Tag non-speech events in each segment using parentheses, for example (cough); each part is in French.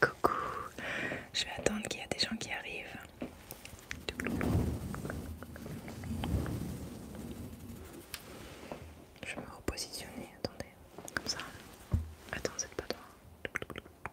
Coucou, je vais attendre qu'il y ait des gens qui arrivent. Je vais me repositionner, attendez, comme ça. Attends, c'est pas toi.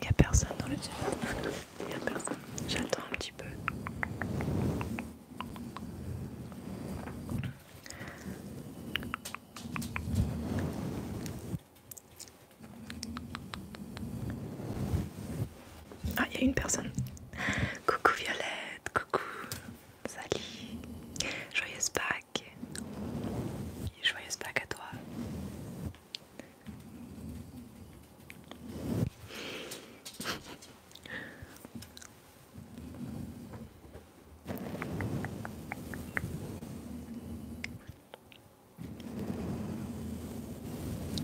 Il n'y a personne dans le chat. Il n'y a personne. J'attends un petit peu. Ah, il y a une personne. Coucou Violette, coucou Sally. Joyeuse Pâques. Joyeuse Pâques à toi.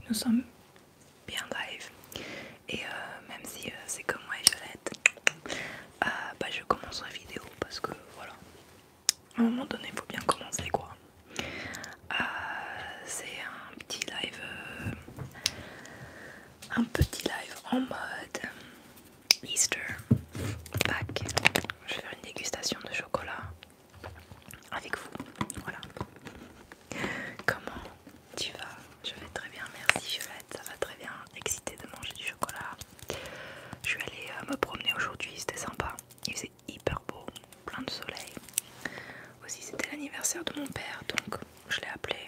Nous sommes bien live et euh, même si euh, c'est comme moi et Violette, euh, bah, je commence la vidéo parce que voilà, à un moment donné faut bien commencer quoi euh, c'est un petit live euh, un petit live en mode Easter pack. je vais faire une dégustation de chocolat avec vous voilà comment tu vas je vais très bien merci Violette ça va très bien Excité de manger du chocolat je suis allée euh, me promener aujourd'hui c'était sympa hyper beau, plein de soleil. Aussi, c'était l'anniversaire de mon père, donc je l'ai appelé.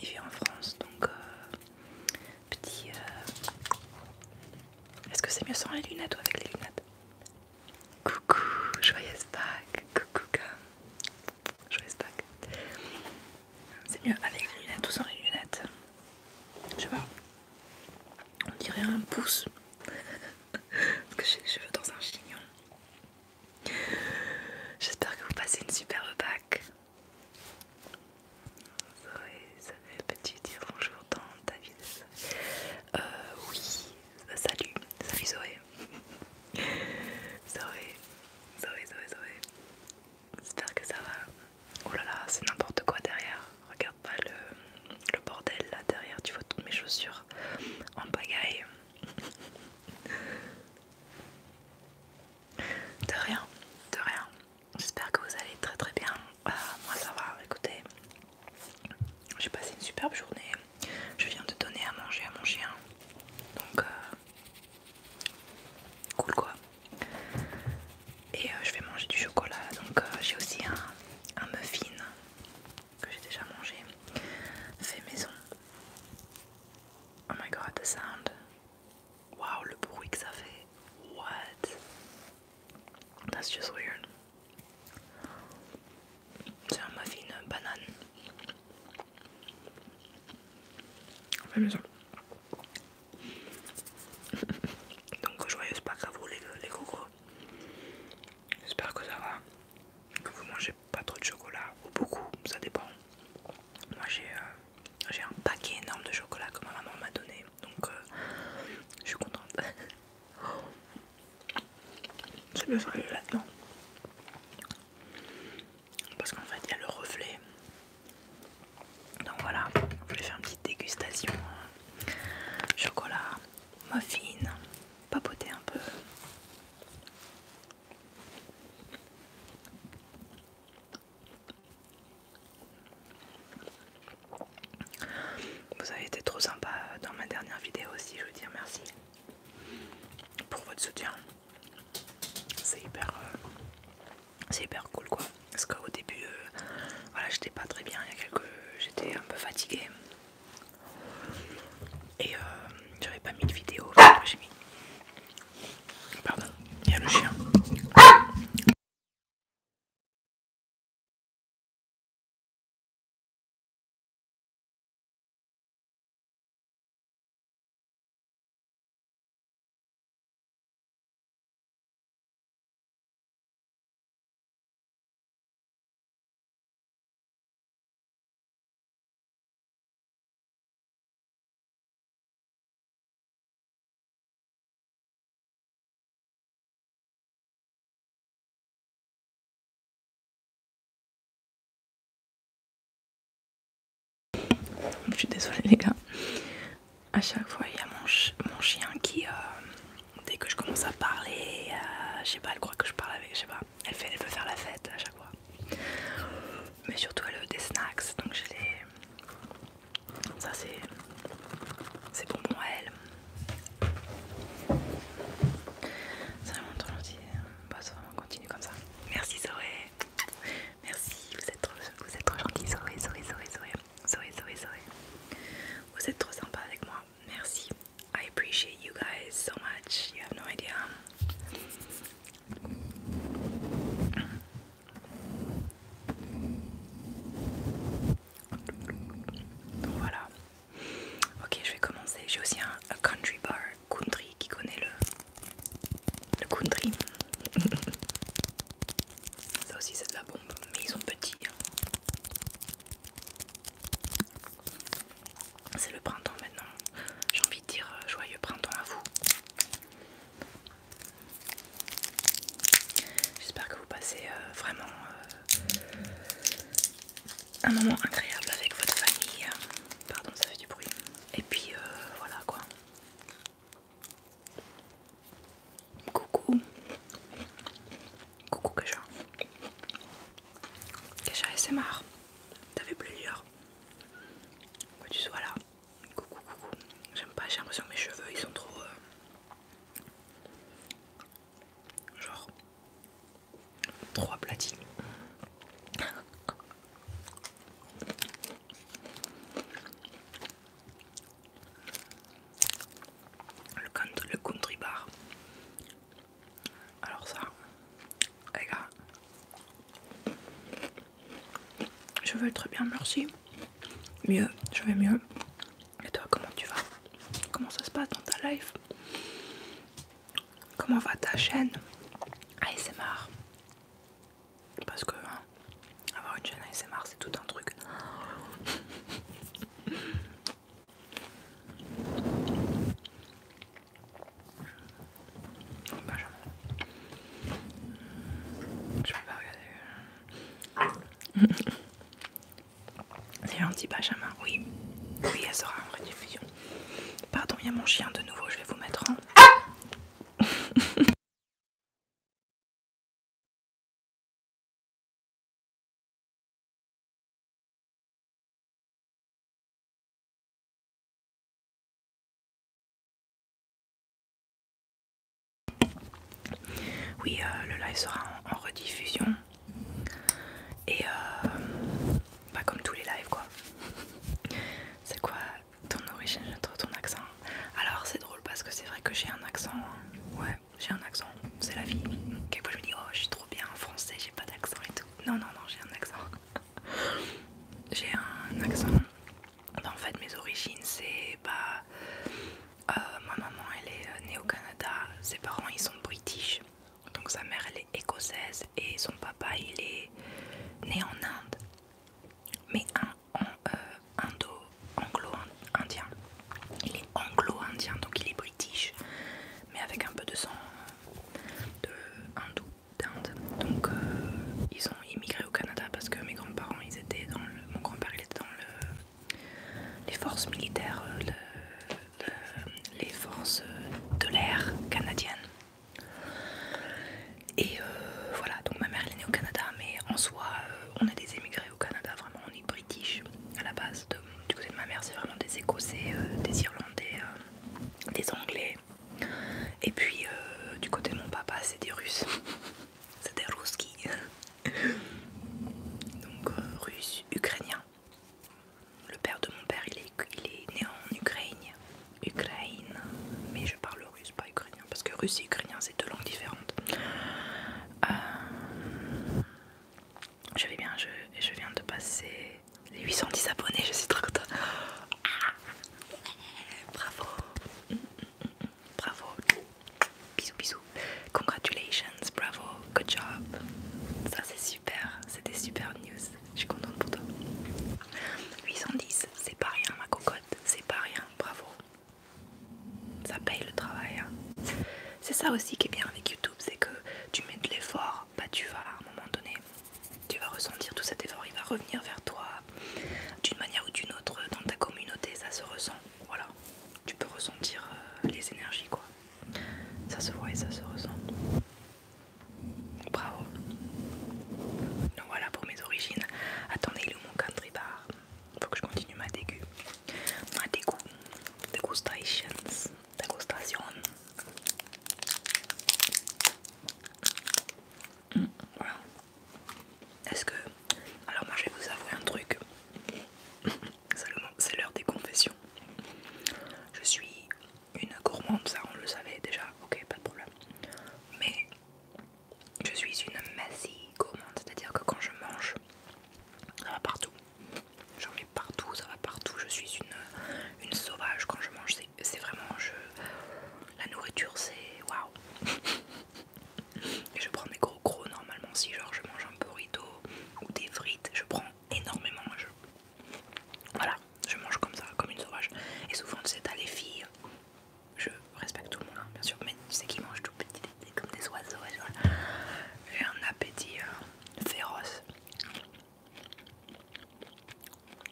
Il vit en France, donc euh, petit. Euh, est-ce que c'est mieux sans les lunettes ou avec les lunettes Coucou, joyeuse Pâques, coucou joyeuse Pâques. C'est mieux avec les lunettes ou sans les lunettes Je sais pas on dirait un pouce parce que j'ai les cheveux dans un chignon j'espère que vous passez une superbe Pâques ça fait petit dire bonjour dans ta euh, oui salut salut Zoé Zoé Zoé Zoé Zoé j'espère que ça va oh là là c'est n'importe quoi derrière regarde pas le, bordel là derrière, tu vois toutes mes chaussures en pagaille. De rien, de rien. J'espère que vous allez très très bien. Euh, moi ça va, écoutez. J'ai passé une superbe journée. Je viens de donner à manger à mon chien. Donc... Euh, cool quoi et euh, je vais manger du chocolat donc j'ai aussi un, un muffin que j'ai déjà mangé fait maison. Oh my god, the sound! Wow, le bruit que ça fait! What? That's just weird. C'est un muffin banane. Fait maison. (laughs) Donc, joyeuse Pâques à vous, les, les J'espère que ça va. Que vous mangez pas trop de chocolat ou beaucoup, ça dépend. Moi j'ai euh, un paquet énorme de chocolat que ma maman m'a donné, donc euh, je suis contente. (laughs) C'est le soleil là-dedans. Parce qu'en fait il y a le reflet. Donc voilà, je vais faire une petite dégustation. Hein. Chocolat, muffin, papoter un peu. Vous avez été trop sympa dans ma dernière vidéo aussi, je veux dire merci pour votre soutien. C'est hyper, euh, c'est hyper cool quoi. Parce qu'au début, euh, voilà, j'étais pas très bien. Il y a quelques, j'étais un peu fatiguée. Et euh, j'avais pas mis de vidéo, j'ai mis. Pardon, il y a le chien. Je suis désolée les gars. À chaque fois, il y a mon, mon chien qui, euh, dès que je commence à parler, euh, je sais pas, elle croit que je parle avec, je sais pas, elle, fait, elle veut faire la fête à chaque fois. Mais surtout elle veut des snacks, donc je les... Ça c'est... C'est pour moi elle. C'est vraiment trop gentil. Hein. Bah ça on continue comme ça. Merci Zoé. Merci, vous êtes trop, vous gentil Zoé, Zoé, Zoé, Zoé. Zoé, Zoé, Zoé. Vous êtes trop sympa avec moi merci. I appreciate you guys so much. You have no idea. Donc voilà. Ok, je vais commencer. J'ai aussi un country bar country qui connaît le le country. (laughs) Ça aussi c'est de la bombe, mais ils sont petits. Hein. C'est le printemps maintenant. J'ai envie de dire euh, joyeux printemps à vous. J'espère que vous passez euh, vraiment euh, un moment agréable avec votre famille. Pardon, ça fait du bruit. Et puis voilà quoi. Coucou. Coucou Kaja. Déjà, c'est marre. T'avais plusieurs. Quoi tu sois là. Coucou, coucou. J'aime pas, j'ai l'impression que mes cheveux ils sont trop. Euh, genre. Trop aplatis. (laughs) Le, country bar alors ça, les gars, je veux être bien, merci. Mieux, je vais mieux. Et toi, comment tu vas Comment ça se passe dans ta life Comment va ta chaîne ASMR Parce que hein, avoir une chaîne ASMR c'est tout un truc. (laughs) Benjamin. Je peux pas regarder. (laughs) C'est dit Benjamin. Oui, oui, elle sera en diffusion. Pardon, il y a mon chien de nouveau, je vais vous mettre en. Oui, euh, le live sera en, rediffusion. Et pas euh, bah, comme tous les lives quoi. (laughs) C'est quoi ton origine, ton accent Alors c'est drôle parce que c'est vrai que j'ai un accent. Hein. Ouais, j'ai un accent, c'est la vie. Quelquefois je me dis oh je suis trop bien en français, j'ai pas d'accent et tout. Non non non j'ai un accent. (laughs) j'ai un accent. Bah, en fait mes origines c'est bah euh, ma maman elle est euh, née au Canada, ses parents ils sont british, donc sa mère elle est écossaise et son papa il est né en Inde, mais un, un euh, indo anglo-indien. Il est anglo-indien donc il est british mais avec un peu de sang de hindou d'Inde. Donc euh, ils ont immigré au Canada parce que mes grands-parents, étaient dans mon grand-père, il était dans les forces militaires, euh, les forces euh, de l'air canadiennes. Et voilà, donc ma mère elle est née au Canada, mais en soi, on est des émigrés au Canada, vraiment, on est british à la base du côté de ma mère c'est vraiment des Écossais, euh, des Irlandais, euh, des Anglais. Et puis euh, du côté de mon papa c'est des Russes. (laughs) c'est des Ruski. (laughs) Donc Russe, Ukrainien. Le père de mon père il est, est né en Ukraine. Ukraine. Mais je parle russe, pas ukrainien. Parce que russe et ukrainien c'est deux langues différentes. Je vais bien, je, je viens de passer les 810 abonnés, je suis trop contente. Ah. bravo. Bravo. Bisous, bisous. Congratulations, bravo, good job. Ça c'est super, C'était super news. Je suis contente pour toi. 810, c'est pas rien ma cocotte, c'est pas rien, bravo. Ça paye le travail. Hein. C'est ça aussi qui est bien avec YouTube c'est que tu mets de l'effort, bah tu vas à un moment donné, tu vas ressentir tout cet effort, il va revenir vers toi d'une manière ou d'une autre dans ta communauté, ça se ressent, voilà. Tu peux ressentir euh, les énergies quoi. Ça se voit et ça se ressent. Bravo. Donc voilà pour mes origines. Attendez, il est où mon country bar Faut que je continue ma dégu. Ma dégoût. Dégustations. Dégustation. Mm, voilà. Est-ce que. Alors, moi je vais vous avouer un truc. (laughs) C'est l'heure des confessions. Je suis une gourmande, ça on le savait déjà, ok, pas de problème. Mais je suis une massie gourmande, c'est-à-dire que quand je mange, ça va partout. J'en mets partout, ça va partout. Je suis une, une sauvage quand je mange. C'est vraiment. Je... La nourriture, c'est. Waouh! Et je prends mes gros gros normalement. Si genre je mange un burrito ou des frites, je prends énormément. Je... Voilà, je mange comme ça, comme une sauvage. Et souvent, tu sais, les filles. Je respecte tout le monde, hein, bien sûr, mais tu sais qu'ils mangent tout petit, comme des oiseaux. J'ai un appétit euh, féroce.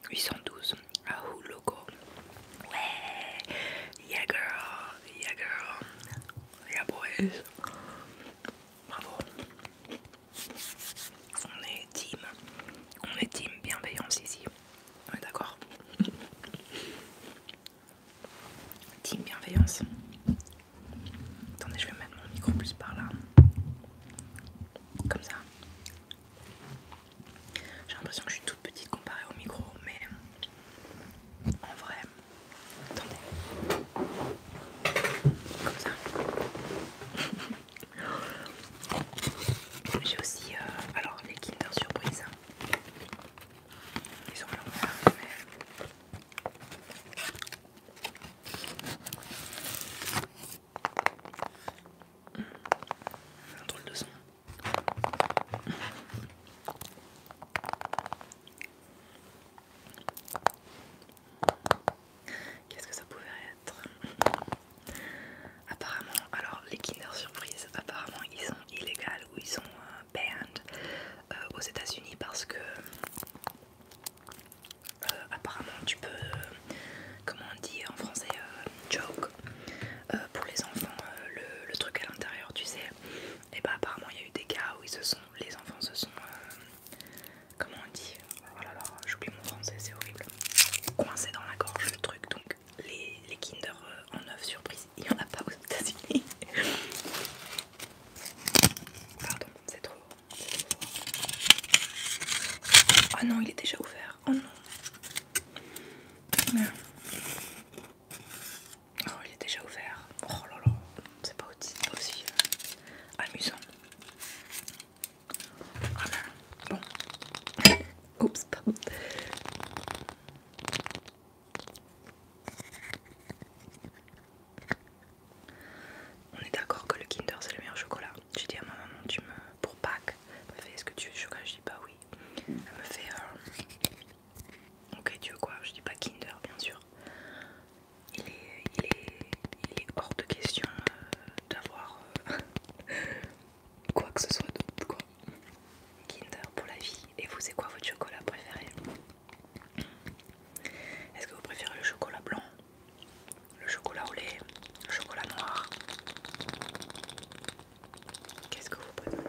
812 Rahul Loco. Ouais, yeah girl, yeah girl, yeah boys. Bravo. On est team, on est team bienveillance ici. On est d'accord. Team bienveillance. Attendez, je vais mettre mon micro plus par là. Comme ça. J'ai l'impression que je suis toute petite comparée au micro, mais en vrai. Attendez. Comme ça. (laughs) J'ai aussi euh, alors les Kinder Surprise. Ils sont l'envers, un drôle de son. Qu'est-ce que ça pouvait être Apparemment, alors les Kinder Surprise, apparemment ils sont illégaux ou ils sont euh, banned euh, aux États-Unis parce que euh, apparemment tu peux, euh, comment on dit en français, euh, joke, pour les enfants, le, truc à l'intérieur, tu sais. Et bah apparemment il y a eu des cas où ils sont, les enfants se sont, comment on dit, oh j'oublie mon français, c'est horrible, coincé dans la gorge le truc, donc les, les Kinder en œuf surprise, il n'y en a pas aux États-Unis. (laughs) Pardon, c'est trop Oh non, il est déjà ouvert. Oh non. Oh, il est déjà ouvert. Oh là là, c'est pas aussi euh, amusant. Ah bon. Oups, pardon. On est d'accord que le Kinder c'est le meilleur chocolat. J'ai dit à ma maman, tu me pour Pâques, elle me fait est-ce que tu veux chocolat Je dis pas bah oui. Elle me fait euh, ok tu veux quoi Je dis pas Kinder bien sûr. Il est, il hors de question euh, d'avoir euh, (laughs) quoi que ce soit d'autre quoi. Kinder pour la vie. Et vous c'est quoi votre chocolat préféré est-ce que vous préférez le chocolat blanc, le chocolat au lait, le chocolat noir Qu'est-ce que vous préférez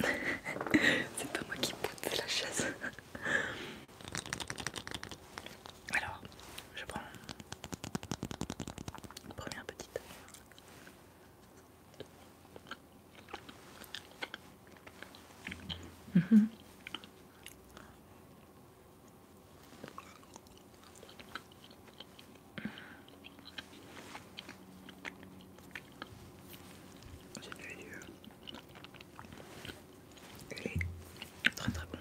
(laughs) C'est pas moi qui pousse la chaise. (laughs) Alors, je prends la première petite. Mhm. hmm C'est est très très bon.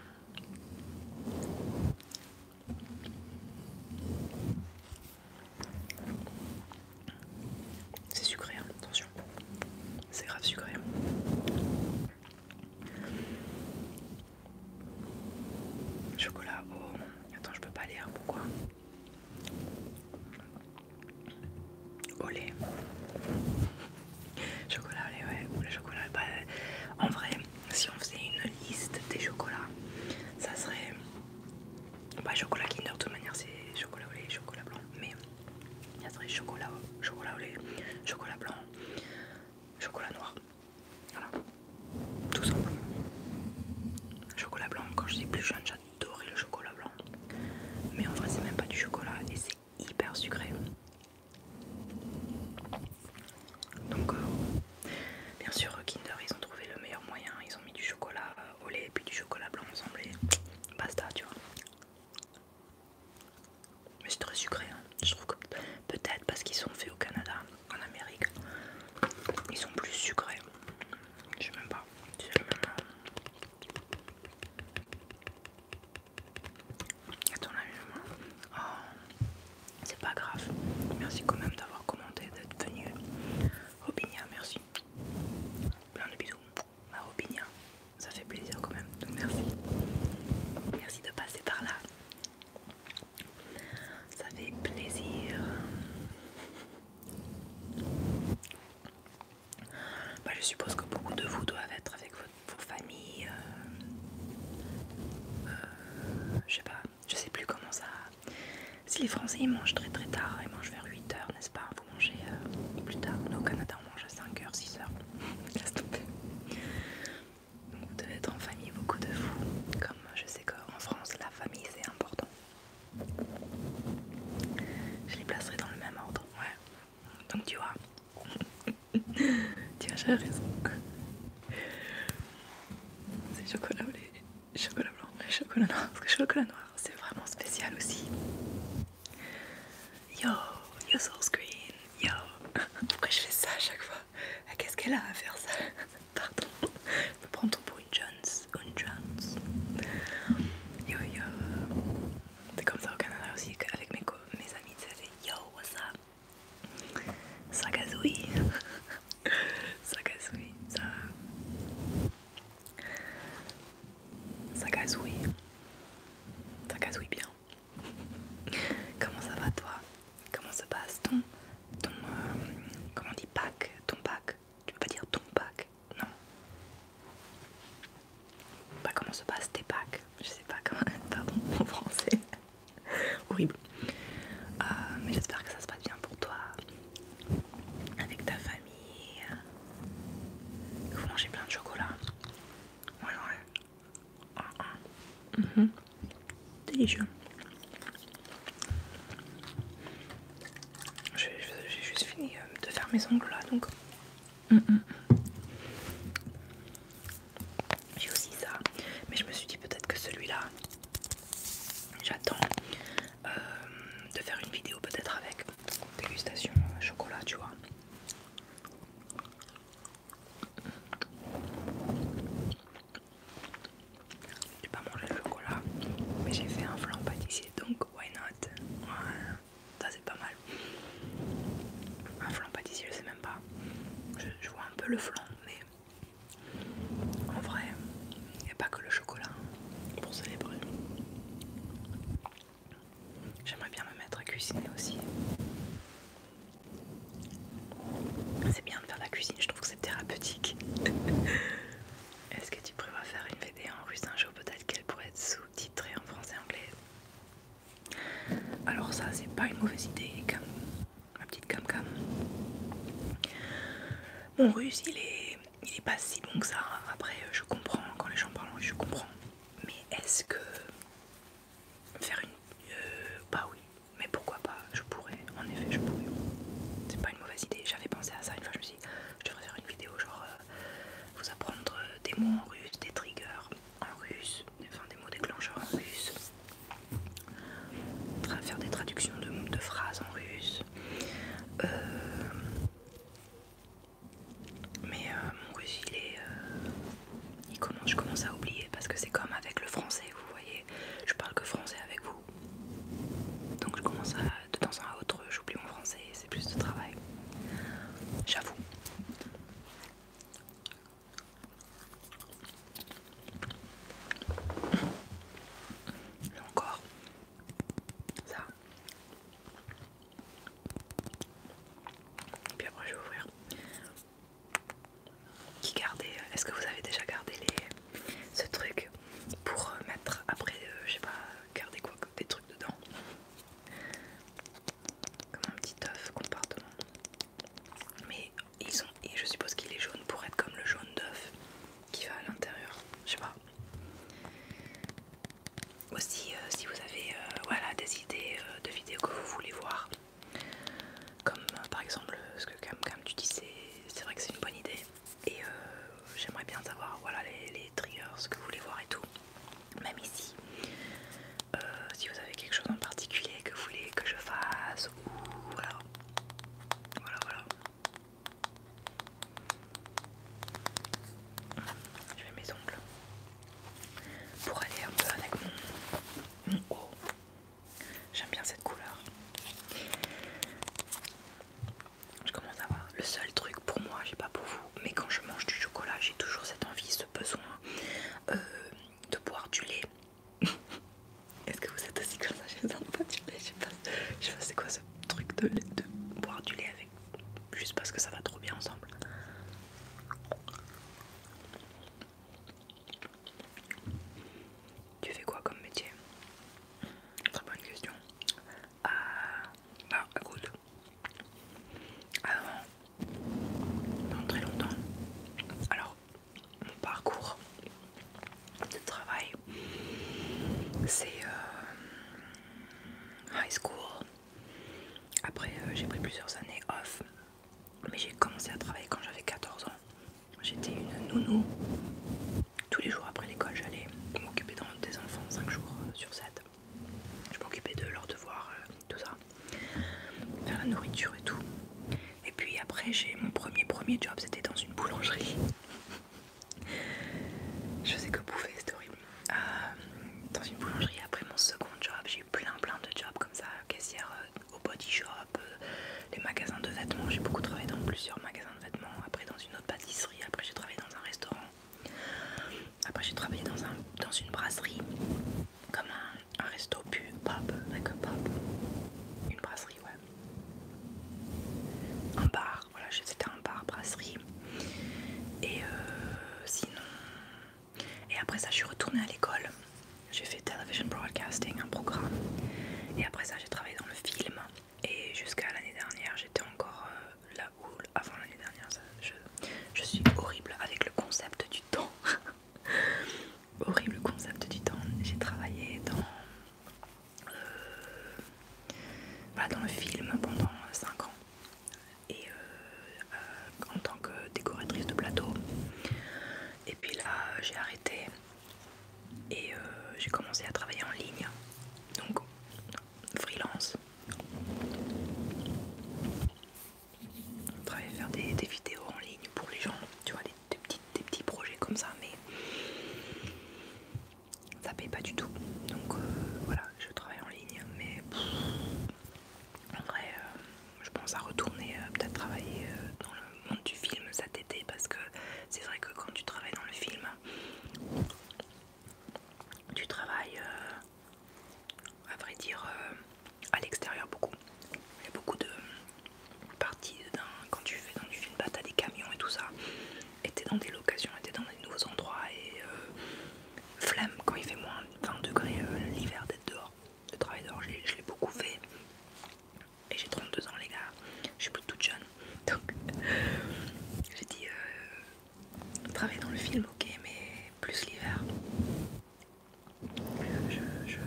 C'est sucré, hein, attention c'est grave sucré. Hein. Chocolat, au... Oh. attends, je peux pas lire, pourquoi Au lait. Chocolat, au lait, ouais, ou chocolat, bah, en vrai, si on faisait une liste des chocolats, ça serait. Bah, chocolat Kinder, de toute manière, c'est chocolat au lait, chocolat blanc, mais il y a très chocolat, chocolat au lait, chocolat blanc, chocolat noir. Voilà, tout simplement. Chocolat blanc, quand je suis plus jeune, j'adorais le chocolat blanc. Mais en vrai, c'est même pas du chocolat et c'est hyper sucré. Donc, euh, bien sûr, Kinder, ils ont trouvé le meilleur moyen. Ils ont mis du chocolat au lait et puis du chocolat blanc ensemble et basta, tu vois. Mais c'est très sucré, hein. je trouve que peut-être parce qu'ils sont faits au Canada, en Amérique, ils sont plus sucrés. Je sais même pas. Attends, oh, c'est pas grave. Merci quand même d'avoir commenté, d'être venu. Robinia, merci. Plein de bisous. Ma opinion. ça fait plaisir quand même, donc merci. Merci de passer par là. Ça fait plaisir. Bah, je suppose que beaucoup de vous doivent être avec votre, vos familles. Euh, euh, je sais pas, je sais plus comment ça. Si les Français ils mangent très très tard, ils mangent vers 8h, n'est-ce pas manger euh, plus tard. Nous au Canada on mange à 5h, 6h. (laughs) Laisse tomber. Donc vous devez être en famille, beaucoup de vous. Comme je sais qu'en France la famille c'est important. Je les placerai dans le même ordre. Ouais. Donc tu vois. (laughs) tu as j'avais raison. C'est chocolat ou les chocolats blancs, Parce que chocolat noir, c'est vraiment spécial aussi. Yo, yo source green, yo. Pourquoi je fais ça à chaque fois ah, Qu'est-ce qu'elle a à faire ça (laughs) Pardon. Je chance, une chance. Yo yo. C'est comme ça au Canada aussi avec mes, mes amis, c'est yo what's up Sakazui. (laughs) Sakazui, ça. Ça oui bien. Comment ça va toi Comment se passe ton... ton euh, comment on dit pack Ton pack Tu peux pas dire ton pack Non. Pas bah, comment se passe tes packs Je sais pas comment... (laughs) Pardon, en français. Horrible. Euh, mais j'espère que ça se passe bien pour toi. Avec ta famille. vous mangez plein de chocolat. Ouais, ouais. Mm-hmm. Mm-hmm. Délicieux. J'ai juste fini euh, de faire mes ongles là donc. Mm-hmm. J'ai aussi ça, mais je me suis dit peut-être que celui-là, j'attends euh, de faire une vidéo peut-être avec dégustation euh, chocolat, tu vois. J'ai pas mangé le chocolat, mais j'ai fait un flan pâtissier donc why not? Voilà. Ça c'est pas mal. Un flan pâtissier, je sais même pas. Je, vois un peu le flan, mais en vrai, il n'y a pas que le chocolat pour célébrer. J'aimerais bien me mettre à cuisiner aussi. C'est bien de faire de la cuisine, je trouve que c'est thérapeutique. (laughs) Est-ce que tu prévois faire une VD en russe un jour Peut-être qu'elle pourrait être sous-titrée en français anglais. Alors ça, c'est pas une mauvaise idée, comme ma petite cam cam. Mon russe, il est, il est pas si bon que ça. Après, je comprends quand les gens parlent, je comprends. Mais est-ce que faire une... Euh, bah oui, mais pourquoi pas, je pourrais, en effet je pourrais. C'est pas une mauvaise idée, j'avais pensé à ça une fois, je me suis dit, je devrais faire une vidéo genre euh, vous apprendre euh, des mots en russe, des triggers en russe, enfin des mots déclencheurs en russe, faire des traductions de, de phrases en russe. Mais euh, mon russe, il est. Euh, je commence à oublier parce que c'est comme avec le français, vous voyez. Je parle que français avec vous. Donc je commence à. De temps à autre, j'oublie mon français et c'est plus de travail. J'avoue. Là encore, ça, et puis après je vais ouvrir. Qui euh, Est-ce que vous avez déjà gardé les, ce truc pour euh, mettre après, euh, je sais pas, garder quoi Des trucs dedans Comme un petit œuf compartiment. Mais ils ont, et je suppose qu'il est jaune pour être comme le jaune d'œuf qui va à l'intérieur. Je sais pas. Aussi, euh, si vous avez euh, voilà, des idées euh, de vidéos que vous voulez voir, comme par exemple ce que comme, tu dis, c'est vrai que c'est une bonne idée. Et j'aimerais bien savoir voilà, les, triggers, ce que vous voulez voir et tout. Même ici, si vous avez quelque chose en particulier que vous voulez que je fasse, ou voilà. Voilà, voilà. Je mets mes ongles pour aller un peu avec mon, haut. J'aime bien cette couleur. Je commence à voir. Le seul truc pour moi, j'ai pas pour vous, mais quand je mange du chocolat, j'ai toujours cette envie, ce besoin euh, de boire du lait. (laughs) Est-ce que vous êtes aussi comme ça J'ai du lait. Je sais pas, c'est quoi ce truc de, de boire du lait avec juste parce que ça va trop bien ensemble. Tu fais quoi comme métier Très bonne question. Ah, bah écoute, avant, dans très longtemps, alors mon parcours de travail, c'est euh, high school, après, euh, j'ai pris plusieurs années off, mais j'ai commencé à travailler quand j'avais 14 ans. J'étais une nounou. Tous les jours après l'école, j'allais m'occuper des enfants 5 jours euh, sur 7. Je m'occupais de leurs devoirs, euh, tout ça, faire la nourriture et tout. Et puis après, j'ai mon premier premier job, c'était dans une boulangerie. (laughs) Je sais que bouffer, c'était horrible. Euh, dans une boulangerie après mon second job. J'ai eu plein plein de jobs comme ça, caissière euh, au body shop, euh, les magasins de vêtements. J'ai beaucoup travaillé dans plusieurs magasins de vêtements, après dans une autre pâtisserie, après j'ai travaillé dans un restaurant. Après j'ai travaillé dans, un, dans une brasserie, comme un, resto pub, pop, like une brasserie ouais. Un bar, voilà c'était un bar brasserie. Et sinon et après ça, je suis retournée à l'école. J'ai fait Television Broadcasting, un programme. Et après ça, j'ai travaillé dans le film. Et jusqu'à l'année dernière, j'étais encore euh, là où, avant l'année dernière, je, suis horrible avec le concept du temps. (laughs) horrible concept du temps. J'ai travaillé dans, euh, bah, dans le film pendant 5 ans et euh, en tant que décoratrice de plateau. Et puis là, j'ai arrêté et euh, j'ai commencé à travailler en ligne, donc freelance. Travailler, faire des, vidéos en ligne pour les gens, tu vois, des, petits, des petits projets comme ça, mais ça paye pas du tout. Donc euh, voilà, je travaille en ligne, mais en vrai, euh, je pense à retourner euh, peut-être travailler euh, dans le monde du film cet été parce que c'est vrai que quand tu travailles dans le film, tu travailles, à vrai dire, à l'extérieur beaucoup. Il y a beaucoup de parties quand tu fais dans du film, bah, t'as des camions et tout ça, et dans des locations, étaient dans des nouveaux endroits et flemme quand il fait moins 20 degrés euh, l'hiver d'être dehors. de travail dehors, je l'ai beaucoup fait. Et j'ai 32 ans, les gars. Je suis plus toute jeune. (laughs) Donc, j'ai dit euh, travailler dans le film, ok, mais plus l'hiver. Je,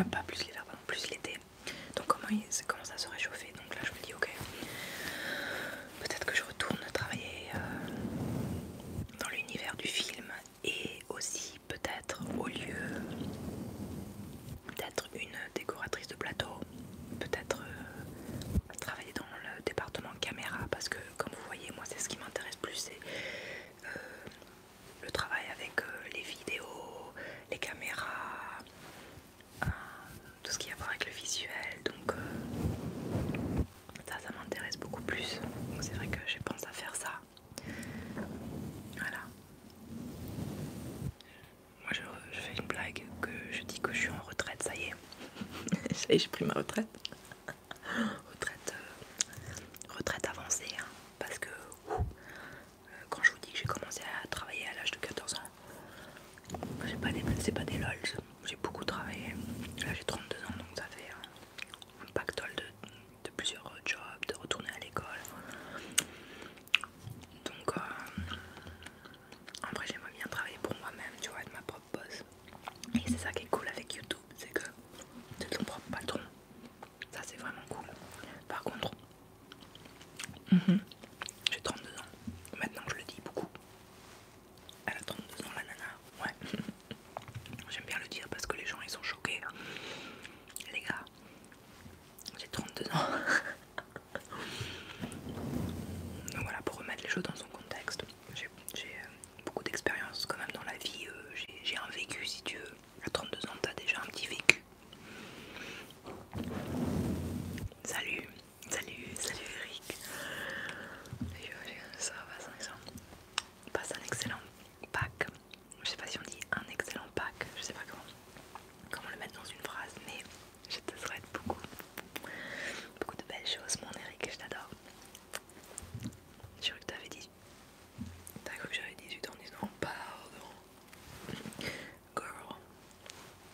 ah, pas plus l'hiver, plus l'été. Donc, comment il commence à se réchauffer. Donc, là, je me dis, ok, peut-être que je retourne travailler euh, dans l'univers du film et aussi peut-être au lieu d'être une décoratrice de plateau, peut-être euh, travailler dans le département caméra parce que comme vous voyez moi c'est ce qui m'intéresse plus c'est euh, le travail avec euh, les vidéos, les caméras, tout ce qui a à voir avec le visuel donc ça, ça m'intéresse beaucoup plus. Donc c'est vrai que je pense à faire ça. Voilà. Moi je, fais une blague que je dis que je suis en retraite, ça y est. (laughs) ça y est, j'ai pris ma retraite. (laughs) retraite, euh, retraite avancée. Hein. parce que euh, quand je vous dis que j'ai commencé à travailler à l'âge de 14 ans, c'est pas, pas des lols, j'ai beaucoup travaillé. Là j'ai 32 ans donc ça fait hein, un pactole de, de plusieurs jobs, de retourner à l'école. Donc, après euh, en vrai, j'aimerais bien travailler pour moi-même, tu vois, être ma propre boss. Et c'est ça qui est cool avec YouTube, c'est que c'est ton propre patron. Ça, c'est vraiment cool. Par contre, mhm. j'ai 32 ans. Maintenant, je le dis beaucoup. Elle a 32 ans la nana, ouais. (laughs) J'aime bien le dire parce que les gens ils sont choqués. Les gars, j'ai 32 ans. (laughs) Donc voilà, pour remettre les choses dans son contexte, j'ai euh, beaucoup d'expérience quand même dans la vie. Euh, j'ai un vécu si tu veux. À 32 ans, t'as déjà un petit vécu. Salut, salut, salut Eric. Ça va, va passe un excellent pack. Je sais pas si on dit un excellent pack, je sais pas comment, comment le mettre dans une phrase, mais je te souhaite beaucoup, beaucoup de belles choses, mon Eric, je t'adore. J'ai cru que t'avais 18 T'as cru que j'avais 18 ans, disant pardon.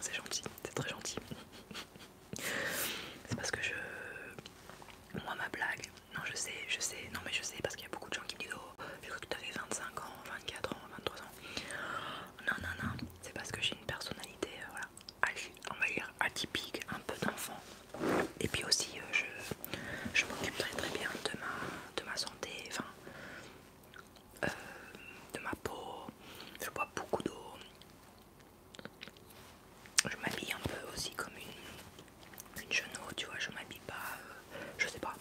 c'est gentil, c'est très gentil. (laughs) c'est parce que je. Moi, ma blague, non, je sais, je sais, non, mais je sais parce qu'il y a beaucoup de gens qui me disent Oh, je que tu avais 25 ans, 24 ans, 23 ans. Non, non, non, c'est parce que j'ai une personnalité, euh, on va dire atypique, un peu d'enfant. Et puis aussi, euh, je, je m'occupe très très bien de ma, de ma santé, enfin, euh, de ma peau. Je bois beaucoup d'eau, je m'habille un peu aussi comme une, genou, tu vois, je m'habille pas, euh, je sais pas,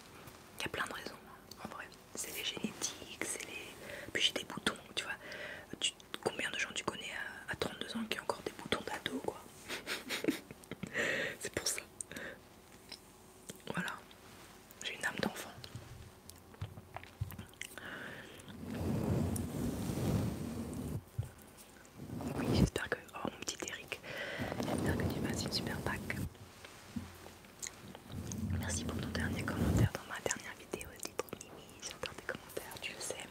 il y a plein de raisons, hein, en vrai, c'est les génétiques, c'est les... Puis j'ai des boutons, tu vois, combien de gens tu connais à, 32 ans qui ont encore des boutons d'ado, quoi (laughs) C'est pour ça. Voilà, j'ai une âme d'enfant. Oui, j'espère que. Oh mon petit Eric, j'espère que tu passes une super Pâques. Merci pour ton dernier commentaire dans ma dernière vidéo. Dis oui, mimi, des commentaires, tu le sais.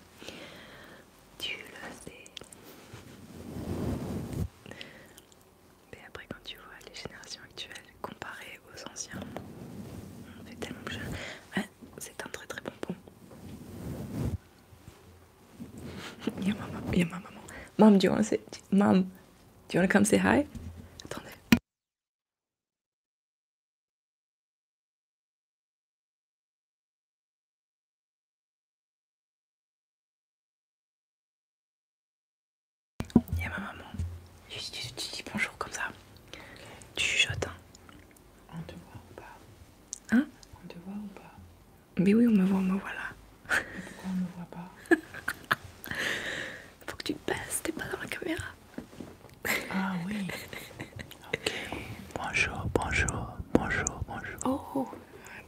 Tu le sais. Mais après, quand tu vois les générations actuelles comparées aux anciens, on fait tellement plus jeune. c'est un très très bon pont. Y'a ma, maman. a ma maman. Mom, do you wanna say... Mom, do you wanna come say hi? Attendez. a ma maman. Tu, dis bonjour comme ça. Tu chuchotes. Hein. On te voit ou pas Hein On te voit ou pas Mais oui, on me voit, on me voit là. Mais pourquoi on me voit pas (laughs) Faut que tu passes, t'es pas dans la caméra. Ah oui. Ok. Bonjour, bonjour, bonjour, bonjour. Oh,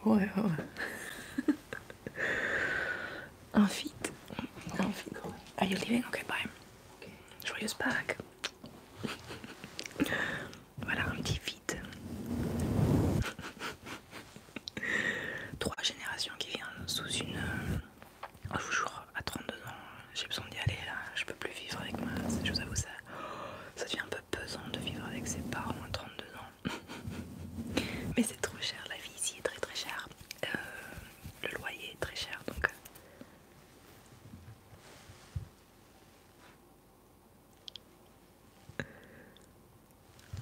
oh. ouais, ouais. ouais. (laughs) Un feat. Un feat. Are you leaving? Ok bye. Okay. Joyeuse Pâques voilà un petit vide. Trois générations qui viennent sous une. Je à 32 ans, j'ai besoin d'y aller là. Je peux plus vivre avec moi, Je vous avoue, ça, ça devient un peu pesant de vivre avec ses parents à 32 ans. (laughs) Mais c'est trop cher, la vie ici est très très chère. Euh, le loyer est très cher donc. Euh,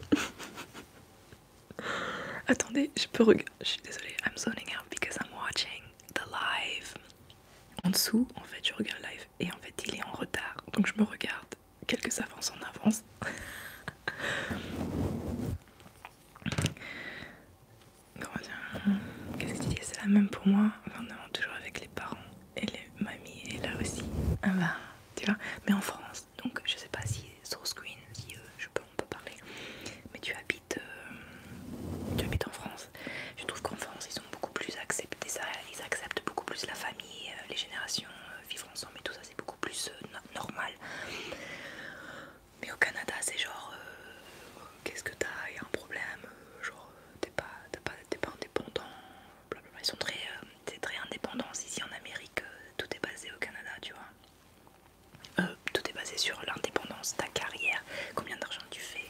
(laughs) Attendez, je peux regarder. Je suis désolée, I'm zoning out because I'm watching the live. En dessous, en fait, je regarde le live et en fait, il est en retard. Donc, je me regarde quelques avances en avance. (laughs) Comment dire Qu'est-ce que tu C'est la même pour moi. Enfin, non, toujours avec les parents et les mamie est là aussi. Ah bah, tu vois, mais en France, donc je sais pas si sur screen, si euh, je on peut parler, mais tu habites, euh, tu en France. Je trouve qu'en France, ils sont beaucoup plus acceptés, ça, ils acceptent beaucoup plus la famille, euh, les générations, vivant ensemble et tout ça, c'est beaucoup plus normal. Mais au Canada, c'est genre, qu'est-ce que t'as, il y a un problème, genre, t'es pas, pas, indépendant, Ils sont très, indépendants euh, très Ici en Amérique, euh, tout est basé au Canada, tu vois. Euh, tout est basé sur l'indépendance, ta carrière, combien d'argent tu fais,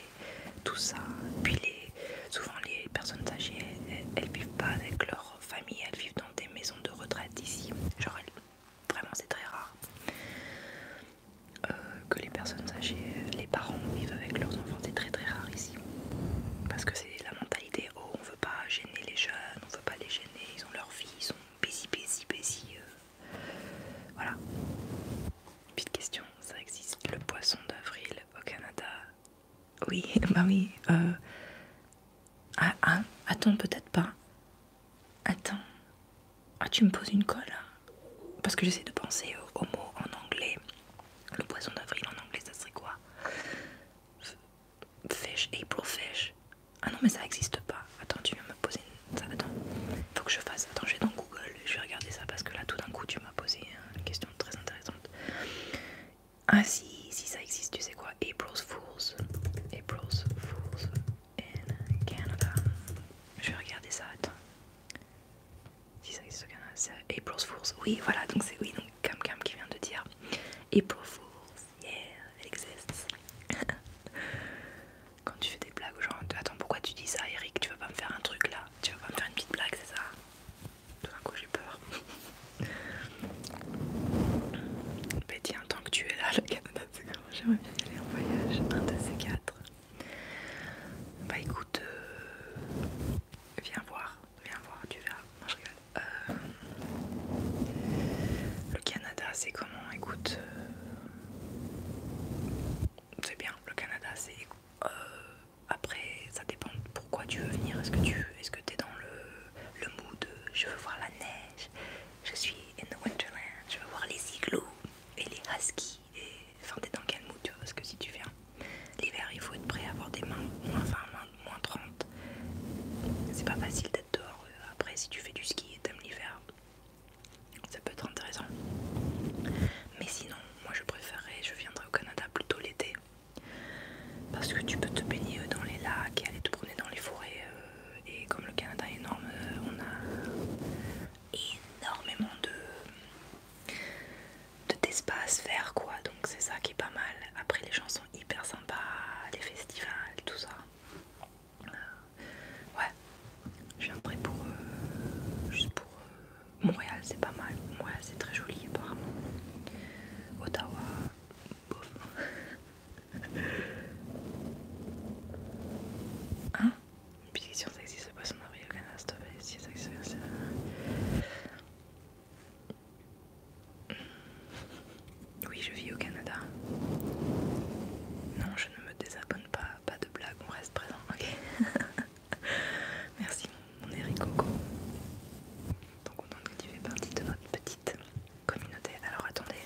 tout ça. Puis les, souvent les personnes âgées, elles, vivent pas avec leur famille, elles vivent dans des maisons de retraite ici. Genre, vraiment, c'est très rare. que les personnes âgées, les parents vivent avec leurs enfants, c'est très très rare ici. Parce que c'est la mentalité, oh on veut pas gêner les jeunes, on veut pas les gêner, ils ont leur vie, ils sont busy, busy, busy. Euh. Voilà. Petite question, ça existe le poisson d'avril au Canada Oui, (laughs) bah oui. Euh. Ah, ah, attends, peut-être pas. Attends. Ah, tu me poses une colle hein? Parce que j'essaie de penser aux mots en anglais le poison d'avril en anglais, ça serait quoi Fish, April Fish. Ah non, mais ça existe pas. Attends, tu viens me poser ça, Attends, faut que je fasse. Attends, j'ai dans Google, je vais regarder ça parce que là, tout d'un coup, tu m'as posé hein, une question très intéressante. Ah si, si ça existe, tu sais quoi April's Fools. April's Fools in Canada. Je vais regarder ça, attends. Si ça existe, c'est April's Force, Oui, voilà, donc c'est oui, donc Cam Cam qui vient de dire April Force, yeah, elle existe. (laughs) Quand tu fais des blagues genre, gens, attends, pourquoi tu dis ça, Eric Tu vas pas me faire un truc là Tu vas pas me faire une petite blague, c'est ça Tout d'un coup, j'ai peur. (laughs) Betty, en tant que tu es là, le Canada, c'est grave, J'aimerais bien aller en voyage, un de ces quatre. Bah écoute, euh, Viens voir, viens voir, tu verras. je rigole. Euh, le Canada, c'est comment Écoute, euh, c'est bien. Le Canada, c'est euh, après, ça dépend. Pourquoi tu veux venir Est-ce que tu est-ce que t'es dans le, mood Je veux voir la neige. Je suis in the winterland, Je veux voir les igloos et les huskies et Enfin, t'es dans quel mood, tu vois, parce que si tu viens l'hiver, il faut être prêt à avoir des mains moins 20, moins 30. C'est pas facile d'être dehors. Euh, après, si tu fais du ski et t'aimes l'hiver, ça peut être intéressant. Mais sinon, moi je préférerais, je viendrai au Canada plutôt l'été. Parce que tu peux te baigner euh, dans les lacs et aller te promener dans les forêts. Euh, et comme le Canada est énorme, on a énormément de de d'espace faire quoi donc c'est ça qui est pas mal après les gens sont hyper sympas les festivals tout ça euh, ouais je près pour euh, juste pour euh, Montréal c'est pas mal Montréal c'est très joli apparemment Ottawa (laughs) hein une ça existe si c'est Oui, je vis au Canada. Non, je ne me désabonne pas, pas de blague, on reste présent, ok (laughs) Merci, mon Eric Coco. Donc on que tu fais partie de notre petite communauté. Alors attendez,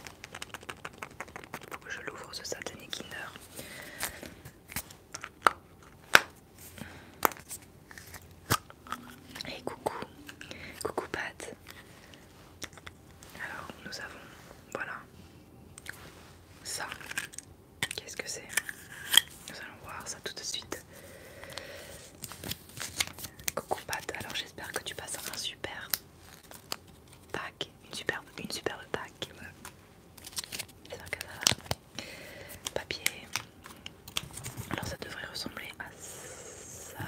il faut que je l'ouvre ce satané Kinder. Et coucou, coucou Pat. Alors nous avons, voilà, ça. Qu'est-ce que c'est Nous allons voir ça tout de suite. Coucou Pat, alors j'espère que tu passes un super pack, une superbe, une superbe pack. que ça papier. Alors ça devrait ressembler à ça.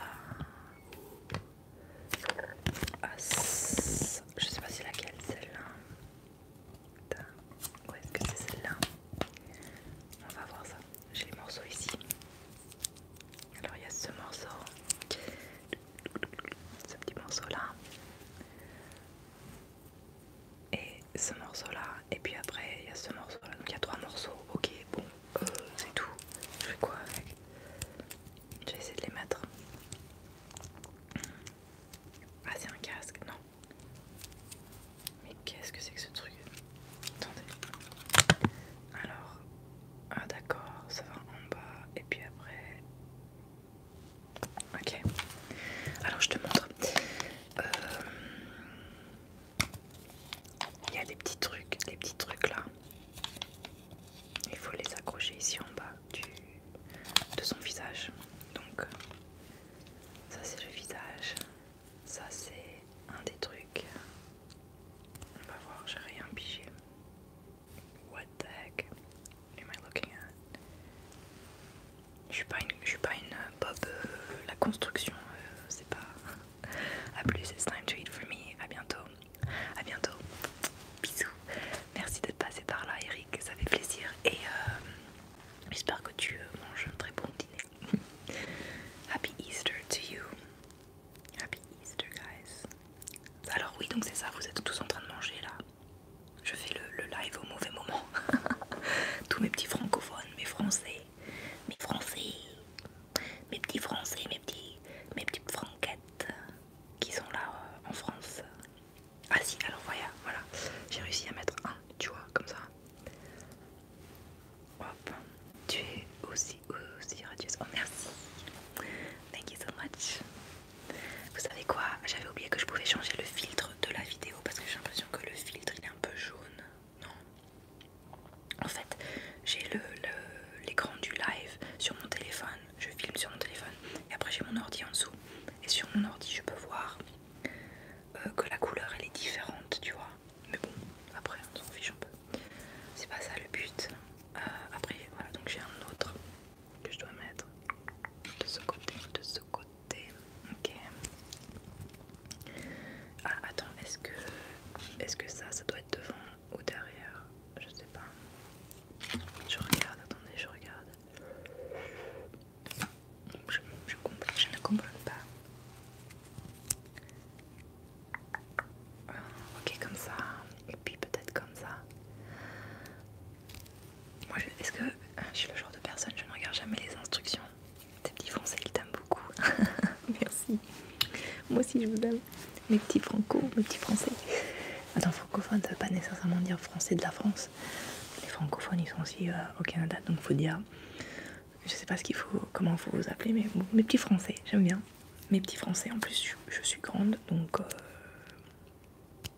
À Je sais pas si laquelle, celle-là. Où est-ce que c'est celle-là On va voir ça. J'ai les morceaux ici. Alors il y a ce morceau. Ce petit morceau là et ce morceau là et puis après il y a ce morceau là donc il y a trois morceaux ok bon euh, c'est tout je fais quoi avec je vais essayer de les mettre ah c'est un casque non mais qu'est-ce que c'est que ce truc attendez alors ah d'accord ça va en bas et puis après Ok, alors je te montre. Euh, il y a des petits trucs, des petits trucs là. Il faut les accrocher ici en bas de son visage. Donc ça c'est le visage. Ça c'est un des trucs. On va voir, j'ai rien pigé. What the heck am I looking at? Je suis pas une, suis pas une Bob. Euh, euh, la construction, euh, c'est pas. A plus, it's time to eat for me. A bientôt. A bientôt. Bisous. Merci d'être passé par là, Eric. Ça fait plaisir. Et j'espère que tu manges un très bon dîner. (laughs) Happy Easter to you. Happy Easter, guys. Alors, oui, donc c'est ça. Vous êtes tous en train de manger là. Je fais le live au mauvais moment. (laughs) Tous mes petits francophones mes français, mes français, mes petits français, mes petits, mes petites franquettes qui sont là euh, en France. Ah si, alors voilà, voilà, j'ai réussi à mettre un, tu vois, comme ça. Hop, tu es aussi, aussi radieuse. Oh merci, thank you so much. Vous savez quoi J'avais oublié que je pouvais changer le filtre de la vidéo parce que j'ai l'impression que le filtre un peu jaune, non En fait, j'ai l'écran le, l'écran du live sur mon téléphone, je filme sur mon téléphone, et après j'ai mon ordi en dessous. Et sur mon ordi, je peux voir euh, que la couleur elle est différente, tu vois. Mais bon, après on s'en fiche un peu. C'est pas ça le but. Euh, après, voilà, donc j'ai un autre que je dois mettre de ce côté, de ce côté. Ok. Ah attends, est-ce que est-ce que ça, ça doit être devant ou derrière Je sais pas. Je regarde, attendez, je regarde. Je, ne comprends pas. Euh, ok, comme ça. Et puis peut-être comme ça. Moi, est-ce que je suis le genre de personne, je ne regarde jamais les instructions tes petits français, ils t'aiment beaucoup. (laughs) Merci. Moi aussi, je vous aime. Mes petits franco, mes petits français. Attends, francophone, ça veut pas nécessairement dire français de la France. Les francophones, ils sont aussi euh, au Canada, donc il faut dire. Je ne sais pas ce qu'il faut, comment vous appeler, mais mes petits français, j'aime bien. Mes petits français, en plus, je, suis grande, donc. Euh,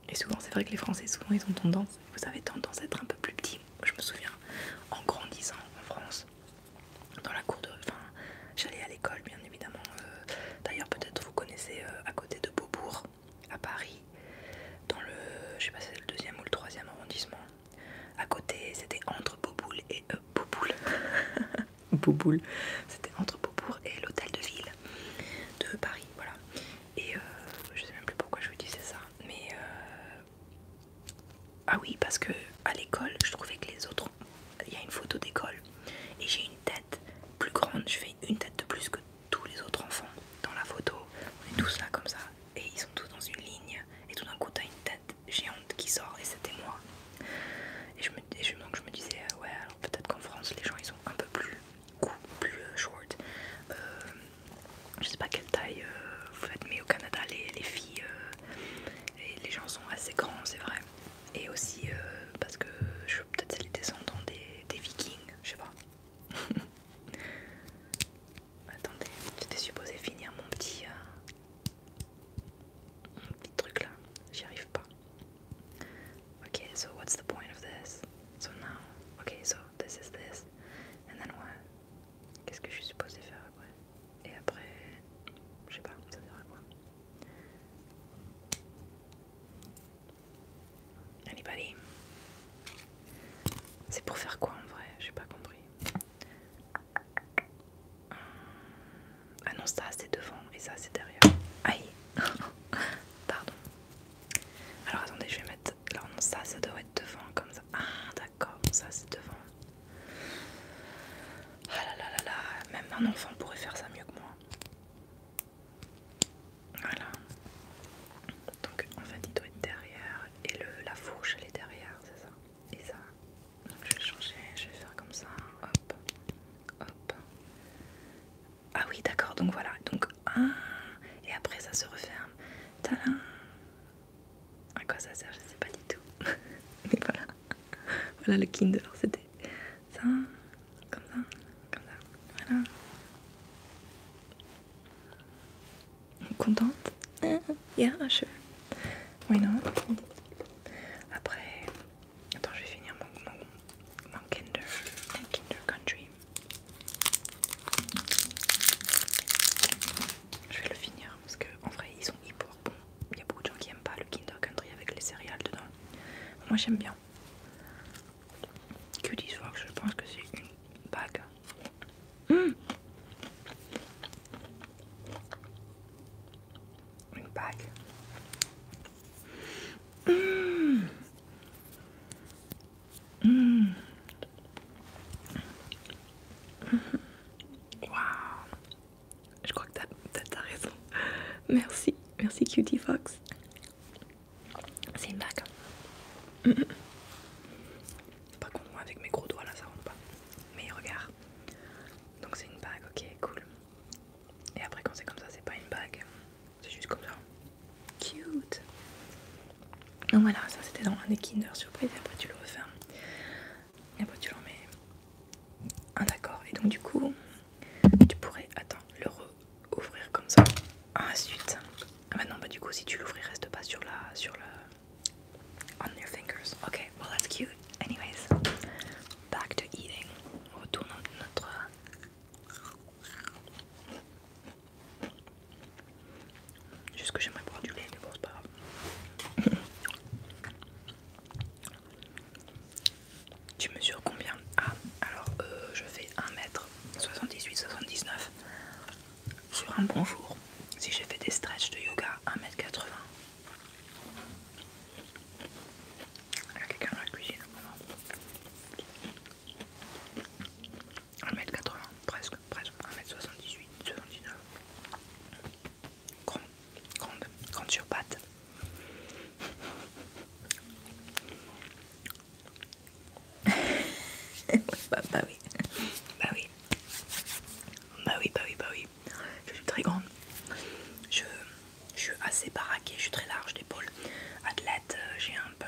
et souvent, c'est vrai que les Français, souvent, ils ont tendance, vous avez tendance à être un peu plus petit. Je me souviens, en grandissant en France, dans la cour de... Enfin, j'allais à l'école, bien évidemment. Euh, d'ailleurs, peut-être vous connaissez euh, à côté de Beaubourg, à Paris, dans le... Je sais pas c'est le deuxième ou le troisième arrondissement. À côté, c'était entre Beauboul et... Euh, (laughs) c'était entre Beaubourg et l'hôtel de ville de Paris, voilà. Et je sais même plus pourquoi je vous disais ça, mais ah oui, parce que à l'école, je trouvais que les autres. Il y a une photo d'école et j'ai une tête plus grande. Je fais une tête de plus que tous les autres enfants dans la photo. On est tous là comme ça et ils sont tous dans une ligne. Et tout d'un coup, t'as une tête géante qui sort et c'était moi. Et je me, me disais, euh, ouais, alors peut-être qu'en France, les gens ils sont un peu plus plus euh, short. Euh, je sais pas quelle taille euh, vous faites, mais au Canada, les, les filles euh, et les gens sont assez grands, c'est vrai. Et aussi euh, parce que je peut-être les descendants des, des vikings, je sais pas. (laughs) Attendez, j'étais supposée finir mon petit, truc là, j'y arrive pas. Ok, so what's the point of this? So now, ok, so this is this, and then what? Qu'est-ce que je suis supposée faire après Et après, je sais pas, ça sert à quoi Anybody bah, C'est pour faire quoi en vrai J'ai pas compris. Hum, ah non, ça c'est devant et ça c'est derrière. Aïe (laughs) Pardon. Alors attendez, je vais mettre. Alors non, ça, ça devrait être devant comme ça. Ah, d'accord d'accord, ça c'est devant. Ah là là là là, même un enfant pourrait faire ça mieux que moi. Voilà. Donc en fait il doit être derrière et la fourche elle est derrière, c'est ça. Et ça. Donc je vais changer, je vais faire comme ça. Hop. Hop. Ah oui d'accord, donc voilà. Donc ah, et après ça se referme. Tadam à quoi ça sert, je sais pas du tout. (laughs) Mais voilà, voilà le kinder, c'était ça, comme ça, comme ça, voilà. Contente? (laughs) Yeah, sure. Oui, non. Après, attends, je vais finir mon, mon, mon Kinder, Kinder Country. Je vais le finir parce que en vrai ils sont hyper bons. Il y a beaucoup de gens qui aiment pas le Kinder Country avec les céréales dedans. Moi j'aime bien. Que dis je pense que c'est une bague. Hum. une bague. Hum. Wow. Je crois que t'as raison. Merci, merci Cutie Fox. C'est une bague. Hein. Pas pas avec mes gros doigts là, ça rentre pas. Mais regarde. Donc c'est une bague, ok, cool. Et après quand c'est comme ça, c'est pas une bague. C'est juste comme ça. Cute. Donc voilà, ça c'était dans un des Kinder Surprise, et après tu le refermes. Et après tu l'en mets. Ah, d'accord, et donc du coup, tu pourrais, attends, le re-ouvrir comme ça. Ah, ensuite, Ah bah non, bah du coup, si tu l'ouvres, il reste pas sur la. Sur le On your fingers. Ok, well that's cute. Anyways, back to eating. On retourne notre. Juste que j'aimerais boire du lait, mais bon, c'est pas grave. tu mesures combien Ah, alors euh, je fais 1m78-79 sur un bon jour. Si j'ai fait des stretches de yoga, 1m80. Il y a quelqu'un dans la cuisine. 1m80, presque, presque 1m78, 79. Grande, grande, grande sur pattes. (laughs) Bah, bah, oui, bah oui, bah oui, bah oui, bah oui. Je suis très grande. Je, suis assez baraquée, je suis très large d'épaule. Athlète, euh, j'ai un peu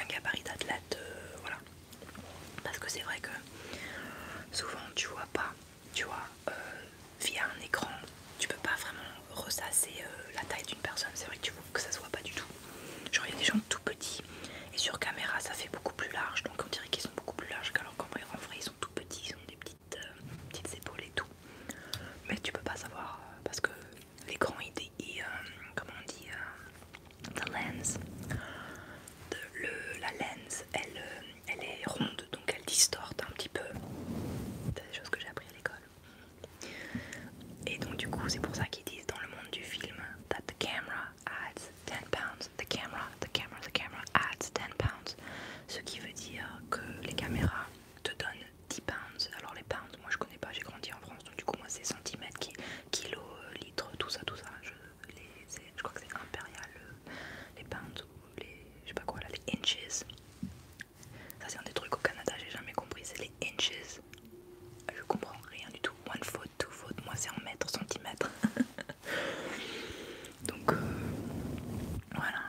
un gabarit d'athlète, euh, voilà. Parce que c'est vrai que souvent tu vois pas, tu vois, euh, via un écran, tu peux pas vraiment ressasser euh, la taille d'une personne. C'est vrai que tu veux que ça se voit pas du tout. Genre il y a des gens tout petits et sur caméra ça fait beaucoup plus large, donc on dirait qu'ils sont beaucoup plus larges qu'alors qu'en vrai en vrai ils sont tout petits, ils ont des petites, petites épaules et tout. Mais tu peux pas savoir parce que l'écran il, est comment on dit lens. la lens, euh, elle, est ronde, donc elle distorte un petit peu. C'est des choses que j'ai appris à l'école. Et donc du coup, c'est pour ça qu'ils disent dans le monde du film that la camera adds 10 pounds, 10 pounds. Ce qui veut dire que les caméras te donnent 10 pounds. Alors les pounds, moi je connais pas, j'ai grandi en France, donc du coup moi c'est centimètres, kilos, euh, litres, tout ça, tout ça je, les, crois que c'est impérial, euh, les pounds ou les, je sais pas quoi là, les inches. Ça c'est un des trucs au Canada, j'ai jamais compris, c'est les inches. Je comprends rien du tout. One foot, two foot, moi c'est en mètres, centimètres. (laughs) Donc euh, voilà.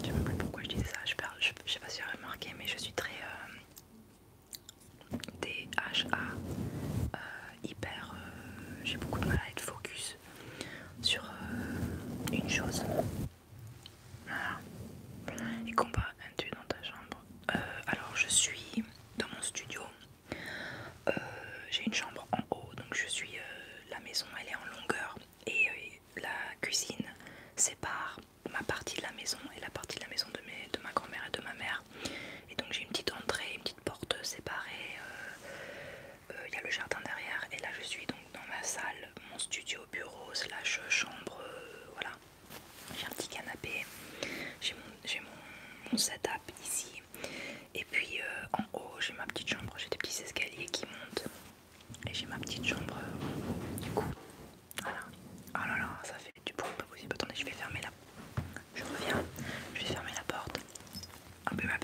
Je sais même plus pourquoi je disais ça, je, sais pas si j'ai remarqué, mais je suis très. Euh, DHA, euh, hyper. Euh, j'ai beaucoup de mal à être focus sur euh, une chose. Voilà. Et un tu dans ta chambre. alors, je suis dans mon studio. J'ai une chambre en haut, donc je suis. la maison, elle est en longueur. Et la cuisine sépare ma partie de la maison et la partie de la maison de, mes, de ma grand-mère et de ma mère. Et donc j'ai une petite entrée, une petite porte séparée. Euh, euh, il y a le jardin derrière et là je suis donc dans ma salle, mon studio, bureau, slash chambre, euh, voilà. J'ai un petit canapé, j'ai mon, setup ici. Et puis en haut j'ai ma petite chambre, j'ai des petits escaliers qui montent. Et j'ai ma petite chambre du coup. Voilà. Oh là là, ça fait fait du bruit pas possible. Attendez, je vais fermer la. Je reviens. Je vais fermer la porte. I'll be right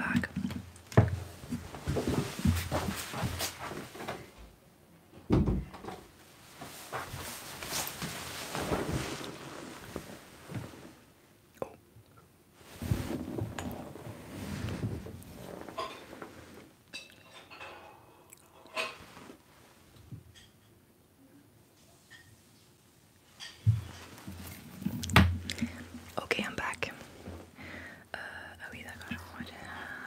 Ok, I'm back. Euh, ah oui, d'accord, je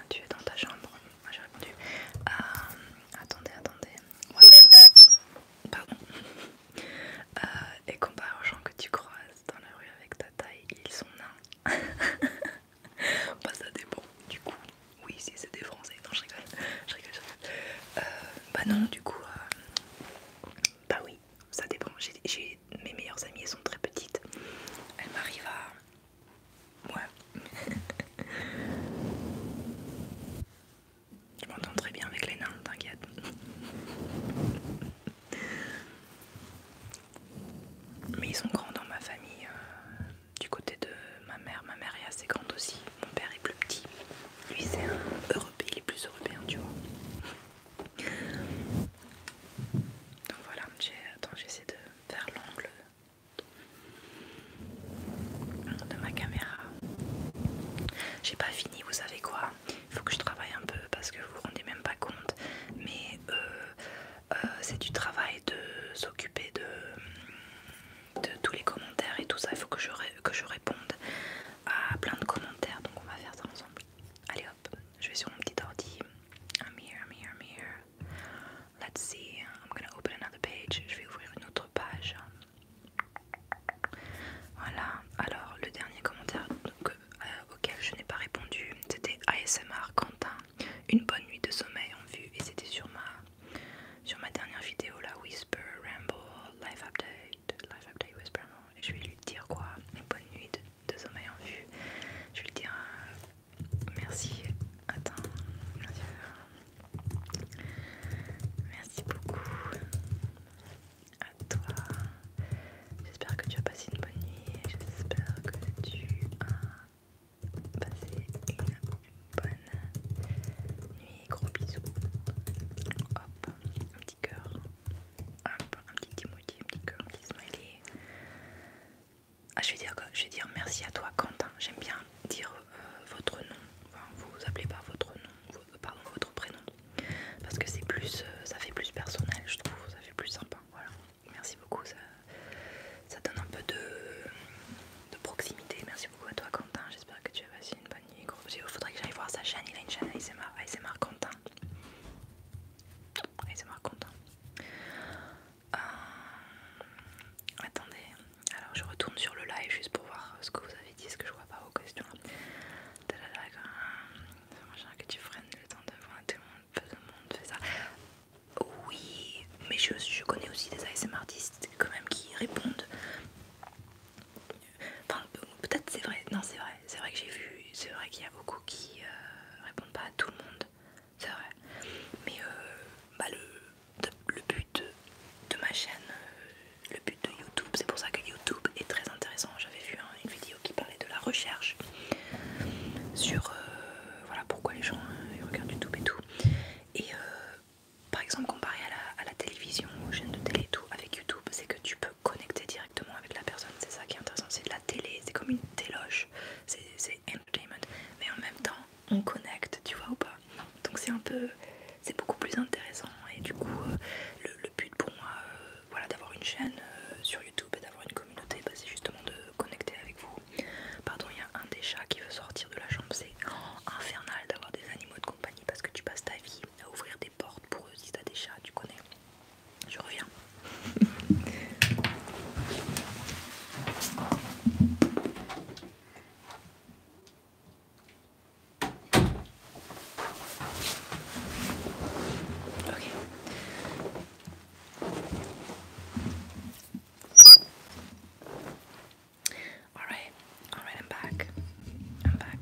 tu es dans ta chambre. Moi j'ai répondu. Euh, attendez, attendez. pardon. Euh, et comparé aux gens que tu croises dans la rue avec ta taille, ils sont nains. bah, (laughs) ça dépend, du coup. Oui, si c'est des Français. Non, je rigole. Je rigole, je rigole. Euh, bah non, du coup, euh, bah oui, ça dépend. J'ai mes meilleures amies, elles sont très petites. Elles m'arrivent à. Ouais. (laughs) Je m'entends très bien avec les nains, t'inquiète. Mais ils sont grands dans ma famille, euh, du côté de ma mère. Ma mère est assez grande aussi. Mon père est plus petit. Lui, c'est un européen. Il est plus européen, tu vois. Donc voilà, attends, j'essaie de faire l'angle de ma caméra. J'ai pas fini, vous savez quoi Il faut que je travaille un peu parce que vous vous rendez même pas compte. Mais euh, euh, c'est du travail de s'occuper de de tous les commentaires et tout ça. Il faut que je, que je réponde à plein de commentaires, donc on va faire ça ensemble. Allez hop, je vais sur mon petit ordi. I'm here, I'm Let's see, I'm gonna open another page. Je vais ouvrir une autre page. Voilà, alors le dernier commentaire euh, auquel je n'ai pas répondu, c'était ASMR Quentin. Une bonne nuit de sommeil en vue, et c'était sur ma sur ma dernière vidéo, la Whisper Ramble Life Update, Life Update Whisper, je vais lui dire quoi une nuit, nuit de, sommeil en vue. Je vais lui dire euh, merci. Attends, merci. Merci beaucoup à toi. J'espère que tu as passé une bonne nuit j'espère que tu as passé une bonne nuit, gros bisous. Hop, un petit cœur. un petit emoji, un petit cœur, un petit smiley. Ah, je vais dire, je vais dire merci à toi, Quentin. J'aime bien dire euh, votre nom. vous appelez par votre nom, pardon, votre prénom. Parce que c'est plus, euh, ça fait plus personnel, je trouve. Ça fait plus sympa. Voilà. Merci beaucoup. Ça, donne un peu de, proximité. Merci beaucoup à toi, Quentin. J'espère que tu as une bonne nuit, gros Faudrait que j'aille voir sa chaîne, il a une chaîne ASMR, ASMR Quentin. ASMR content Attendez, alors je retourne sur le live juste pour voir ce que vous avez dit, ce que je vois pas vos questions. Machin que tu freines le temps de tout le monde, tout le monde fait ça. Oui, mais je, connais aussi des ASMR artistes quand même qui répondent peut-être c'est vrai, non, c'est vrai, c'est vrai que j'ai vu, c'est vrai qu'il y a beaucoup qui euh, répondent pas à tout le monde, c'est vrai, mais euh, bah, le, but de, ma chaîne, euh, le but de YouTube, c'est pour ça que YouTube est très intéressant. J'avais vu une vidéo qui parlait de la recherche sur voilà pourquoi les gens regardent YouTube et tout, et par exemple comparé à la, télévision, aux chaînes de télé et tout, avec YouTube, c'est que tu peux connecter directement avec la personne, c'est ça qui est intéressant, c'est de la télé, c'est comme une téloche, c'est entertainment, mais en même temps on connecte, tu vois ou pas Donc c'est un peu, c'est beaucoup plus intéressant et du coup euh, le, but pour moi, euh, voilà, d'avoir une chaîne euh, sur YouTube et d'avoir une communauté, bah, c'est justement de connecter avec vous. Pardon, il y a un des chats qui veut sortir de la chambre, c'est infernal d'avoir des animaux de parce que tu passes ta vie à ouvrir des portes pour eux si t'as des chats, tu connais. Je reviens. Ok. Alright, I'm back. I'm back.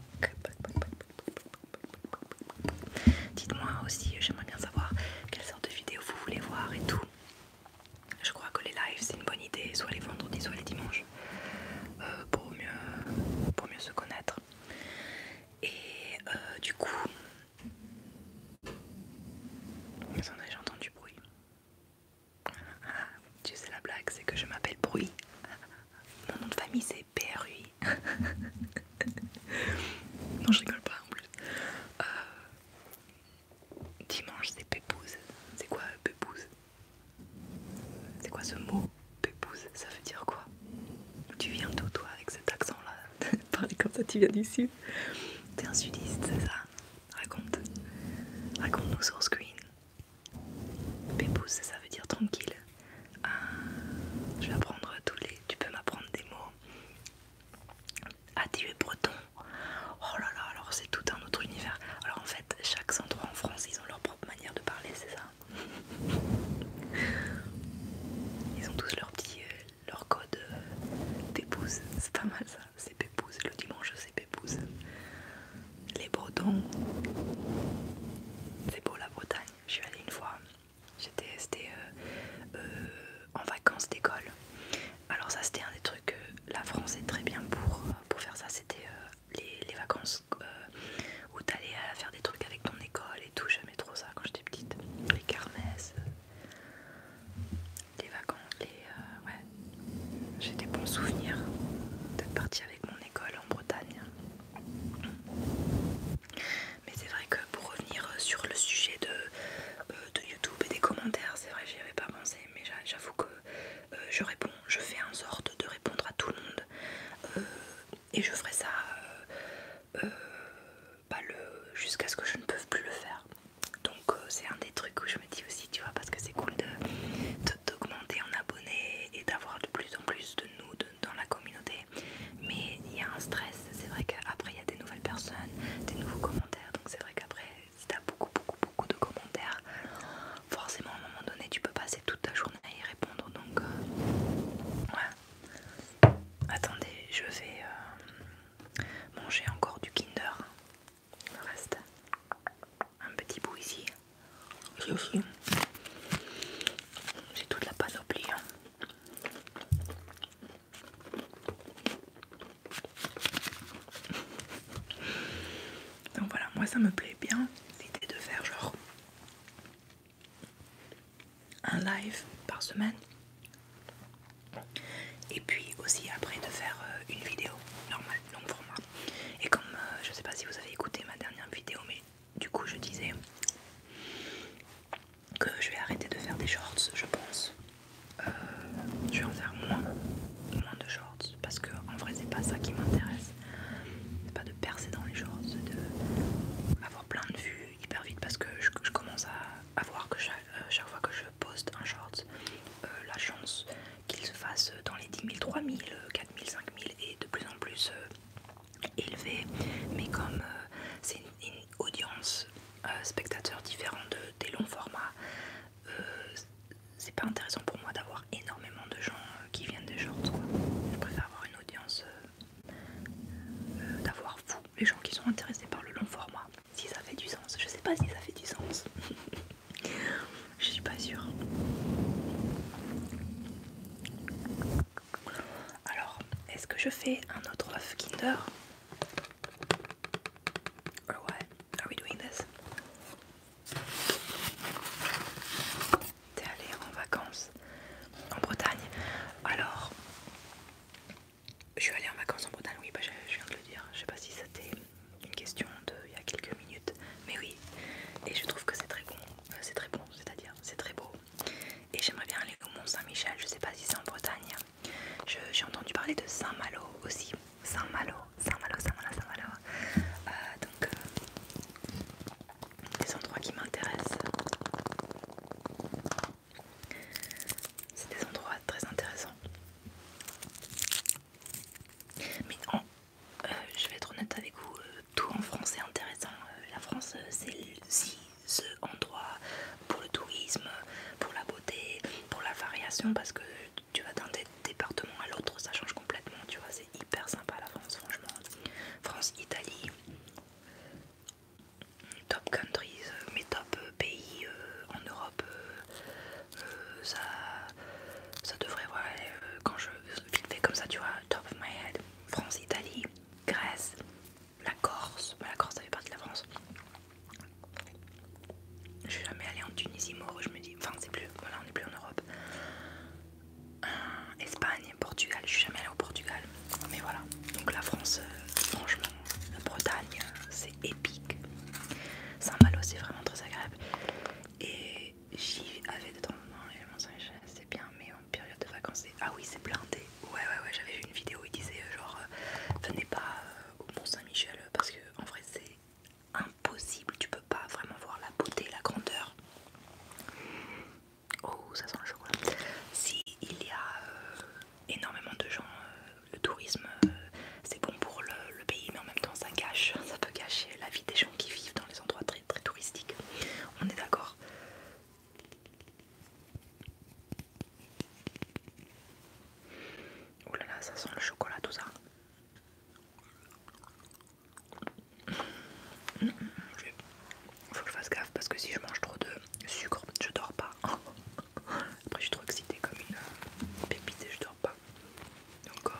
Dites-moi aussi, j'aimerais bien savoir quelle sorte de vidéo vous voulez voir et tout. Je crois que les lives c'est une bonne idée, soit les vendredis, soit les dimanches, euh, pour, mieux, pour mieux se connaître. Et euh, du coup. Attendez, j'entends du bruit. Tu sais la blague, c'est que je m'appelle Bruy. Mon nom de famille c'est PRUI. non, je rigole pas en plus. Euh, dimanche c'est Pépouze. C'est quoi Pépouze C'est quoi ce mot Pépouze Ça veut dire quoi Tu viens d'où toi avec cet accent là (laughs) Parler comme ça, tu viens du sud, T'es un sudiste, c'est ça Raconte. Raconte-nous sur screen. Pépouze, ça veut dire tranquille. Euh, je vais apprendre tous les. Tu peux m'apprendre des mots. Ah, tu breton. Oh là là, alors c'est tout un autre univers. Alors en fait, chaque endroit en France, ils ont leur propre manière de parler, c'est ça Ils ont tous leur petit. Euh, leur code euh, d'épouse. C'est pas mal ça. C'est Pépouze. Le dimanche, c'est Pépouze les Bretons. C'est beau la Bretagne. Je suis allée une fois. J'étais euh, euh, en vacances d'école. Alors ça c'était un des trucs que la France est très bien pour, euh, faire ça. C'était les, vacances où t'allais faire des trucs avec ton école et tout. J'aimais trop ça quand j'étais petite. Les carmes les vacances, les, j'ai des bons souvenirs d'être partie avec mon école en Bretagne. Mais c'est vrai que pour revenir euh, sur le sujet de, euh, de YouTube et des commentaires, c'est vrai que j'y avais pas pensé, mais j'avoue que euh, je réponds, je fais en sorte de répondre à tout le monde. et je ferai ça jusqu'à ce que je ne peux plus le faire. Donc c'est un des trucs où je me dis aussi vois, parce que c'est cool de, t'augmenter en abonnés et d'avoir de plus en plus de nous dans la communauté. Mais il y a un stress, c'est vrai qu'après il y a des nouvelles personnes, des nouveaux commentaires, donc c'est vrai qu'après, si t'as beaucoup, beaucoup, beaucoup de commentaires, forcément à un moment donné, tu peux passer toute ta journée à y répondre, donc euh, ouais. Attendez, je vais euh, manger encore du Kinder. Il me reste un petit bout ici. j'ai aussi. toute la panoplie. Hein. Donc voilà, moi ça me plaît bien l'idée de faire genre un live par semaine et puis aussi après de faire euh, une vidéo normale donc pour moi. Et comme euh, je sais pas si vous avez écouté ma dernière vidéo, mais du coup je disais que je vais arrêter de faire des shorts, je pense. Euh, je vais en faire moins, moins de shorts parce que en vrai c'est pas ça qui m'intéresse. C'est pas de percer dans les shorts, c'est de avoir plein de vues hyper vite parce que je, commence à, voir que euh, chaque, fois que je poste un short, la chance qu'il se fasse dans les 10 000, 3 000, 4 et de plus en plus euh, élevé. Mais comme euh, c'est une, audience euh, spectateur différente des longs formats, c'est pas intéressant pour moi d'avoir énormément de gens qui viennent des shorts. Je préfère avoir une audience, d'avoir vous, les gens qui sont intéressés par le long format. Si ça fait du sens, je sais pas si ça fait du sens. (laughs) Je suis pas sûre. Alors, est-ce que je fais un autre œuf Kinder euh, Or Are we doing this? T'es allé en vacances en Bretagne. Alors, je suis allée en vacances en Bretagne, oui, bah, je, viens de le dire. Je sais pas si ça t'est une question de il y a quelques minutes, mais oui, et je trouve que c'est très bon, euh, c'est très bon, c'est-à-dire c'est très beau. Et j'aimerais bien aller au Mont Saint-Michel, je sais pas si c'est en Bretagne. J'ai entendu parler de Saint-Malo aussi. Saint-Malo, Saint-Malo, Saint-Malo, Saint-Malo. Euh, donc, euh, des endroits qui m'intéressent. C'est des endroits très intéressants. Mais en, euh, je vais être honnête avec vous, euh, tout en France est intéressant. Euh, la France, c'est c'est ce endroit pour le tourisme, pour la beauté, pour la variation, parce que tu vas d'un département à l'autre, ça change complètement, tu vois, c'est hyper sympa la France, franchement. France, Italie, top countries, mes top pays en Europe, ça, devrait, quand je vite fait comme ça, tu vois, top of my head. France, Italie, Grèce, la Corse. Bah, la Corse, ça fait partie de la France. Je suis jamais allée en Tunisie, Mauro, je me dis. Enfin, c'est plus. Voilà, on n'est plus en Europe. Euh, Espagne, Portugal. Je suis jamais allée au Portugal. Mais voilà. Donc la France, euh, franchement, la Bretagne, euh, c'est épique. Saint-Malo, c'est vraiment très agréable. Et j'y avais de temps en temps, Mont-Saint-Michel, c'est bien, mais en période de vacances, c'est. Ah oui, c'est blindé. Ouais, ouais, ouais, j'avais vu une vidéo où il disait euh, genre, euh, venez pas euh, au Mont-Saint-Michel parce que en vrai, c'est impossible, tu peux pas vraiment voir la beauté, la grandeur. Oh, ça sent le chocolat. Si il y a énormément de gens, le tourisme, c'est bon pour le, pays, mais en même temps, ça cache, (laughs) ça peut cacher la vie des gens qui vivent les endroits très très touristiques. On est d'accord. Oh là là, ça sent le chocolat tout ça. Faut que je fasse gaffe parce que si je mange trop de sucre, je dors pas. (laughs) Après, je suis trop excitée comme une pépite et je dors pas. Donc, euh,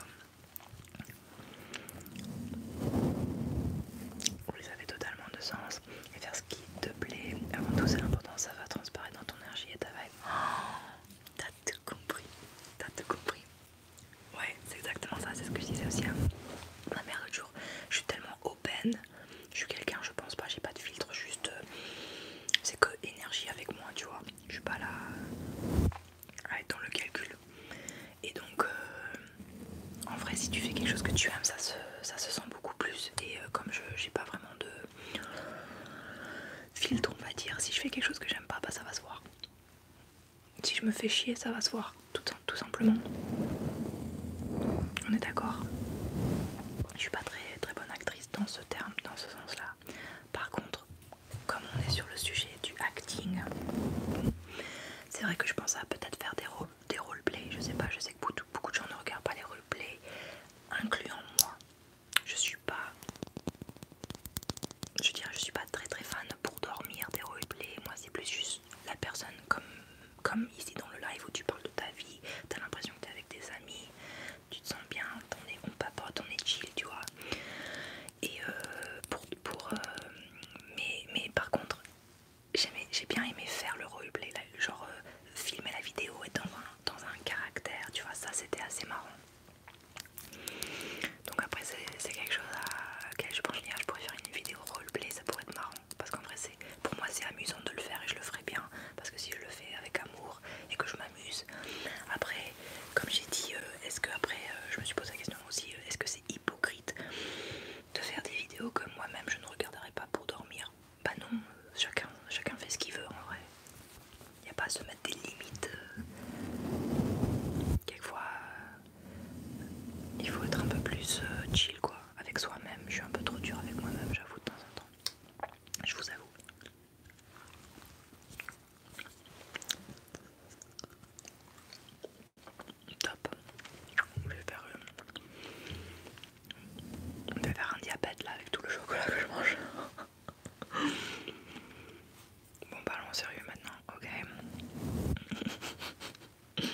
vous les avez totalement de sens et faire ce qui te plaît. Avant tout, c'est l'important, ça va transparaître dans ton énergie et ta vibe. (gasps) t'as tout compris, t'as tout compris. Ouais, c'est exactement ça, c'est ce que je disais aussi ma mère l'autre jour. Je suis tellement open, je suis quelqu'un, je pense pas, j'ai pas de filtre, juste euh, c'est que énergie avec moi, tu vois. Je suis pas là à être dans le calcul. Et donc, euh, en vrai, si tu fais quelque chose que tu aimes, ça se, ça se sent beaucoup plus. Et euh, comme je j'ai pas vraiment de filtre, on va dire, si je fais quelque chose que j'aime pas, bah ça va se voir. Si je me fais chier, ça va se voir, tout, tout simplement. On est d'accord. Je suis pas très très bonne actrice dans ce terme, dans ce sens-là. Par contre, comme on est sur le sujet du acting, c'est vrai que je pense à peut-être faire des, rôles des roleplays. Je sais pas, je sais que beaucoup, de gens ne regardent pas les roleplays, incluant moi. Je suis pas. Je dire, je suis pas très très fan pour dormir des roleplays. Moi, c'est plus juste la personne comme, comme ici dans le live où tu parles de ta vie, t'as l'impression que t'es avec des amis, tu te sens bien, on, est, on pas, on est chill, tu vois. Et euh, pour, pour euh, mais, mais par contre, j'ai bien aimé faire le roleplay, genre euh, filmer la vidéo et dans un, dans un caractère, tu vois, ça c'était assez marrant. Donc après c'est quelque chose à je pense que je pourrais faire une vidéo roleplay, ça pourrait être marrant. Parce qu'en vrai pour moi c'est amusant de le faire et je le ferai bien. Parce que si je le fais avec amour et que je m'amuse, après comme j'ai dit, euh, est-ce que après, euh, je me suis posé la question aussi, euh, est-ce que c'est hypocrite de faire des vidéos que moi-même je ne regarderai pas pour dormir Bah non, chacun, chacun fait ce qu'il veut en vrai. Il n'y a pas à se mettre des limites. Quelquefois, il faut être un peu plus chill quoi, avec soi-même. Je suis un peu trop dur avec moi-même, j'avoue, de temps en temps. Je vous avoue. Top. Je vais faire, euh, faire un diabète là avec tout le chocolat que je mange. (laughs) bon, parlons sérieux maintenant, ok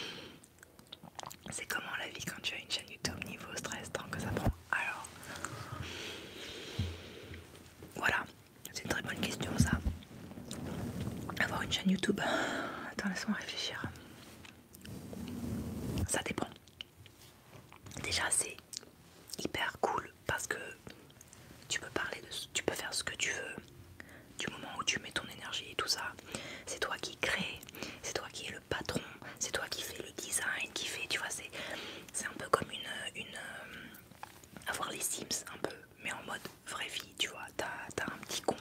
(laughs) C'est comment la vie quand tu as une chaîne YouTube niveau stress tant que ça prend. Alors voilà, c'est une très bonne question ça. Avoir une chaîne YouTube. (gasps) Attends, laisse-moi réfléchir. Ça dépend. Déjà, c'est hyper cool parce que tu peux parler de tu peux faire ce que tu veux du moment où tu mets ton énergie et tout ça. C'est toi qui crée, c'est toi qui es le patron, c'est toi qui fais le design, qui fait, tu vois, c'est un peu comme une, une euh, avoir les Sims un peu, mais en mode vraie vie, tu vois. T'as un petit compte,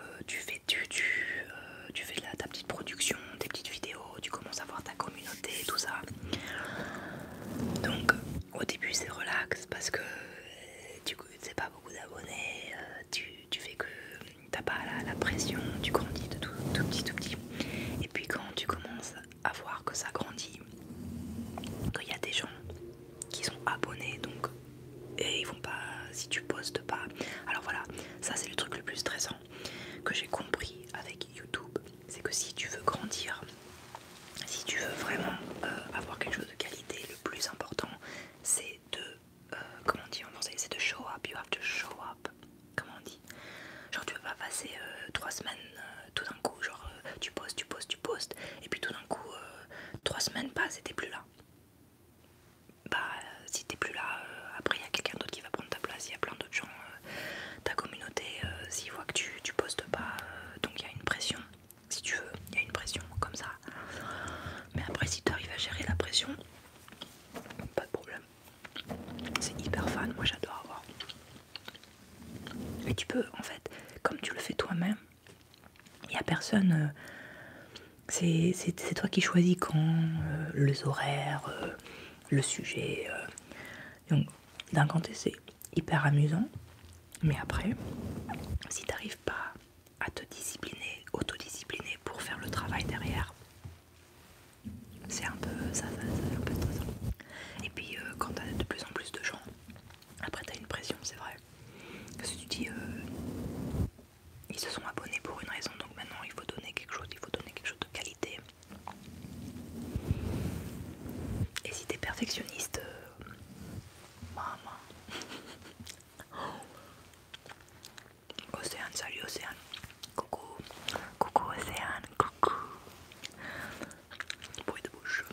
euh, tu, fais, tu, euh, tu, fais de la, ta petite production, tes petites vidéos, tu commences à voir ta communauté, tout ça. Donc au début c'est relax parce que euh, tu sais pas beaucoup d'abonnés, tu, tu fais que t'as pas la, la pression, tu grandis de tout, tout petit, tout petit. Et puis quand tu commences à voir que ça grandit, Il y a des gens qui sont abonnés donc et ils vont pas si tu postes pas. Alors voilà, ça c'est le truc le plus stressant que j'ai compris avec YouTube, c'est que si tu veux grandir, si tu veux vraiment euh, avoir quelque chose de qualité, le plus important c'est de euh, comment on dit en français, c'est de show up, you have to show up. Comment on dit Genre tu veux pas passer 3 euh, trois semaines euh, tout d'un coup, genre euh, tu postes, tu postes, tu postes, et puis tout d'un coup, euh, trois semaines passent et t'es plus là. Bah, si t'es plus là, après il y a quelqu'un d'autre qui va prendre ta place, il y a plein d'autres gens. ta communauté, s'ils voient que tu, postes pas, donc il y a une pression, si tu veux, il y a une pression comme ça. Mais après, si tu arrives à gérer la pression, pas de problème. C'est hyper fan, moi j'adore avoir mais tu peux, en fait, comme tu le fais toi-même, il n'y a personne. Euh, c'est toi qui choisis quand, euh, les horaires, euh, le sujet. Donc, d'un côté, c'est hyper amusant, mais après, si tu n'arrives pas à te discipliner, autodiscipliner pour faire le travail derrière, c'est un peu ça, ça, Et puis, quand tu as de plus en plus de gens après, t'as une pression, c'est vrai. Parce que tu dis, euh, ils se sont abonnés pour une raison, donc maintenant il faut donner quelque chose, il faut donner quelque chose de qualité. Et si t'es perfectionniste, euh, maman. (laughs) Océane, salut Océane. Coucou, coucou Océane, coucou. Bruit de bouche.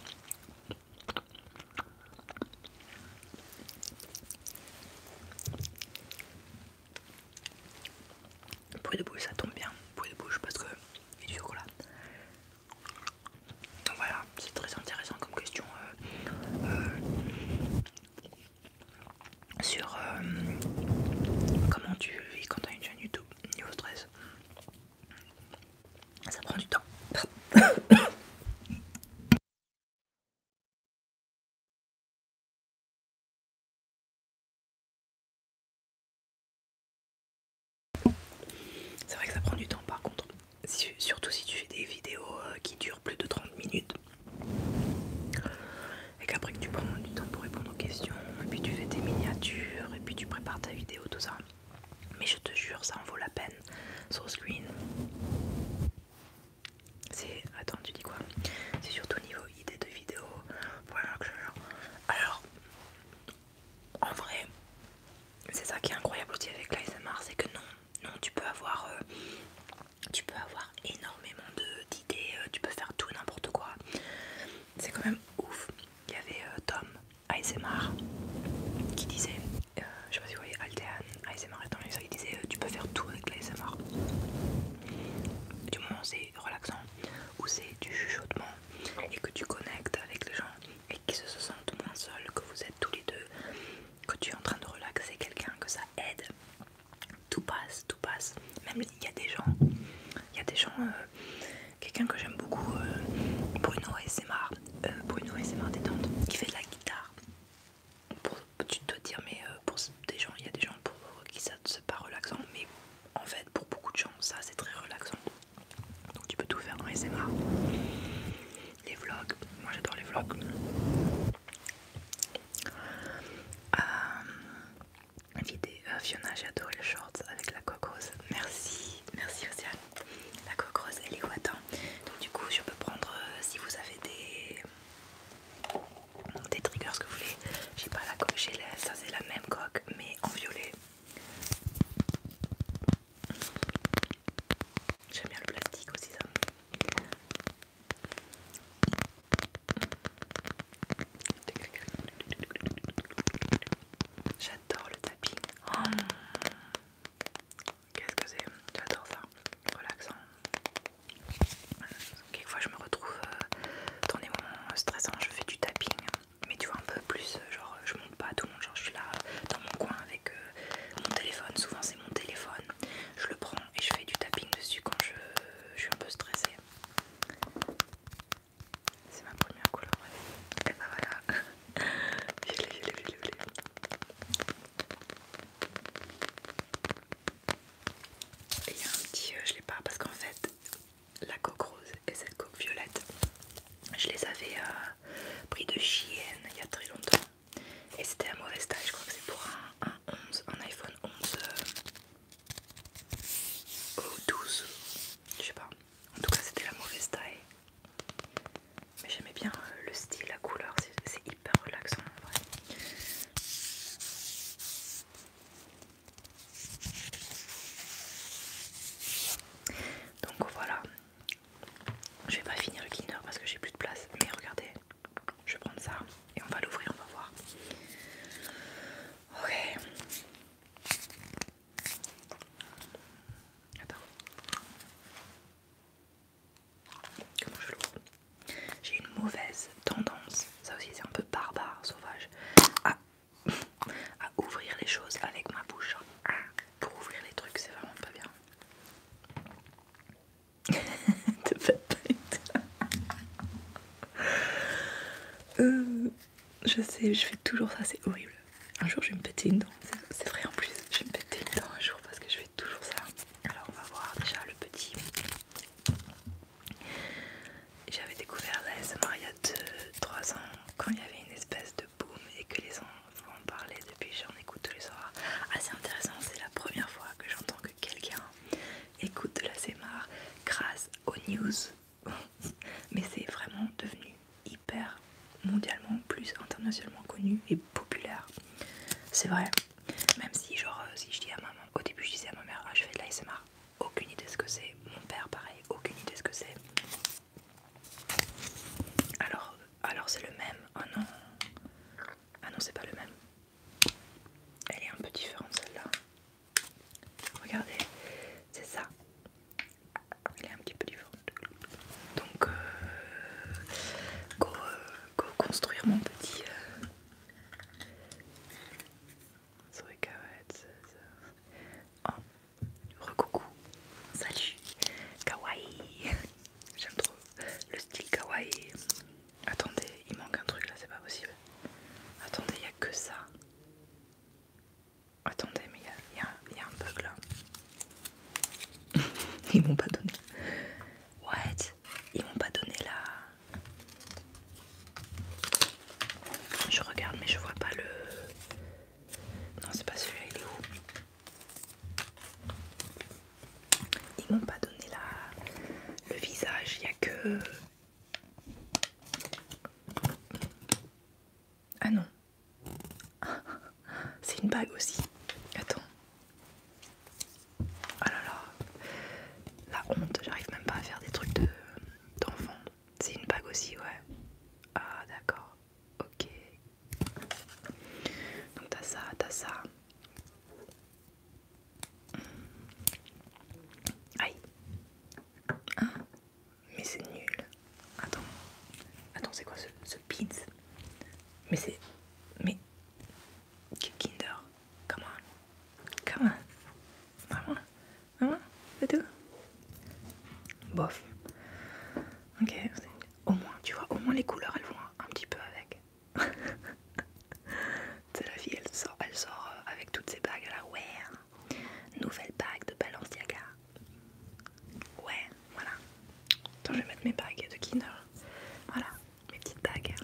Bruit de bouche, ça tombe bien. Bruit de bouche parce que il y a du chocolat. Donc voilà, c'est très intéressant comme question euh, euh, sur euh, comment tu vis quand tu as une chaîne YouTube niveau stress ça prend du temps. C'est vrai que ça prend du temps par contre, surtout si tu fais des vidéos euh, qui durent plus de 30 minutes et qu'après que tu prends du temps pour répondre aux questions, et puis tu fais tes miniatures, et puis tu prépares ta vidéo, tout ça. Mais je te jure, ça en vaut la peine. le screen. C'est. Attends, tu dis quoi C'est surtout au niveau idée de vidéo. Voilà que je... Alors, en vrai, c'est ça qui est incroyable aussi avec l'ASMR, c'est que non, non, tu peux avoir. Euh, tu peux avoir énormément d'idées, euh, tu peux faire tout n'importe quoi. C'est quand même ouf. Il y avait euh, Tom ASMR qui disait, euh, je sais pas si vous voyez Aldean, ASMR étant il disait euh, tu peux faire tout avec l'ASMR. Du moment c'est relaxant, ou c'est du chuchotement et que tu connectes avec les gens et qu'ils se sentent moins seuls, que vous êtes tous les deux, que tu es en train de relaxer quelqu'un, que ça aide, tout passe, tout passe. Même il y a des gens, il y a des gens. Euh, quelqu'un que j'aime beaucoup, euh, Bruno et euh, Bruno des détente, qui fait de la guitare. tu dois dire, mais euh, pour des gens, il y a des gens pour qui ça c'est pas relaxant, mais en fait, pour beaucoup de gens, ça c'est très relaxant. Donc tu peux tout faire en les Les vlogs, moi j'adore les vlogs. Fiona, j'adore les shorts avec la coque Merci, merci Océane. La coque rose et les watins. Donc du coup je peux prendre euh, si vous avez des, euh, des triggers que vous voulez. J'ai pas la coque, gelée. ça c'est la même coque mais en violet. J'aime bien le plastique aussi ça. J'adore le tapis. Oh. Qu'est-ce que c'est J'adore ça, relaxant. Quelquefois je me retrouve euh, dans des moments stressants, je fais du tapping, mais tu vois un peu plus, euh, genre je monte pas tout le monde, genre je suis là euh, dans mon coin avec mon téléphone, souvent c'est mon téléphone, je le prends et je fais du tapping dessus quand je suis un peu stressée. C'est ma première couleur. Et ben voilà. (laughs) violet, violet, violet, il y a un petit, euh, je l'ai pas parce qu'en fait, la coque rose et cette coque violette, je les avais euh, pris de Chienne il y a très longtemps. Et c'était la mauvaise taille, je crois que c'est pour un, 11, un iPhone 11 euh, ou 12, je sais pas. En tout cas, c'était la mauvaise taille mais j'aimais bien euh, le style, la couleur, c'est hyper relaxant en vrai. Donc voilà, je vais pas finir le cleaner parce que j'ai plus de place, mais regardez, je vais prendre ça et on va l'ouvrir, on va voir. Ok, Comment J'ai une mauvaise tendance, ça aussi c'est un peu barbare, sauvage, à, ouvrir les choses avec ma bouche. Pour ouvrir les trucs, c'est vraiment pas bien. (laughs) Euh, je sais, je fais toujours ça, c'est horrible un jour je vais me péter une dent, c'est vrai en plus, je vais me péter une dent un jour parce que je fais toujours ça. Alors on va voir déjà le petit. J'avais découvert la SMR il y a 3 ans quand il y avait une espèce de boom et que les enfants en parlaient depuis, j'en écoute tous les soirs. Assez intéressant, c'est la première fois que j'entends que quelqu'un écoute de la SMR grâce aux news. (laughs) Mais c'est vraiment devenu hyper mondialement, plus internationalement connu et populaire. C'est vrai, même si, genre, euh, si je dis à maman, au début je disais à ma mère, ah, je fais de l'ASMR, aucune idée ce que c'est. Mon père, pareil, aucune idée ce que c'est. Alors, alors c'est le même. Oh non, ah non, c'est pas le même. Elle est un peu différente celle-là. Regardez, c'est ça. Il est un petit peu différent Donc, euh, go, euh, go construire mon petit. Euh. Oh, recoucou, salut, kawaii. (laughs) J'aime trop le style kawaii. Attendez, il manque un truc là, c'est pas possible. Attendez, il n'y a que ça. Attendez, mais il y, a un bug là. (laughs) Ils m'ont pas donné. What Ils m'ont pas donné la. Je regarde, mais je vois pas le. Non, c'est pas celui-là, il est où Ils m'ont pas donné la... le visage, il y a que. Ah non, (laughs) C'est une bague aussi. Attends. Oh là là. La honte, j'arrive même pas à faire des trucs d'enfant. C'est une bague aussi, ouais. Ah d'accord. Ok. Donc t'as ça, t'as ça. Aïe. Hein mais c'est nul. Attends. Attends, c'est quoi ce, ce pizza Mais c'est... Mais... Kinder. Come on. Come on. Vraiment. Vraiment. C'est tout. Bof. Ok. Au moins, tu vois, au moins les couleurs, elles vont un, petit peu avec. (laughs) c'est la fille, elle sort, euh, avec toutes ces bagues. là. Ouais. Hein. Nouvelle bague de Balenciaga. Ouais, voilà. Attends, je vais mettre mes bagues de Kinder. Voilà, mes petites bagues.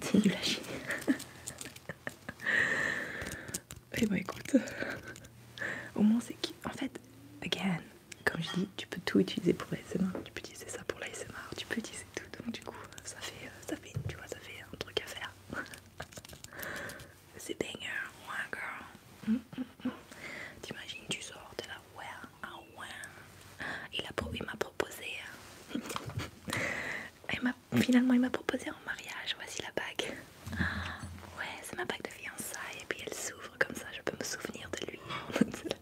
C'est du Et bah écoute, (laughs) au moins c'est qui. En fait, again, comme je dis, tu peux tout utiliser pour l'ASMR, tu peux utiliser ça pour l'ASMR, tu peux utiliser tout. Donc du coup, ça fait, euh, ça fait, tu vois, ça fait un truc à faire. (laughs) C'est dingue, ouais girl. T'imagines, tu sors de la ouais, ah ouais. Il, m'a proposé. Hein. Mm. finalement, il m'a proposé en mariage. Voici la bague. Ouais, c'est ma bague de fiançailles. Et puis elle s'ouvre comme ça, je peux me souvenir de lui. (laughs)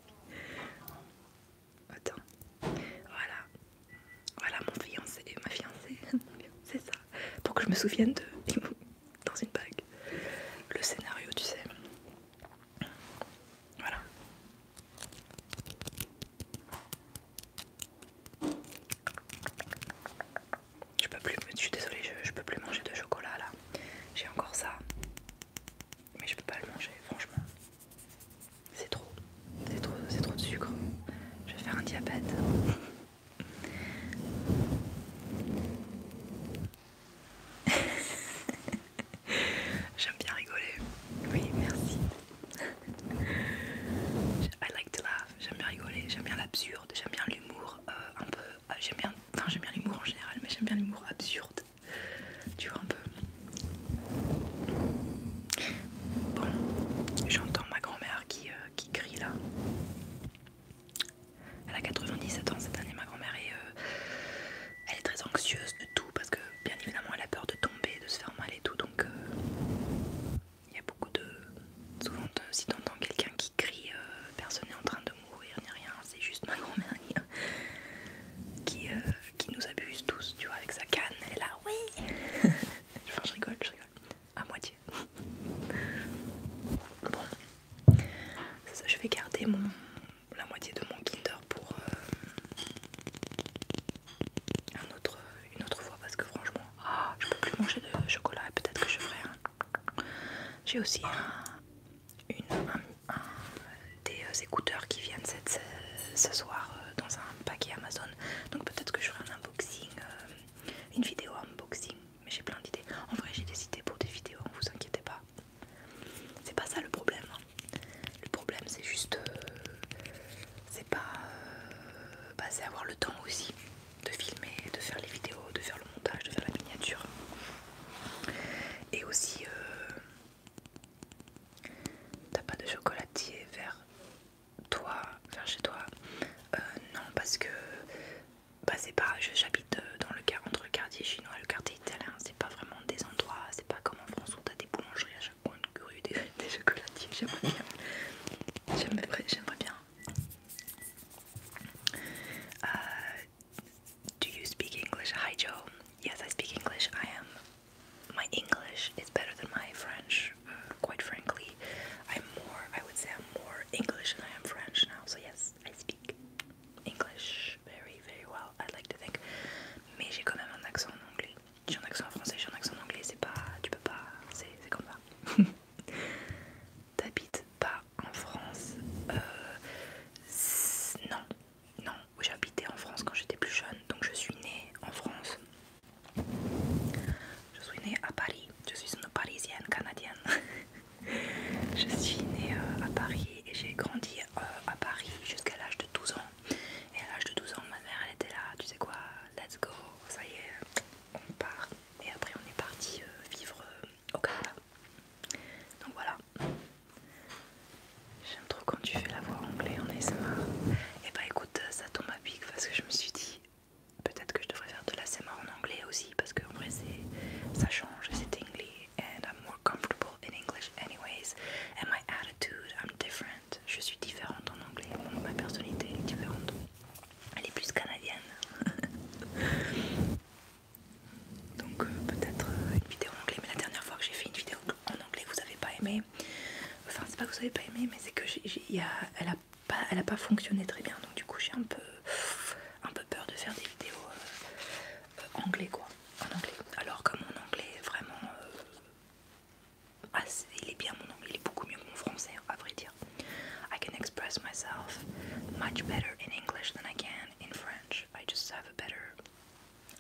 Attends. Voilà. Voilà mon fiancé, ma fiancée. (laughs) C'est ça. Pour que je me souvienne d'eux dans une bague. Le scénario, tu sais. Voilà. Je peux plus, je suis désolée, je, peux plus manger de chocolat là. J'ai encore ça, mais je peux pas le manger, franchement. c'est trop, c'est trop de sucre. Je vais faire un diabète. J'aime bien rigoler. Oui, merci. I like to laugh. J'aime bien rigoler. J'aime bien l'absurde. J'aime bien l'humour euh, un peu. Euh, j'aime bien. Enfin, j'aime bien l'humour en général, mais j'aime bien l'humour absurde. Tu vois un peu. Bon, j'entends ma grand-mère qui, euh, qui crie là. Elle a 97 ans cette année, ma grand-mère, euh, elle est très anxieuse de tout parce que, bien évidemment, elle a peur de tomber, de se faire mal et tout. Donc, euh, il y a beaucoup de. Souvent, si si t'entends quelqu'un qui crie, euh, personne n'est en train de mourir ni rien, c'est juste ma grand-mère qui, qui nous abuse tous, tu vois, avec sa canne. Elle est là, oui Enfin, (laughs) je rigole, je rigole à moitié. Bon, je vais garder la moitié de mon Kinder pour euh, autre, une autre fois parce que franchement, ah, je peux plus manger de chocolat et peut-être que je ferai un. J'ai aussi des euh, écouteurs qui viennent ce, soir euh, dans un paquet Amazon, donc peut-être que je ferai un unboxing, une vidéo unboxing mais j'ai plein d'idées. En vrai, j'ai des idées pour des vidéos, vous inquiétez pas. C'est pas ça le problème. Hein. Le problème, c'est juste. Euh, c'est pas. Euh, bah, c'est avoir le temps aussi de filmer, de faire les vidéos, de faire le montage, de faire la miniature. Et aussi. Euh, t'as pas de chocolatier vers toi, vers chez toi Non, parce que bah c'est pas, j'habite euh, dans le entre le quartier chinois et le quartier italien, c'est pas vraiment des endroits, c'est pas comme en France où t'as des boulangeries à chaque coin de rue, des, (laughs) des chocolatiers, j'aimerais bien, j'aimerais bien. Uh, do you speak English? Hi Joe. Yes, I speak English. I am. My English is better than my French, uh, quite frankly. Mais j'ai quand même un accent en anglais. J'ai un accent en français, j'ai un accent en anglais. C'est pas, tu peux pas, c'est comme ça. (laughs) T'habites pas en France euh, Non, non. J'habitais en France quand j'étais plus jeune, donc je suis née en France. Je suis née à Paris. Je suis une Parisienne canadienne. (laughs) je suis née euh, à Paris et j'ai grandi euh, à Paris jusqu'à l'âge de 12 ans. Et à l'âge de 12 ans, ma mère elle était là. Tu sais quoi Let's go. Ça y est, on part. Et après, on est parti euh, vivre au Canada. Donc voilà. J'aime trop quand tu fais la voix anglaise est ASMR. Et eh bah ben, écoute, ça tombe à pic parce que je me suis dit, Peut-être que je devrais faire de la l'ASMR en anglais aussi parce qu'en vrai ça change, c'est anglais and I'm more comfortable in English anyways and my attitude, I'm different. Je suis différente en anglais, ma personnalité est différente. Elle est plus canadienne. (laughs) donc euh, peut-être euh, une vidéo en anglais, mais la dernière fois que j'ai fait une vidéo en anglais, vous avez pas aimé. Enfin, c'est pas que vous avez pas aimé, mais c'est que j'ai, y a, elle a pas, fonctionné très bien. Donc du coup, j'ai un peu, un peu peur de faire des vidéos en euh, euh, anglais quoi, en anglais. Alors que mon anglais est vraiment, euh, assez, il est bien mon anglais, il est beaucoup mieux que mon français à vrai dire. I can express myself much better in English than I can in French. I just have a better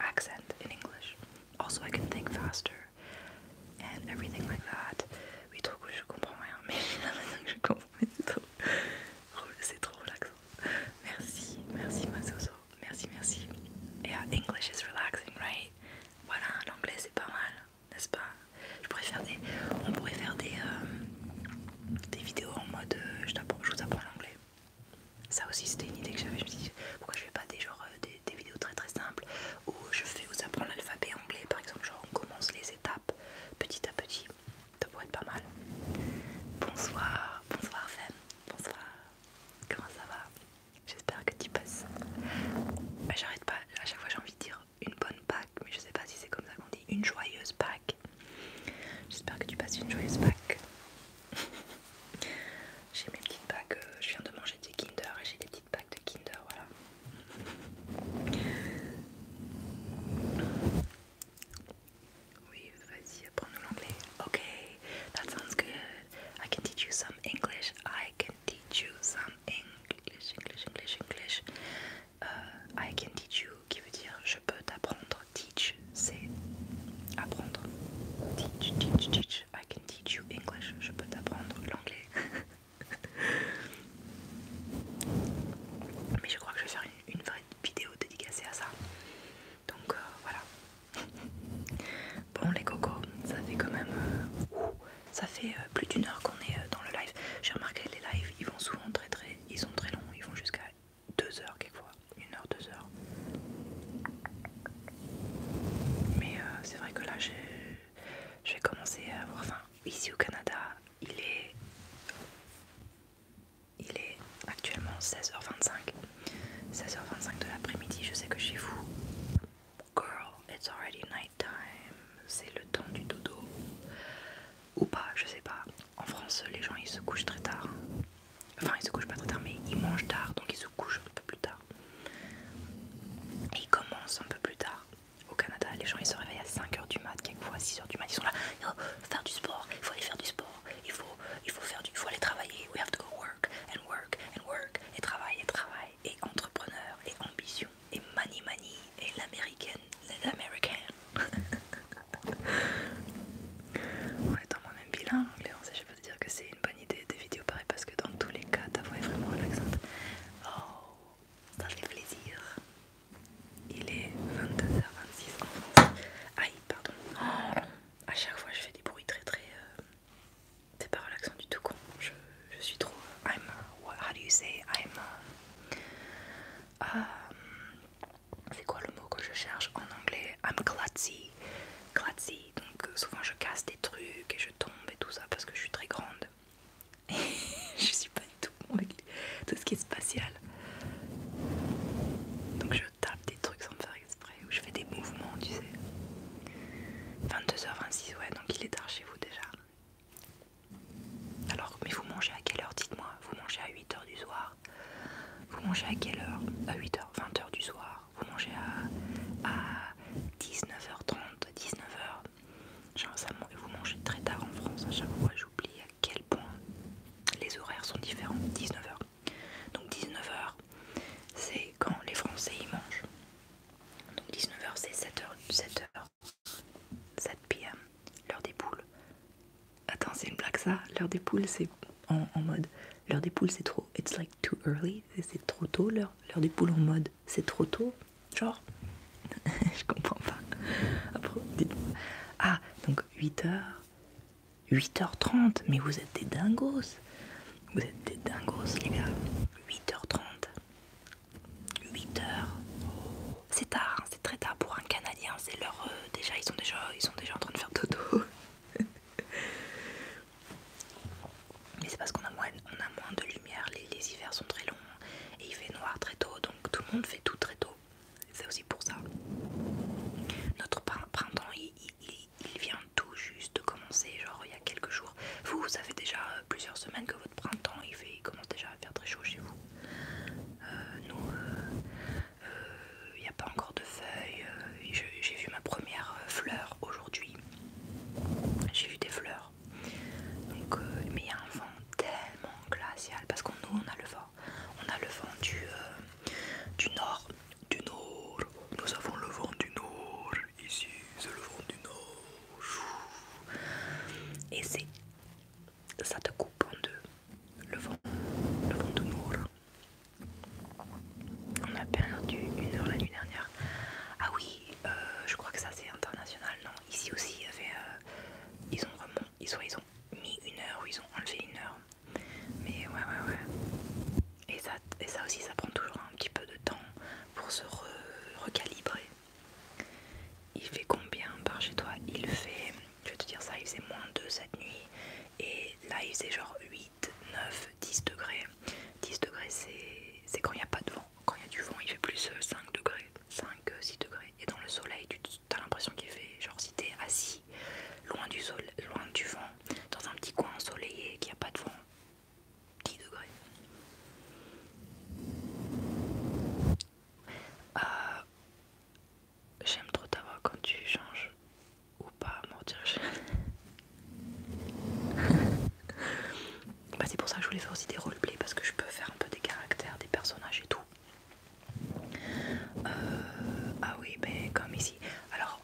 accent in English. Also, I can think faster and everything like that. Oui, trop cool, je comprends rien, mais (laughs) je comprends, c'est trop... trop relaxant. Merci, merci Masoso, merci, merci. Yeah, uh, English is relaxing, right? Voilà, l'anglais c'est pas mal, n'est-ce pas? Je des... On pourrait faire des, euh, vidéos en mode euh, je, vous apprends l'anglais. Ça aussi c'était une idée que j'avais, je me dis pourquoi je fais pas des, genre, euh, des, des vidéos très très simples où je fais vous apprendre l'alphabet anglais par exemple, genre on commence les étapes petit à petit, ça pourrait être pas mal. Bonsoir, bonsoir Femme, bonsoir, comment ça va J'espère que tu passes. Bah, j'arrête pas, à chaque fois j'ai envie de dire une bonne Pâque, mais je sais pas si c'est comme ça qu'on dit, une joyeuse Pâques. J'espère que tu passes une joyeuse Pâque. (laughs) j'ai mes petites Pâques, euh, je viens de manger des Kinder et j'ai des petites Pâques de Kinder, voilà. Oui, vas-y, apprends l'anglais. Okay, that sounds good. I can teach you some English. I can teach you some English, English, English, English. Uh, I can teach you qui veut dire je peux t'apprendre. Teach, c'est apprendre. Teach, teach, teach. I can teach you English. Je peux t'apprendre l'anglais. (laughs) Mais je crois que je vais faire une, vraie vidéo dédicacée à ça. Donc euh, voilà. (laughs) Bon les cocos, ça fait quand même... Euh, ça fait euh, plus d'une heure qu'on est dans le live. J'ai remarqué les lives, ils vont souvent très très... Ils sont très longs, ils vont jusqu'à deux heures quelquefois. Une heure, deux heures. Mais c'est vrai que là, je vais commencer à avoir faim. Ici au Canada, il est, il est actuellement 16h25. 16h25 de l'après-midi, je sais que chez vous, girl, it's already night time. C'est le temps du dodo. Ou pas, je sais pas. En France, les gens ils se couchent très tard. Enfin, ils se couchent pas très tard, mais ils mangent tard, donc ils se couchent un peu plus tard. Et ils commencent un peu plus tard au Canada, les gens ils se réveillent à 5h du mat, quelquefois à 6h du mat, ils sont là, oh, faire du sport, il faut aller faire du sport, il faut, il faut, faire du, il aller travailler, we have to go work and work and work, et travail et travail, et entrepreneur, et ambition, et money money, et l'américaine, les américains. (laughs) on est dans mon même bilan, anglais, on sait, je peux te dire que c'est une bonne idée des vidéos pareilles parce que dans tous les cas ta voix est vraiment relaxante. Oh ça bah, fait plaisir. Hein. Il est 22h26 Aïe, pardon. à chaque fois, je fais des bruits très très. Euh, c'est pas relaxant du tout, con. Je, suis trop. I'm. how do you say? I'm. Euh, um, c'est quoi le mot que je cherche en anglais? I'm Klutzy. Donc, euh, souvent, je casse des trucs et je tombe et tout ça parce que je suis très grande. (laughs) je suis pas du tout bon avec tout ce qui est spatial. Donc je tape des trucs sans me faire exprès, ou je fais des mouvements, tu sais. 22h26, ouais, donc il est tard chez vous déjà. Alors, mais vous mangez à quelle heure Dites-moi, vous mangez à 8h du soir Vous mangez à quelle heure À 8h, 20h du soir Vous mangez à, à 19h30, 19h Genre ça, que vous mangez très tard en France à chaque fois, j'oublie à quel point les horaires sont différents. 19h. Donc 19h, c'est quand les Français y mangent. Donc 19h, c'est 7h, 7h, 7 pm, l'heure des poules. Attends, c'est une blague ça L'heure des poules, c'est en, mode. L'heure des poules, c'est trop. It's like too early. C'est trop tôt L'heure des poules en mode. C'est trop tôt. Genre, (laughs) je comprends pas. ah, donc 8h, 8h30, mais vous êtes des dingos. Vous êtes des dingos, les gars. 8h30. 8h. C'est tard, hein, c'est très tard pour un Canadien. C'est l'heure euh, déjà, ils sont déjà, ils sont déjà en train de faire dodo. (laughs) mais c'est parce qu'on a moins, on a moins de lumière. Les, hivers sont très longs et il fait noir très tôt, tout le monde fait tout très tôt. C'est aussi pour ça. Notre printemps, il, vient tout juste de commencer, genre il y a quelques jours. Vous, ça fait déjà euh, plusieurs semaines que votre printemps, il, fait, commence déjà à faire très chaud chez vous. Euh, nous, euh, il n'y a pas encore de feuilles. J'ai vu ma première fleur aujourd'hui. J'ai vu des fleurs. Euh, mais il y a un vent tellement glacial parce qu'on nous on a le vent, on a le vent du, euh, du nord, du nord. Nous avons le vent du nord ici, c'est le vent du nord. Et c'est ça te coupe en deux. Le vent, le vent du nord. On a perdu une heure la nuit dernière. Ah oui, euh, je crois que ça c'est international, non Ici aussi il y avait, ils ont vraiment ils, soit ont mis une heure ou ils ont enlevé une heure. Mais ouais, ouais, ouais. Et ça, et ça aussi, ça prend toujours un petit peu de temps pour se recalibrer. Il fait combien par chez toi Il fait, je vais te dire ça, il faisait moins 2 cette nuit. Et là, il faisait genre 8, 9, 10 degrés. 10 degrés, c'est quand il n'y a pas de vent. Quand il y a du vent, il fait plus 5 euh, degrés. 5-6 euh, degrés. Et dans le soleil, tu as l'impression qu'il fait, genre si t'es assis loin du, sol, loin du vent, dans un petit coin ensoleillé, qu'il n'y a pas de vent, 10 degrés. Euh, j'aime trop ta voix quand tu changes ou pas, (laughs) bah c'est pour ça que je voulais faire aussi des roleplays parce que je peux faire un peu des caractères, des personnages et tout. Euh, ah oui, mais ben, comme ici. Alors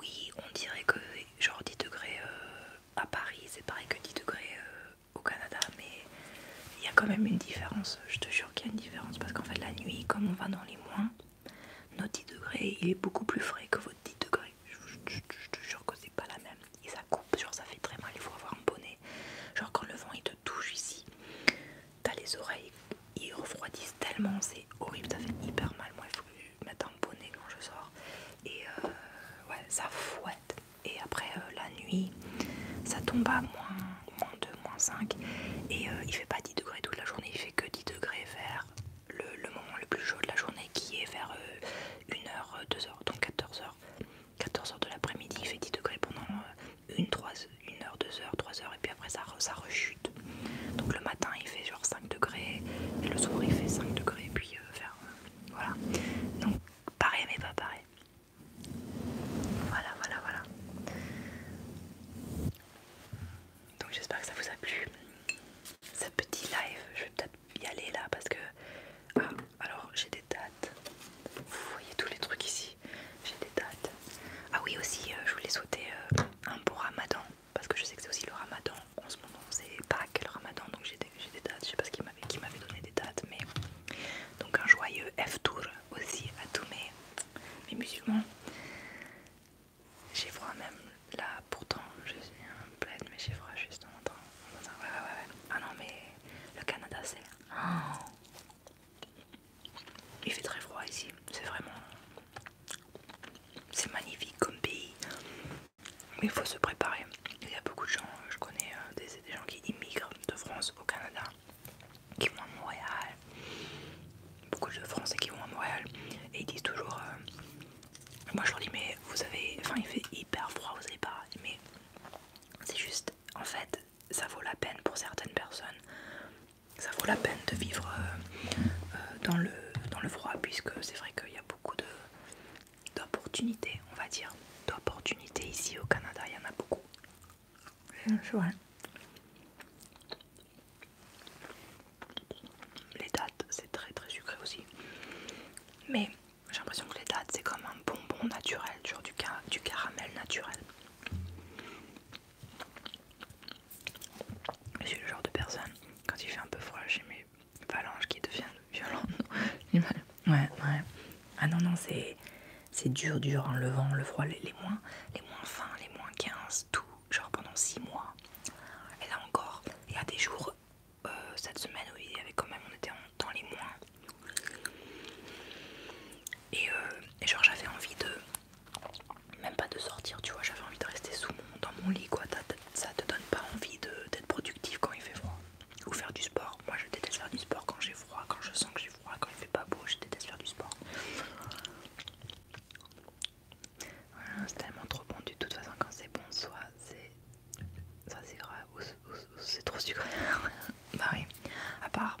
oui, on dirait que genre 10 degrés euh, à Paris, c'est pareil que 10 degrés euh, au Canada, mais il y a quand même une différence. Je te jure qu'il y a une différence parce qu'en fait la nuit, comme on va dans les moins, nos 10 degrés, il est beaucoup plus frais que votre 10 degrés. Je, te jure que c'est pas la même. Et ça coûte genre ça fait très mal, il faut avoir un bonnet. Genre quand le vent il te touche ici, t'as les oreilles, ils refroidissent tellement, c'est horrible, ça fait hyper mal. Moi il faut mettre un bonnet quand je sors. Et euh, ouais, ça fouette. Et après euh, la nuit, ça tombe à moins, 2, moins 5. Et euh, il fait pas 10 degrés toute la journée, il fait que 10 degrés vers le, moment le plus chaud de la journée qui est vers 1h, 2h, donc 14h. 14h de l'après-midi, il fait 10 degrés pendant 1 euh, une, heure, 2 heures, 3 heures, et puis après ça, ça rechute. Donc le matin, il fait genre 5 degrés, et le soir, il fait 5 degrés, et puis euh, euh, voilà. Donc pareil, mais pas pareil. Voilà, voilà, voilà. Donc j'espère que ça vous a plu. Ce petit live, je vais peut-être y aller là parce que. Ah, alors j'ai des dates. Vous voyez tous les trucs ici. J'ai des dates. Ah oui aussi, euh, je voulais souhaiter euh, un bon ramadan. Parce que je sais que c'est aussi le ramadan. En ce moment c'est Pâques le ramadan. Donc j'ai des, dates. Je sais pas ce qu'il m'avait qui m'avait donné des dates. Mais donc un joyeux F-Tour aussi à tous mes, musulmans. J'ai froid même là, pourtant je suis un pleine, mais j'ai froid juste en temps. Ah non, mais le Canada c'est. Oh, il fait très froid ici, c'est vraiment... C'est magnifique comme pays. Mais il faut se préparer. Il y a beaucoup de gens, je connais euh, des, gens qui immigrent de France au Canada, qui vont à Montréal. Beaucoup de Français qui vont à Montréal. Et ils disent toujours... Euh, moi je leur dis mais vous avez... Enfin il fait hyper froid, vous savez pas. Mais c'est juste... En fait, ça vaut la peine pour certaines personnes. Ça vaut la peine de vivre euh, euh, dans, le, dans le froid, puisque c'est vrai qu'il y a beaucoup d'opportunités, on va dire. D'opportunités ici au Canada, il y en a beaucoup. Les dates, c'est très très sucré aussi. Mais j'ai l'impression que les dates, c'est comme un bonbon naturel du, caramel naturel. Je suis le genre de personne, quand il fait un peu froid, j'ai mes phalanges qui deviennent (laughs) violentes. ouais, ouais. Ah non, non, c'est dur, dur, en hein, le le froid, les, moins, les moins fins, les moins 15, tout, genre pendant 6 mois. Et là encore, il y a des jours, euh, cette semaine, où il y avait quand même, on était en dans les mois. Euh, et, genre j'avais envie de, même pas de sortir, tu vois, j'avais envie de rester sous mon, dans mon lit, quoi. Ça te donne pas envie d'être productif quand il fait froid. Ou faire du sport. Moi je déteste faire du sport quand j'ai froid, quand je sens que j'ai froid, quand il fait pas beau, je déteste faire du sport. c'est tellement trop bon. De toute façon, quand c'est bon, soit c'est ça c'est grave, c'est trop sucré. (laughs) bah oui, à part,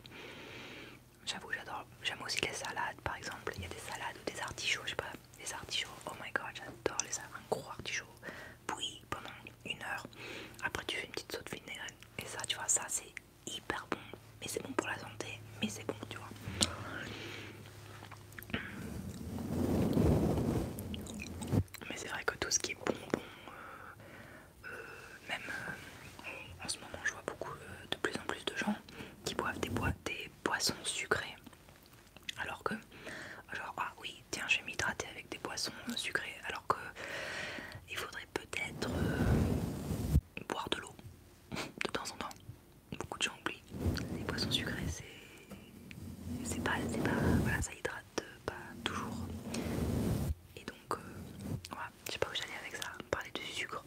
j'avoue, j'adore. J'aime aussi les salades par exemple. Il y a des salades ou des artichauts, je sais pas, des artichauts. Oh my god, j'adore les salades. Un gros artichaut pendant une heure. Après, tu fais une petite saute vinaigre Et ça, tu vois, ça c'est hyper bon. Mais c'est bon pour la santé, mais c'est bon, tu vois. Mais c'est vrai que tout ce qui est bon même euh, en ce moment je vois beaucoup euh, de plus en plus de gens qui boivent des, bois, des boissons sucrées alors que genre ah oui tiens je vais m'hydrater avec des boissons euh, sucrées alors que il faudrait peut-être boire de l'eau (laughs) de temps en temps beaucoup de gens oublient les boissons sucrées c'est c'est pas c'est pas voilà ça hydrate pas toujours et donc voilà je sais pas où j'allais avec ça, parler du sucre.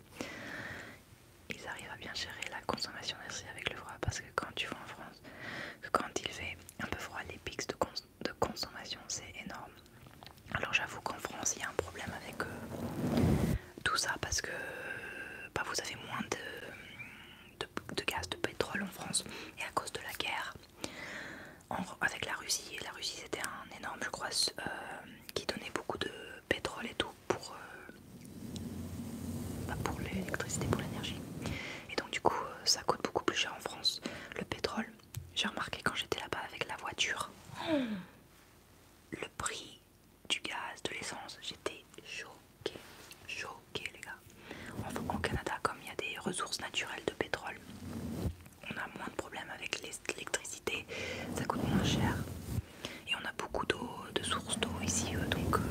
Ils arrivent à bien gérer la consommation d'énergie avec le froid parce que quand tu vas en France, quand il fait un peu froid, les pics de, consommation c'est énorme. Alors j'avoue qu'en France il y a un problème avec euh, tout ça parce que bah, vous avez moins de gaz de pétrole en France et à cause de la guerre avec la Russie. La Russie c'était un énorme, je crois, euh, qui donnait beaucoup de pétrole et tout pour, euh, bah, pour l'électricité, pour l'énergie. Et donc du coup euh, ça coûte beaucoup plus cher en France. Le pétrole, j'ai remarqué quand j'étais là-bas avec la voiture, hmm. le prix du gaz, de l'essence, j'étais choquée, choquée les gars. En au Canada, comme il y a des ressources naturelles de pétrole, on a moins de problèmes avec l'électricité, ça coûte moins cher et on a beaucoup d'eau, de sources d'eau ici euh, donc euh,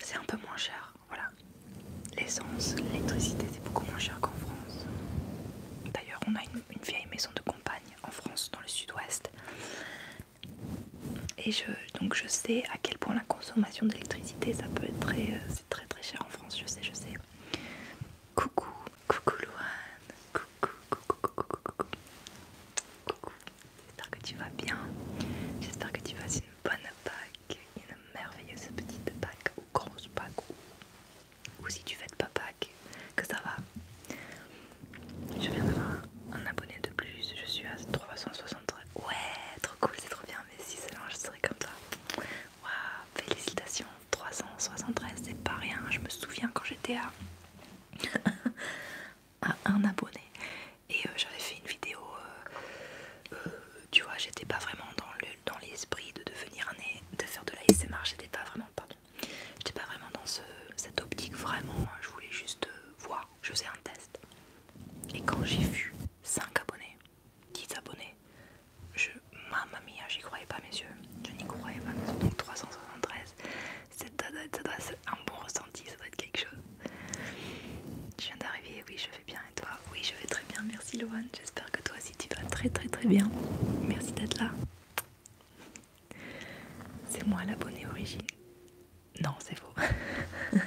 c'est un peu moins cher. Voilà, l'essence, l'électricité c'est beaucoup moins cher qu'en France. D'ailleurs, on a une, vieille maison de campagne en France, dans le sud-ouest. Et je, donc je sais à quel point la consommation d'électricité ça peut être très, euh, c'est très très cher en France, je sais, je sais. Coucou, Coucou Louane, coucou, coucou, coucou, coucou, coucou. J'espère que tu vas bien. J'espère que tu passes une bonne Pâque, une merveilleuse petite Pâque, ou grosse Pâques ou, si tu fais pas Pâques, que ça va. Je viens d'avoir un abonné de plus, je suis à 363. Ouais, trop cool, c'est trop bien. Mais si c'est je serai comme ça, waouh, félicitations 373 c'est pas rien je me souviens quand j'étais à, (laughs) un abonné et euh, j'avais fait une vidéo euh, euh, tu vois j'étais pas vraiment dans l'esprit de devenir un de faire de la j'étais pas vraiment pardon j'étais pas vraiment dans cette optique vraiment hein, je voulais juste voir je faisais un test et quand j'ai vu 5 abonnés 10 abonnés. Je, ma mia, hein, j'y croyais pas messieurs Je n'y croyais pas mes Donc 373, ça doit, être, un bon ressenti, ça doit être quelque chose. Je viens d'arriver, oui, je vais bien. Et toi Oui, je vais très bien, merci Loane. J'espère que toi aussi tu vas très très très bien. Merci d'être là. C'est moi l'abonné origine. Non, c'est faux. (laughs)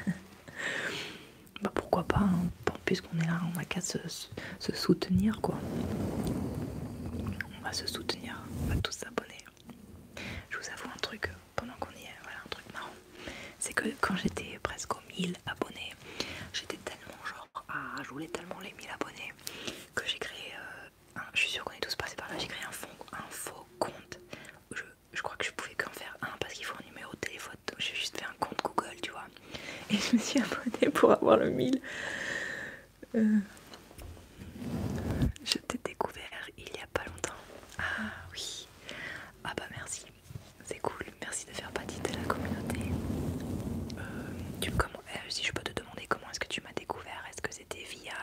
bah pourquoi pas, hein bon, puisqu'on est là, on va qu'à se, soutenir quoi. On va se soutenir, on va tous s'abonner. Je vous avoue un truc, pendant qu'on y est, voilà un truc marrant. C'est que quand j'étais presque aux 1000 abonnés, j'étais tellement genre, ah je voulais tellement les 1000 abonnés que j'ai créé, euh, un, je suis sûre qu'on est tous passés par là, j'ai créé un, faux compte. Je, je crois que je pouvais qu'en faire un parce qu'il faut un numéro de téléphone, j'ai juste fait un compte Google, tu vois et je me suis abonnée pour avoir le mille. Euh, je t'ai découvert il y a pas longtemps. Ah oui. Ah bah merci. C'est cool. Merci de faire partie de la communauté. Euh, euh, si je peux te demander comment est-ce que tu m'as découvert, est-ce que c'était via...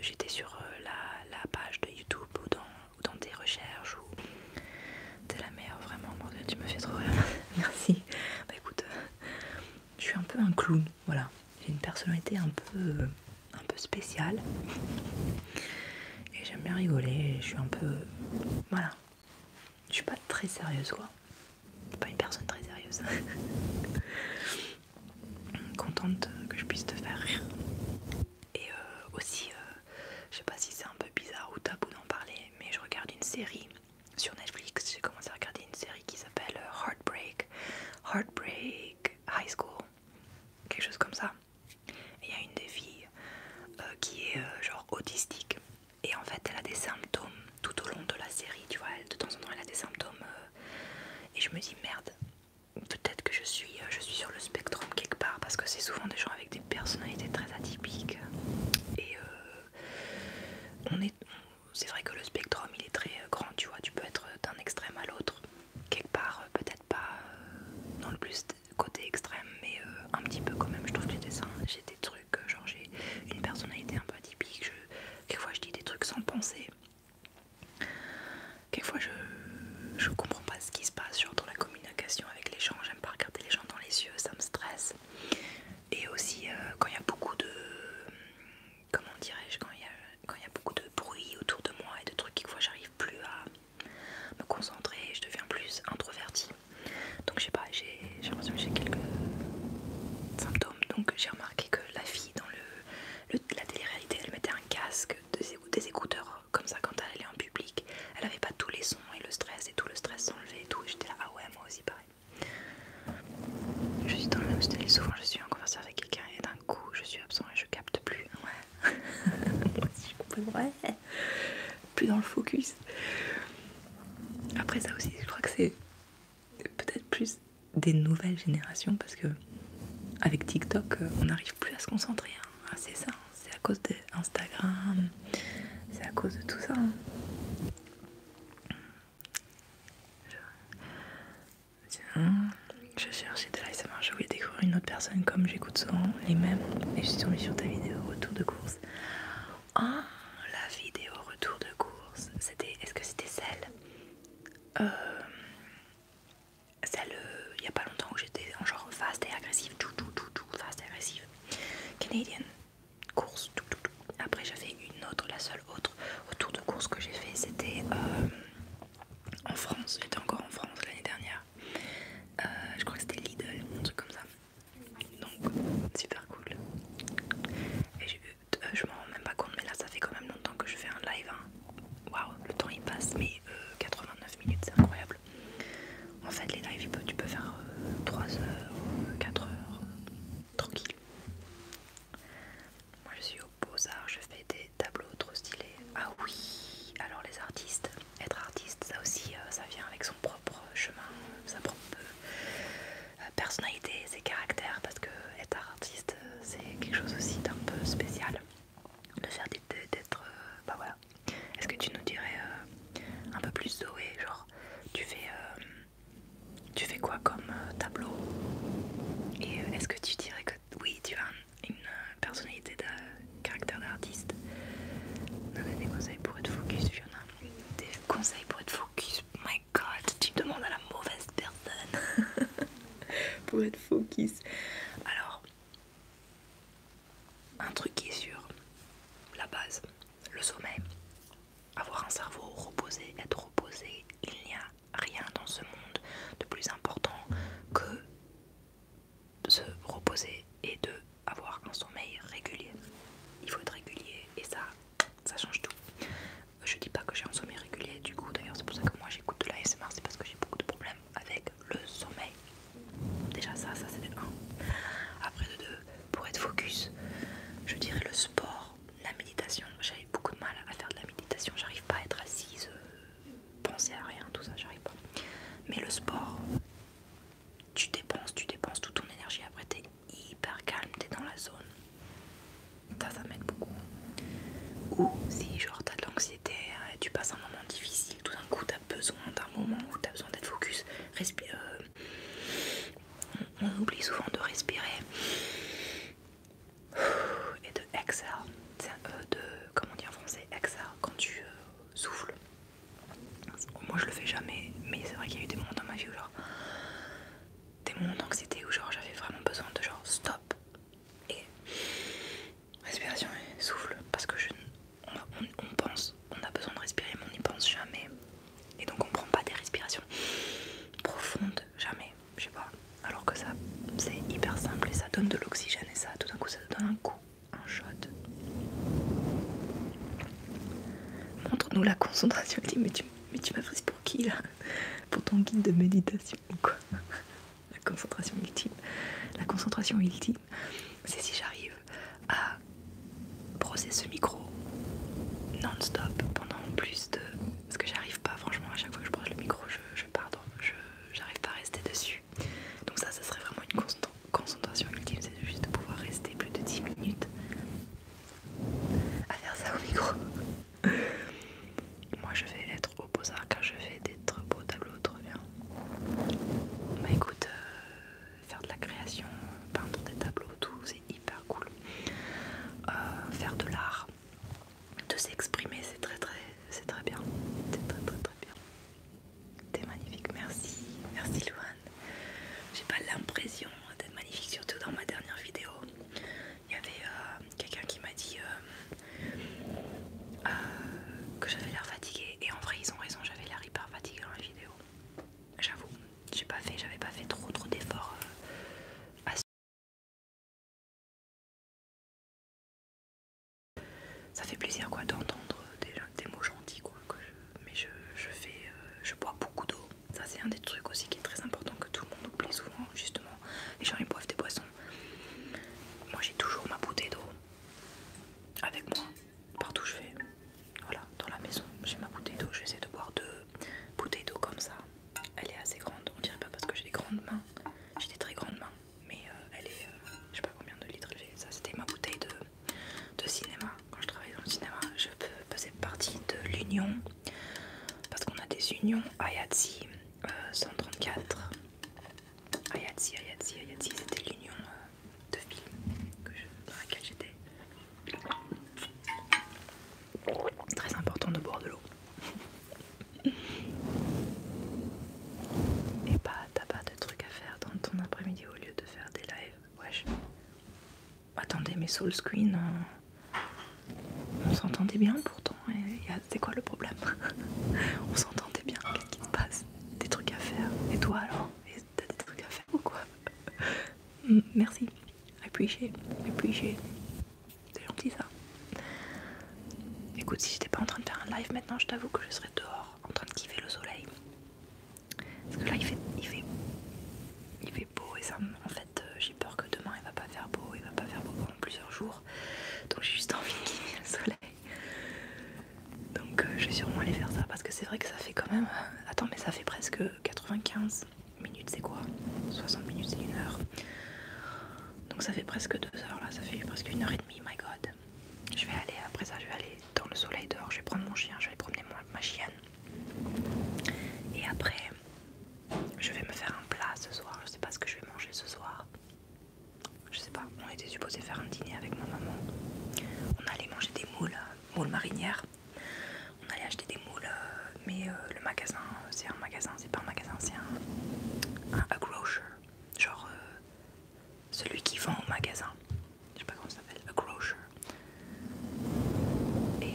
J'étais sur la, page de YouTube ou dans, ou dans des recherches ou... T'es la meilleure, vraiment. Mon Dieu, tu me fais trop rire. (laughs) Merci. Bah écoute, euh, je suis un peu un clown, voilà. J'ai une personnalité un peu, euh, un peu spéciale. Et j'aime bien rigoler. Je suis un peu, voilà. Je suis pas très sérieuse, quoi. Pas une personne très sérieuse. (laughs) Contente que je puisse te faire rire. Et euh, aussi, je sais pas si c'est un peu bizarre ou tabou d'en parler, mais je regarde une série sur Netflix, j'ai commencé à regarder une série qui s'appelle euh, Heartbreak, Heartbreak High School, quelque chose comme ça. Et il y a une des filles euh, qui est euh, genre autistique et en fait elle a des symptômes tout au long de la série, tu vois, de temps en temps elle a des symptômes et je me dis merde, peut-être que je suis, je suis sur le spectrum quelque part parce que c'est souvent des gens avec des personnalités très atypiques euh, on est c'est vrai que le spectrum il est très euh, grand tu vois tu peux être euh, d'un extrême à l'autre quelque part peut-être pas dans le plus côté extrême mais un petit peu quand même je trouve que j'ai des trucs genre j'ai une personnalité un peu atypique je, quelquefois je dis des trucs sans penser quelquefois je je comprends pas ce qui se passe genre dans la communication avec les gens j'aime pas regarder les gens dans les yeux ça me stresse et aussi euh, quand il y a beaucoup de... Comment dirais-je Quand il y, a beaucoup de bruit autour de moi et de trucs qui fois j'arrive plus à me concentrer, je deviens plus introvertie. Donc je sais pas, j'ai l'impression que j'ai quelques symptômes. Donc j'ai remarqué que la fille dans le, la télé-réalité, elle mettait un casque, des, des écouteurs comme ça quand elle allait en public. Elle avait pas tous les sons et le stress et tout le stress s'enlevait et tout. J'étais là, ah ouais, moi aussi pareil. Je suis dans le même style, souvent je suis en conversation avec quelqu'un et d'un coup je suis absent et je capte plus. Ouais. (laughs) Plus dans le focus. Après ça aussi, je crois que c'est peut-être plus des nouvelles générations parce que avec TikTok, euh, on n'arrive plus à se concentrer. Hein. Ah, c'est ça, hein. c'est à cause d'Instagram, c'est à cause de tout ça. Hein. Je, je cherchais de marche je voulais découvrir une autre personne comme j'écoute souvent les mêmes et je suis tombée sur ta vidéo retour de course. Ah, oh, la vidéo retour de course, c'était, est-ce que c'était celle euh, Celle, euh, il n'y a pas longtemps où j'étais en genre fast et agressive, tout, fast et agressive. Canadian, course Tout, Après j'avais une autre, la seule autre autour de course que j'ai fait, c'était euh, en France. J'étais encore en France l'année dernière. Euh, je crois que c'était Lidl, un truc comme ça. Donc super cool. Et euh, je m'en rends même pas compte, mais là ça fait quand même longtemps que je fais un live. Hein. Waouh, le temps il passe, mais 89 minutes, c'est incroyable. En fait, les lives, tu peux faire 3 euh, heures, 4 heures, tranquille. Moi, je suis au Beaux-Arts, je fais des tableaux trop stylés. Ah oui, alors les artistes, être artiste, ça aussi, euh, ça vient avec son propre chemin, euh, sa propre personnalité, ses caractères, parce que être artiste, c'est quelque chose aussi d'un peu spécial de faire d'être bah voilà est-ce que tu nous dirais un peu plus Zoé genre tu fais tu fais quoi comme euh, tableau Et euh, est-ce que tu dirais que oui, tu as une euh, personnalité de caractère d'artiste Non, mais des conseils pour être focus, Fiona. Des conseils pour être focus, my god, tu demandes à la mauvaise personne (laughs) pour être focus. Alors, un truc qui est sur la base, le sommet. Avoir un cerveau reposé, être reposé, il n'y a rien dans ce monde de plus important que se reposer et de avoir un sommeil régulier. Il faut être régulier et ça, ça change tout. Je dis pas que j'ai un sommeil régulier, du coup, d'ailleurs, c'est pour ça que moi j'écoute de l'ASMR, c'est parce que j'ai beaucoup de problèmes avec le sommeil. Déjà, ça, ça c'est un. Après, de 2, pour être focus, je dirais le sport, la méditation. J'avais beaucoup de mal à faire de la méditation, j'arrive pas à être assise, euh, penser à rien, tout ça, j'arrive pas. Mais le sport, tu dépenses, tu dépenses toute ton énergie, après t'es hyper calme, es dans la zone. Ça, ça m'aide beaucoup. Ou si genre t'as de l'anxiété, euh, tu passes un moment difficile, tout d'un coup t'as besoin d'un moment où t'as besoin d'être focus, respire, euh, on oublie souvent de respirer et de exhale. E de, comment dire en français, exhale quand tu euh, souffles. Moi je le fais jamais, mais c'est vrai qu'il y a eu des moments dans ma vie où genre des moments d'anxiété où genre j'avais vraiment besoin de genre stop et respiration et souffle parce que je on pense on a besoin de respirer, mais on n'y pense jamais. Et donc on prend pas des respirations profondes, jamais. Je sais pas. Alors que ça, c'est hyper simple et ça donne de l'oxygène et ça, tout d'un coup, ça te donne un coup, un shot. Montre-nous la concentration. ultime. mais tu, mais tu m'as prise pour qui là Pour ton guide de méditation ou quoi La concentration ultime. La concentration ultime, c'est si j'arrive à brosser ce micro non-stop pendant plus de... Parce que j'arrive pas, franchement, à chaque fois que je brosse le micro, je, je pardon, j'arrive pas à rester dessus. Donc ça, ça serait vraiment une concentration ultime, c'est juste de pouvoir rester plus de 10 minutes à faire ça au micro. Moi, je vais être au beaux car je fais des très beaux tableaux, trop bien. Bah écoute, euh, faire de la création, peindre des tableaux, tout, c'est hyper cool. Euh, faire de l'art, de s'exprimer, c'est très très, c'est très bien, c'est très très très bien. T'es magnifique, merci, merci Louane. J'ai pas l'impression d'être magnifique, surtout dans ma dernière vidéo. Il y avait euh, quelqu'un qui m'a dit euh, que j'avais l'air fatiguée, et en vrai, ils ont raison, j'avais l'air hyper fatiguée dans la vidéo j'avoue. J'ai pas fait, j'avais pas fait trop trop d'efforts euh, à ce ça fait plaisir quoi d'entendre des, mots gentils quoi mais je, fais euh, je bois beaucoup d'eau ça c'est un des trucs aussi qui est très important que tout le monde oublie souvent justement les gens ils boivent des boissons moi j'ai toujours ma bouteille d'eau avec moi partout où je vais voilà, dans la maison, j'ai ma bouteille d'eau, j'essaie de boire deux bouteilles d'eau comme ça. Elle est assez grande, on dirait pas parce que j'ai des grandes mains, j'ai des très grandes mains, mais euh, elle est, euh, je sais pas combien de litres j'ai. Ça, c'était ma bouteille de, cinéma. Quand je travaillais dans le cinéma, je faisais partie de l'union, parce qu'on a des unions Ayatsi euh, 134. Ayatsi, Ayatsi, ayatzi c'était l'union de films dans laquelle j'étais. Très important de boire de l'eau. (laughs) Et bah, t'as pas de trucs à faire dans ton après-midi au lieu de faire des lives. Wesh. Attendez, mais Soul Screen, euh, on s'entendait bien pourtant. C'est quoi le problème (laughs) On s'entendait bien, qu'est-ce qui se passe Des trucs à faire. Et toi alors t'as des trucs à faire ou quoi mm, Merci, I appreciate, C'est gentil ça. Écoute, si j'étais pas en train de faire un live maintenant, je t'avoue que je serais dehors en train de kiffer le soleil. Parce que là il fait, il fait, beau et ça en fait euh, j'ai peur que demain il va pas faire beau, il va pas faire beau pendant plusieurs jours. Donc j'ai juste envie de kiffer le soleil. Donc euh, je vais sûrement aller faire ça parce que c'est vrai que ça fait quand même euh, attends, mais ça fait presque 95 minutes, c'est quoi 60 minutes, c'est une heure. Donc ça fait presque deux heures là, ça fait presque une heure et demie, my god. Je vais aller, après ça, je vais aller dans le soleil dehors, je vais prendre mon chien, je vais promener ma chienne. Et après, je vais me faire un plat ce soir, je sais pas ce que je vais manger ce soir. Je sais pas, on était supposé faire un dîner avec ma maman. On allait manger des moules, moules marinières. On allait acheter des moules, euh, mais euh, le magasin, c'est un magasin, c'est pas un magasin, c'est un, grocer, genre euh, celui qui vend au magasin. Je sais pas comment ça s'appelle, a grocer. Et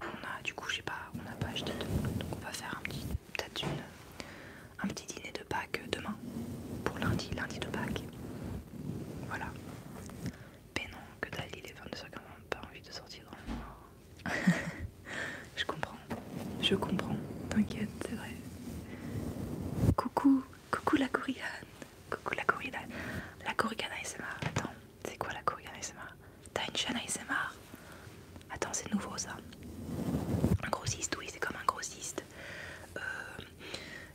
on a, du coup, je sais pas, on n'a pas acheté de moules, donc on va faire un peut-être Un petit dîner de Pâques demain pour lundi, lundi de Pâques. Voilà. Mais non, que dalle, il est 22 quand n'a pas envie de sortir dans le (laughs) je comprends, je comprends, t'inquiète, c'est vrai. Coucou, coucou la Corrigane, coucou la Corrigane, la Corrigane ASMR. Attends, c'est quoi la Corrigane ASMR T'as une chaîne ASMR Attends, c'est nouveau ça. Un grossiste, oui, c'est comme un grossiste euh,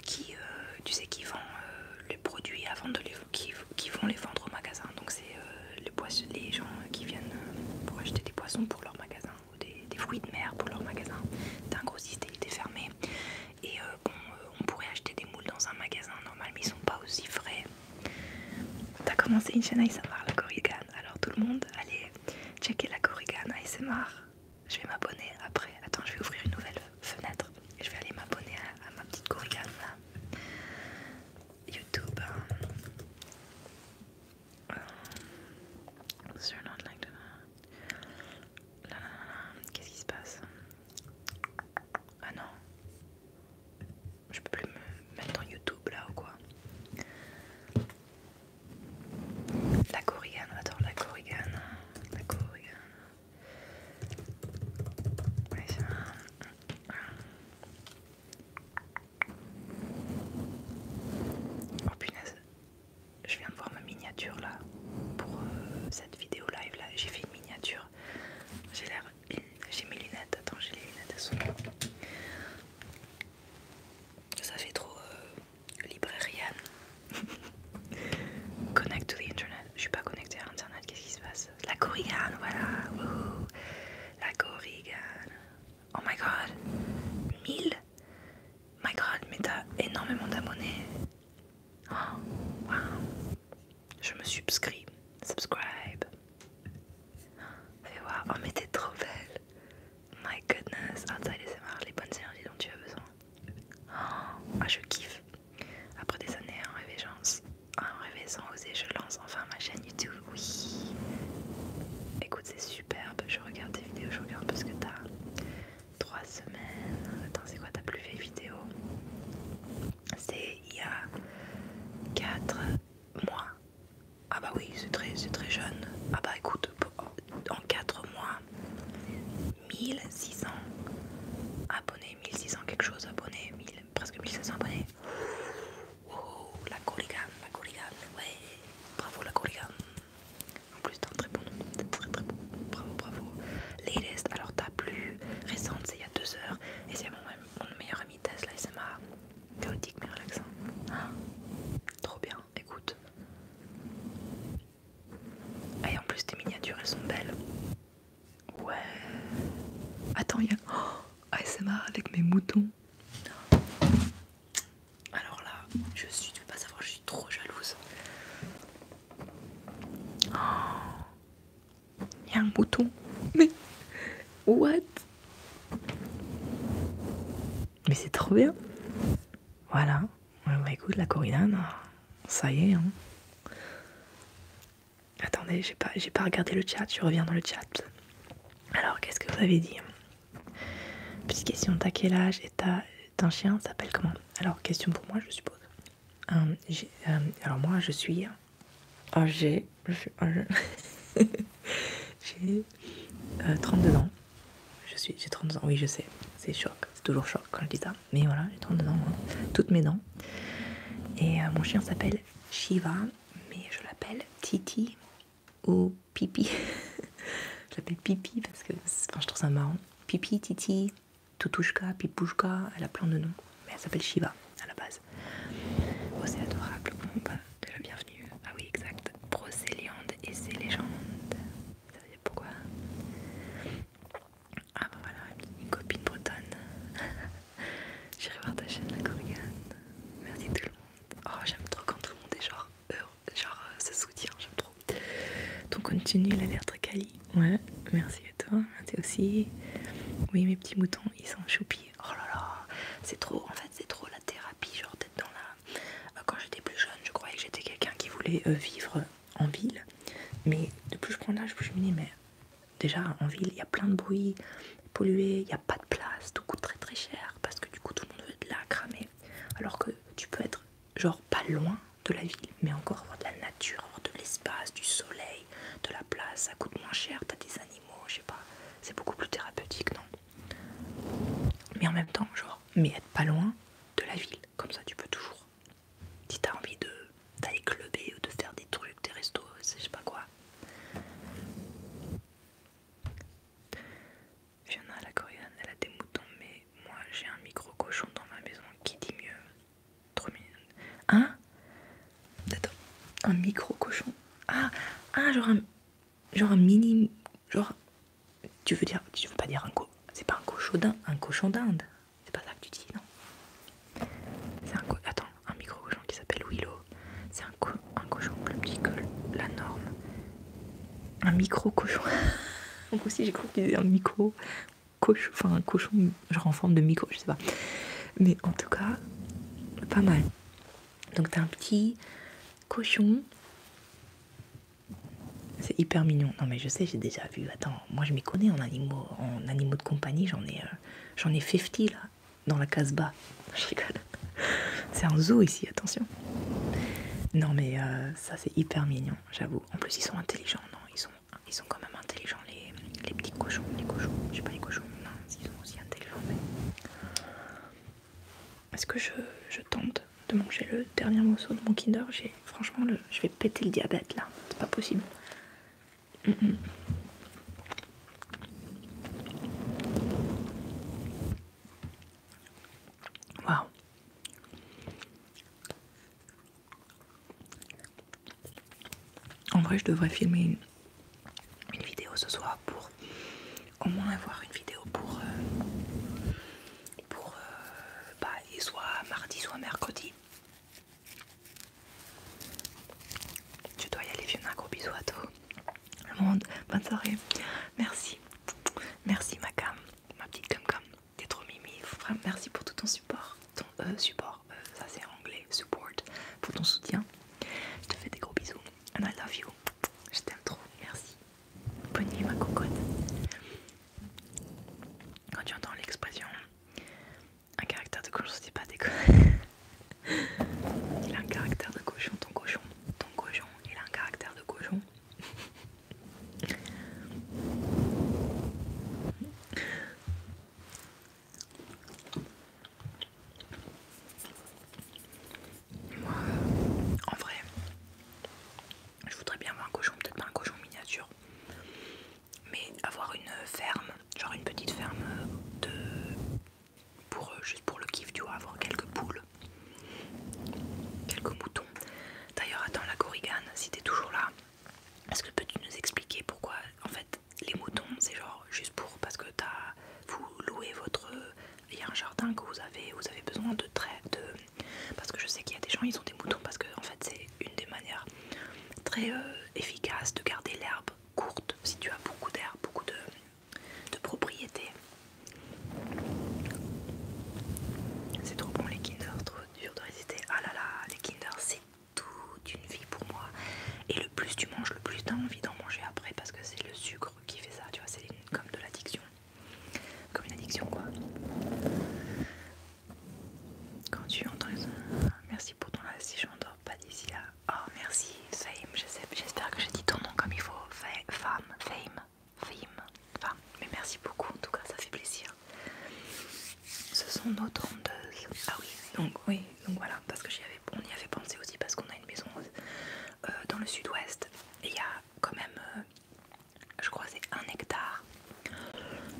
qui, euh, tu sais, qui vend. Euh, les produits avant de les qui, vont les vendre au magasin. Donc c'est euh, les, poissons, gens qui viennent euh, pour acheter des poissons pour leur magasin ou des, fruits de mer pour leur magasin. D'un système, il était fermé. Et euh, bon, on pourrait acheter des moules dans un magasin normal, mais ils sont pas aussi frais. T'as commencé une chaîne ASMR, la Corrigan. Alors tout le monde, allez checker la Corrigan ASMR. Je vais m'abonner après. Attends, je vais ouvrir une nouvelle fenêtre. Je vais aller m'abonner à, ma petite corrigane là. YouTube. Um, Qu'est-ce qui se passe Ah non. Je peux plus me mettre en YouTube là ou quoi La va attends, la corrigane. la corrigane. Oh punaise, je viens de voir ma miniature là pour euh, cette vidéo live là. J'ai fait une miniature. J'ai l'air. J'ai mes lunettes. Attends, j'ai les lunettes Ça fait trop euh, librairienne, (laughs) Connect to the internet. Je suis pas connectée à internet. Qu'est-ce qui se passe la corrigane, voilà. La corrigane Oh my god. 1000 My god, mais t'as énormément d'abonnés. Oh, wow. Je me subscris. Subscribe. Fais voir. Oh, mais t'es trop belle. My goodness. Outside SMR, les bonnes énergies dont tu as besoin. Oh, ah, je kiffe. Après des années en réveillant, en sans oser je lance enfin ma chaîne YouTube. Oui. Écoute, c'est superbe. Je regarde tes vidéos, je regarde parce que t'as trois semaines. Attends, c'est quoi ta plus vieille vidéo C'est il y a quatre mois. Ah bah oui, c'est très, très jeune. Ah bah écoute, en 4 mois, 1600 abonnés, 1600 quelque chose abonnés, 1000, presque 1500 abonnés. Oh, la Corrigan, la Corrigan, ouais, bravo la Corrigan. En plus, t'as un très bon nom, très très bon, bravo, bravo. Latest, alors ta plus récente, c'est il y a deux heures, et c'est mon, meilleur ami Tesla ma chaotique mais relaxant. Ah, trop bien, écoute. Et en plus, tes miniatures elles sont belles. Ouais. Attends, il y a ASMR (gasps) avec mes moutons. Alors là, je suis, tu veux pas savoir, je suis trop jalouse. (gasps) Il y a un mouton. Mais what Mais c'est trop bien. Voilà. Bah écoute, la Corinne, ça y est. Hein. Attendez, j'ai pas, pas regardé le chat, je reviens dans le chat. Alors, qu'est-ce que vous avez dit Petite question, t'as quel âge et t'as un chien, s'appelle comment Alors, question pour moi, je suppose. Hum, hum, alors, moi, je suis âgée, oh, (laughs) j'ai 32 euh, ans. J'ai 32 ans, oui, je sais, c'est choc, c'est toujours choc quand je dis ça mais voilà, j'ai 32 dents toutes mes dents. Et euh, mon chien s'appelle Shiva, mais je l'appelle Titi ou Pipi. (laughs) je l'appelle Pipi parce que je trouve ça marrant. Pipi, Titi, Tutushka, Pipouchka, elle a plein de noms, mais elle s'appelle Shiva à la base. Oh, c'est adorable. Bon, de bah, la bienvenue. Ah oui, exact. Procéliande et ses légendes. Ça veut dire pourquoi ah bah voilà, une copine bretonne. (laughs) J'irai voir ta chaîne, la Corrigan. Merci tout le monde. Oh, j'aime trop quand tout le monde est genre, euh, genre se soutient, j'aime trop. Donc continue, il a l'air très quali. Ouais, merci à toi, merci aussi. Oui, mes petits moutons, ils sont choupis. Oh là là, c'est trop, en fait, c'est trop la thérapie, genre d'être dans la... Euh, quand j'étais plus jeune, je croyais que j'étais quelqu'un qui voulait euh, vivre en ville. Mais de plus je prends l'âge, je me dis, mais Déjà en ville, il y a plein de bruit pollué, il n'y a pas de place, tout coûte très très cher parce que du coup tout le monde veut de la cramer. Alors que tu peux être genre pas loin de la ville, mais encore avoir de la nature, avoir de l'espace, du soleil, de la place, ça coûte moins cher, t'as des animaux, je sais pas, c'est beaucoup plus thérapeutique, non Mais en même temps, genre, mais être pas loin de la ville, comme ça tu peux toujours si t'as envie d'aller clubber ou de faire des trucs, des restos, je sais pas quoi. à la coréenne, elle a des moutons, mais moi j'ai un micro cochon dans ma maison qui dit mieux. Trop Hein Attends, un micro cochon ah, ah, genre un, genre un mini. Genre. Tu veux dire. Tu veux pas dire un co. C'est pas un cochon d'Inde, un cochon d'Inde. C'est pas ça que tu dis, non C'est un Attends, un micro-cochon qui s'appelle Willow. C'est un, cochon plus petit que la norme. Un micro-cochon. Donc (laughs) aussi j'ai cru qu'il c'était un micro cochon, enfin un cochon genre en forme de micro, je sais pas. Mais en tout cas, pas mal. Donc t'as un petit cochon. C'est hyper mignon. Non mais je sais, j'ai déjà vu. Attends, moi je m'y connais en animaux, en animaux de compagnie. J'en ai, euh, euh, j'en ai 50 là, dans la bas. (laughs) Je rigole. C'est un zoo ici, attention. Non mais euh, ça c'est hyper mignon, j'avoue. En plus ils sont intelligents, non Ils sont, ils sont quand même intelligents les, petits cochons, les cochons. Je sais pas les cochons, non, ils sont aussi intelligents. Est-ce que je, tente de manger le dernier morceau de mon Kinder Franchement, je vais péter le diabète là, c'est pas possible. En vrai, je devrais filmer une, vidéo ce soir pour au moins avoir une vidéo pour euh, pour euh, bah, soit mardi soit mercredi tu dois y aller, Fiona. Gros bisous à toi. Le monde, bonne soirée. Merci. Merci, ma cam. Ma petite cam cam. T'es trop mimi. merci pour tout ton support. Ton euh, support, euh, ça c'est anglais. Support. Pour ton soutien. Je te fais des gros bisous. And I love you. Je t'aime trop. Merci. Bonne nuit, ma cocotte. Quand tu entends l'expression un caractère de cochon, c'est pas des (laughs) Il a un caractère de cochon, ton cochon. Ton cochon, il a un caractère de cochon. Moi, en vrai, je voudrais bien avoir un cochon, peut-être pas un cochon miniature, mais avoir une ferme, genre une petite ferme de pour euh, juste pour le kiff, tu vois, avoir quelques poules, quelques moutons. D'ailleurs, attends la gorigane, si t'es toujours là, est-ce que peux-tu nous expliquer pourquoi en fait les moutons, c'est genre juste pour parce que t'as vous louez votre il y a un jardin que vous avez, vous avez besoin de traits de parce que je sais qu'il y a des gens ils ont des moutons parce que en fait c'est une des manières très euh, efficaces de garder l'herbe courte si tu as beaucoup d'herbe, beaucoup de, de propriétés. C'est trop bon les Kinder, trop dur de résister. Ah là là, les Kinder c'est toute une vie pour moi. Et le plus tu manges, le plus t'as envie d'en manger après parce que c'est le sucre qui fait ça, tu vois, c'est comme de l'addiction. Comme une addiction quoi. Quand tu entends Merci pour ton live si je m'endors pas d'ici là. Oh merci Fame, j'espère que j'ai dit ton nom comme il faut. Femme, Fame, Fame, Femme. Mais merci beaucoup en tout cas, ça fait plaisir. Ce sont nos tondeuses. Ah oui, donc oui, donc voilà, parce que j'y on y avait pensé aussi parce qu'on a une maison euh, dans le sud-ouest. Et il y a quand même, euh, je crois c'est un hectare.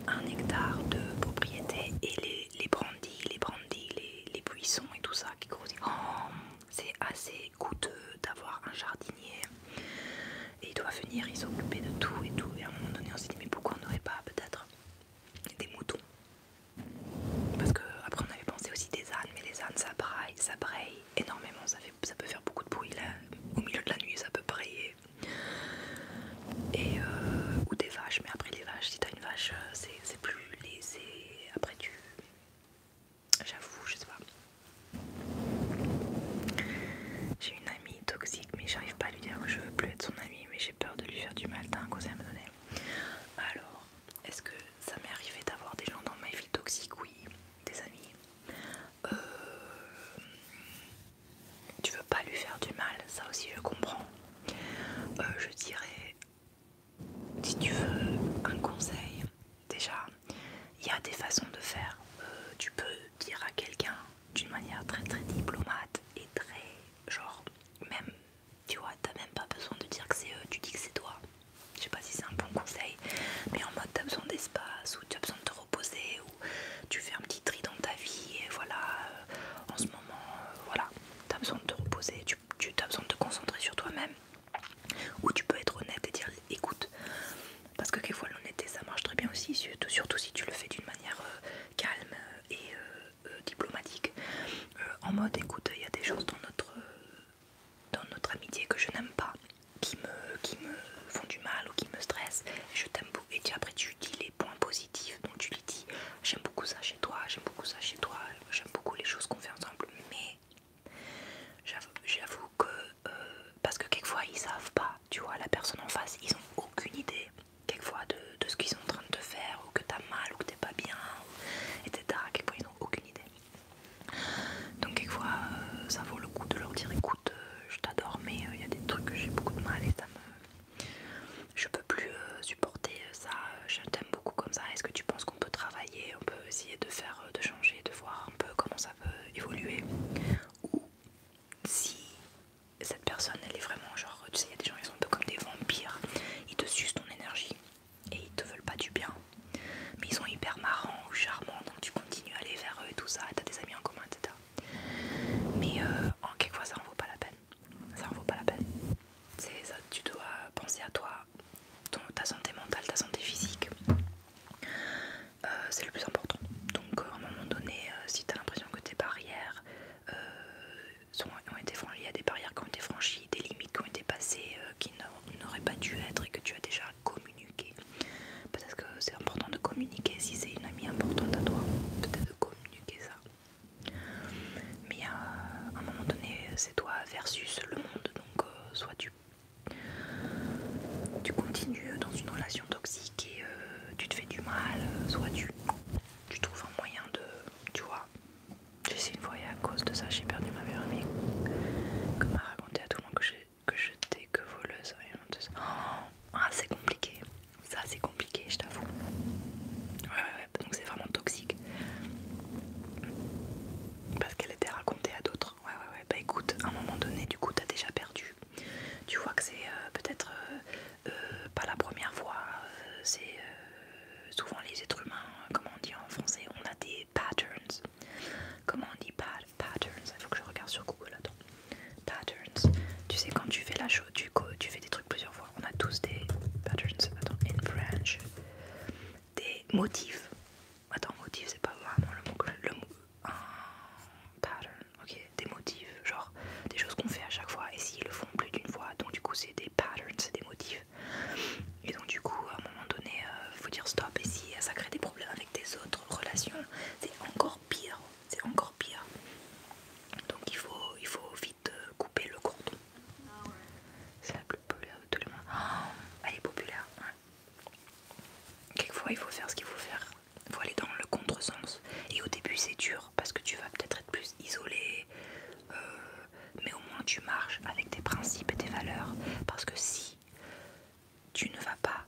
Un hectare de propriété et les, les branches les brandis, les, buissons et tout ça qui grossit. Oh, c'est assez coûteux d'avoir un jardinier et il doit venir, il s'occuper de tout et tout. Et à un moment donné, on s'est dit, mais pourquoi on n'aurait pas peut-être des moutons Parce que après, on avait pensé aussi des ânes, mais les ânes ça braille, ça braille énormément, ça, fait, ça peut faire beaucoup de bruit là. Au milieu de la nuit, ça peut brailler et, euh, ou des vaches, mais après les vaches, si t'as une vache, euh, c'est plus léger. Après, tu. J'avoue, je sais pas. J'ai une amie toxique, mais j'arrive pas à lui dire que je veux plus être son amie, mais j'ai peur de lui faire du mal. T'as un conseil à me donner Alors, est-ce que ça m'est arrivé d'avoir des gens dans ma vie toxiques Oui, des amis. Euh, tu veux pas lui faire du mal, ça aussi je comprends. Euh, je dirais, si tu veux un conseil, déjà, il y a des façons de faire. Euh, tu peux dire à quelqu'un d'une manière très très diplomate et très genre, même, tu vois, t'as même pas besoin de dire que c'est eux, tu dis que c'est toi. Je sais pas si c'est un bon conseil, mais en mode t'as besoin d'espace ou tu as besoin de te reposer ou tu fais un petit tri dans ta vie et voilà, euh, en euh, voilà, tu as besoin de te reposer, tu, as besoin de te concentrer sur toi-même. Ou tu peux être honnête et dire écoute, parce que quelquefois l'honnêteté ça marche très bien aussi, surtout, si tu le fais d'une manière euh, calme et euh, diplomatique. en mode écoute, il y a des choses dans notre, dans notre amitié que je n'aime pas, qui me, qui me font du mal ou qui me stressent, je t'aime beaucoup. Et après tu point positif dont tu lui dis j'aime beaucoup ça chez toi, j'aime beaucoup ça chez toi, j'aime beaucoup les choses qu'on fait ensemble, mais j'avoue que euh, parce que quelquefois ils savent pas, tu vois, la personne en face, ils ont aucune idée quelquefois de, de ce qu'ils sont en train de te faire, ou que t'as mal, ou que t'es pas bien, etc. Quelquefois ils n'ont aucune idée. Donc quelquefois euh, ça vaut le coup de leur dire écoute euh, je t'adore mais il y a des trucs que j'ai beaucoup de mal et ça me je peux plus euh, supporter euh, ça, je t'aime beaucoup comme ça. Est-ce que tu penses qu'on peut travailler On peut essayer de faire, euh, de changer, de voir un peu comment ça peut évoluer Ou si cette personne elle est vraiment genre, tu sais, il y a des gens qui sont un peu comme des vampires, ils te sucent ton énergie et ils te veulent pas du bien, mais ils sont hyper marrants ou charmants donc tu continues à aller vers eux et tout ça, t'as des amis en commun, etc. Mais en en quelquefois ça en vaut pas la peine ça en vaut pas la peine. C'est ça, tu dois penser à toi, ta santé mentale, ta santé physique. Euh, c'est le plus important. Donc, euh, à un moment donné, euh, si tu as l'impression que tes barrières sont, ont été franchies, il y a des barrières qui ont été franchies, des limites qui ont été passées, qui n'auraient pas dû être et que tu as déjà communiqué. Peut-être que c'est important de communiquer si c'est une amie importante à toi. Peut-être de communiquer ça. Mais à, un moment donné, c'est toi versus le monde, donc euh, soit tu, tu continues dans une relation toxique et euh, tu te fais du mal, soit tu, tu trouves un moyen de, tu vois. j'ai essayé une fois, et à cause de ça, j'ai perdu ma meilleure amie. Comme à raconter à tout le monde que j'étais que, que voleuse. ça oh, ah, c'est compliqué. Ça c'est compliqué, je t'avoue. Ouais, ouais, donc c'est vraiment toxique. Parce qu'elle était racontée à d'autres. Ouais, ouais, ouais. Bah écoute, à un moment donné, du coup, t'as déjà perdu. Tu vois que c'est euh, peut-être euh, euh, pas la première fois. c'est souvent les êtres humains, comment on dit en français, on a des patterns. Comment on dit patterns Il faut que je regarde sur Google, attends. Patterns. Tu sais, quand tu fais la, tu, coup, tu fais des trucs plusieurs fois. On a tous des patterns, attends, in des motifs. Attends, motifs, c'est pas vraiment le mot le pattern, ok, des motifs, genre des choses qu'on fait à chaque fois. Et s'ils le font plus d'une fois, donc du coup, c'est des patterns, c'est des motifs. Et donc, du coup, à un moment donné, il euh, faut dire stop. Et si ça crée des problèmes avec tes autres relations, c'est encore pire. C'est encore pire. Donc, il faut, il faut de euh, couper le cordon. C'est la plus populaire de tous les mois. Oh, elle est populaire. Quelquefois, il faut faire ce qu'il faut faire. Il faut aller dans le contresens. Et au début, c'est dur parce que tu vas peut-être être plus isolé. Euh, mais au moins, tu marches avec tes principes et tes valeurs. Parce que si tu ne vas pas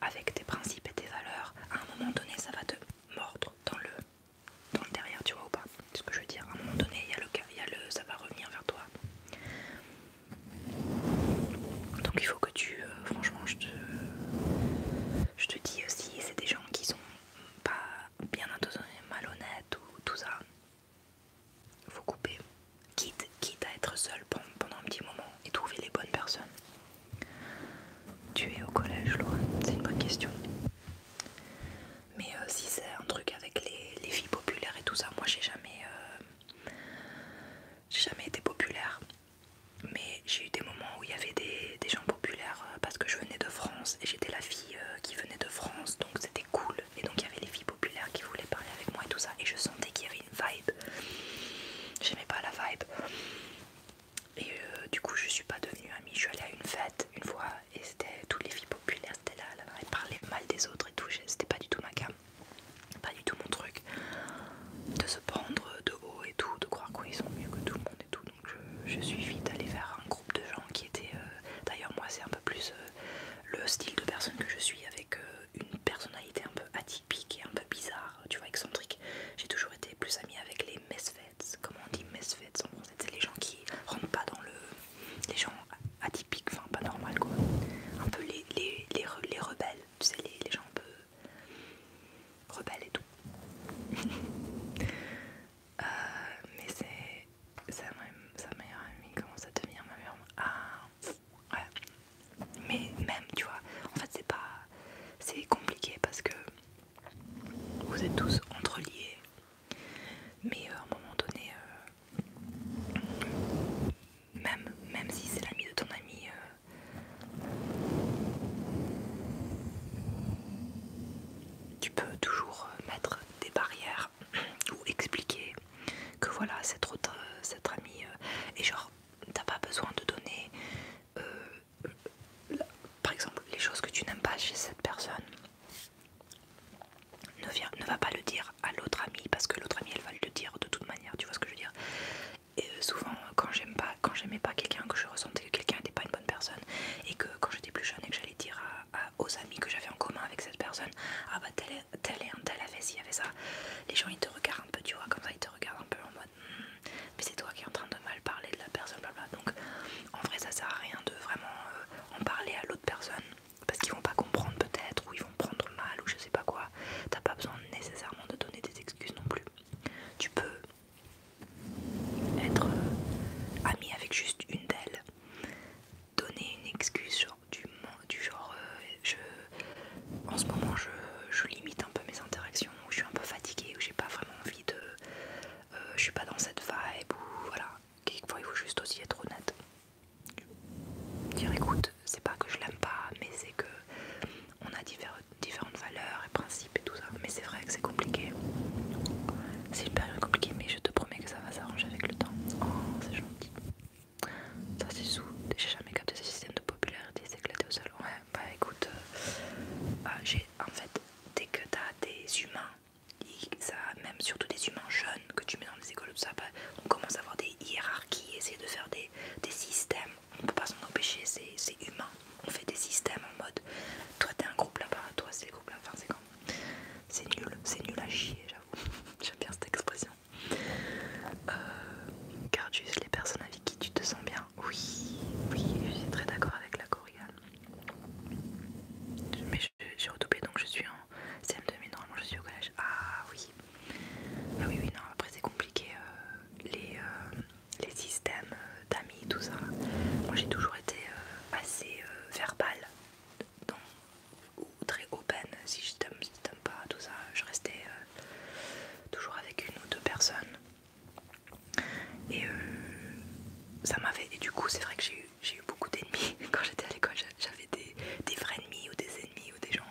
avec tes principes et tes valeurs, à un moment donné, ça va te mordre dans le dans le derrière, tu vois ou pas C'est ce que je veux dire. À un moment donné, il y a le cas, il y a le ça va revenir vers toi. Donc il faut que tu, euh, franchement, je te, je te dis aussi, c'est des gens qui sont pas bien intentionnés, malhonnêtes ou tout ça. Faut couper, quitte, quitte à être seul pendant un petit moment et trouver les bonnes personnes. Tu es au collège, Laura C'est une bonne question. Mais euh, si c'est un truc avec les, filles populaires et tout ça, moi j'ai jamais, euh, jamais été populaire. Mais j'ai eu des moments où il y avait des, gens populaires euh, parce que je venais de France et j'étais la fille qui venait de France donc c'était cool. Et donc il y avait les filles populaires qui voulaient parler avec moi et tout ça. Et je sentais qu'il y avait une vibe. J'aimais pas la vibe. Et euh, du coup, je suis pas devenue amie. Je suis allée à une fête une fois et c'était toutes les filles populaires, c'était là, elles parlaient mal des autres et tout. C'était pas du tout ma cam, pas du tout mon truc de se prendre de haut et tout, de croire qu'ils sont mieux que tout le monde et tout. Donc, je, suis vite allée vers un groupe de gens qui étaient. Euh, d'ailleurs, moi, c'est un peu plus euh, le style de personne que je suis avec une personnalité un peu atypique et un peu bizarre, tu vois, excentrique. J'ai toujours été plus amie avec les mesfè comment on dit misfits en français, c'est les gens qui rentrent pas dans le. les gens atypiques, enfin pas normal quoi. Un peu les, les, les, rebelles, c'est les, gens un peu. rebelles et tout. (laughs) Euh, mais c'est. sa meilleure amie commence à devenir ma meilleure ah, Mais même, tu vois, en fait c'est pas. c'est compliqué parce que vous êtes tous entreliés, mais euh, à un moment donné, euh, même, même si c'est l'ami de ton ami, euh, tu peux toujours mettre des barrières (clears throat) ou expliquer que voilà, cette autre, cette amie, est et genre, t'as pas besoin de donner par exemple, les choses que tu n'aimes pas chez cette personne, ne, va pas le dire à l'autre amie parce que l'autre amie elle va le dire de toute manière, tu vois ce que je veux dire. Et euh, souvent, quand j'aime pas, quand j'aimais pas quelqu'un, que je ressentais que quelqu'un n'était pas une bonne personne, et que quand j'étais plus jeune et que j'allais dire aux amis que j'avais en commun avec cette personne, ah bah tel est, tel est un tel avait y avait ça, les gens ils te regardent un peu, tu vois, comme ça ils te regardent un peu en mode, hmm, mais c'est toi qui es en train de mal parler de la personne, Donc en vrai, ça sert à rien de vraiment euh, en parler à l'autre personne parce qu'ils vont pas comprendre peut-être ou ils vont prendre mal ou je sais pas quoi. T'as pas besoin nécessairement de donner des excuses non plus. Tu peux être amie euh, ami avec juste une d'elles, donner une excuse genre, du, du genre euh, je, en ce moment je, je limite un peu mes interactions ou je suis un peu fatiguée ou j'ai pas vraiment envie de euh, je suis pas dans cette vibe ou voilà. Quelquefois il faut juste aussi être honnête. Dire écoute, c'est pas que je l'aime pas, mais c'est que on a différentes valeurs et principes et tout ça. Mais c'est vrai que c'est compliqué. C'est une période compliquée, mais je te promets que ça va s'arranger avec le temps. Oh, c'est gentil. Ça c'est sous. J'ai jamais capté ce système de popularité s'éclater au sol. Ouais, bah écoute, euh, bah, j'ai en fait, dès que t'as des humains ça, même surtout des humains jeunes que tu mets dans les écoles, ça, bah, on commence à avoir des hiérarchies, essayer de faire des, systèmes. On ne peut pas s'en empêcher, c'est humain. On fait des systèmes en mode toi t'es un groupe là-bas, toi c'est le groupe là, enfin c'est quand C'est nul, c'est nul à chier, j'avoue. (laughs) J'aime bien cette expression. tu euh, juste les personnes avec qui tu te sens bien. Oui, oui, je suis très d'accord avec la Coria mais j'ai retoupé donc je suis en CM2 normalement je suis au collège. Ah oui. Ah oui oui non après c'est compliqué euh, les, euh, les systèmes euh, d'amis tout ça. Moi j'ai toujours été assez verbale donc, ou très open si je t'aime si je t'aime pas tout ça. Je restais toujours avec une ou deux personnes. Et euh, ça m'avait. Et du coup, c'est vrai que j'ai eu, beaucoup d'ennemis (laughs) quand j'étais à l'école. J'avais des, vrais ennemis ou des ennemis ou des gens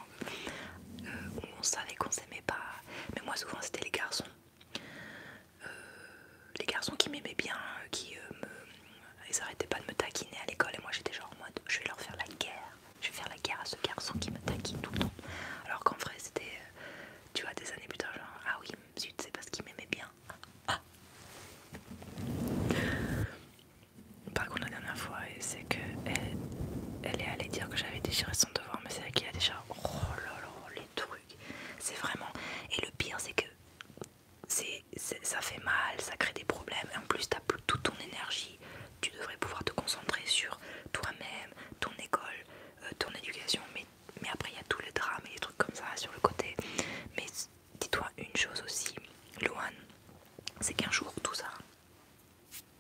euh, où on savait qu'on s'aimait pas. Mais moi, souvent, c'était les garçons. Euh, les garçons qui m'aimaient bien, qui me. Ils arrêtaient pas de me taquiner à l'école. Et moi, j'étais genre en mode je vais leur faire la guerre. Je vais faire la guerre à ce garçon qui me taquine tout le temps. Alors qu'en vrai, c'était. Tu vois, des années plus tard, genre ah oui, c'est parce qu'il m'aimait bien. Ah. Par contre, la dernière fois, c'est que elle, est allée dire que j'avais déchiré son devoir, mais c'est qu'il y a déjà. Oh là les trucs. C'est vraiment. Et le pire, c'est que ça fait mal, ça crée des problèmes. Et en plus, t'as plus toute ton énergie. Tu devrais pouvoir te concentrer sur toi-même, ton école, euh, ton éducation, mais après il y a tous les drames et des trucs comme ça sur le côté. Mais dis-toi une chose aussi, Loan, c'est qu'un jour tout ça,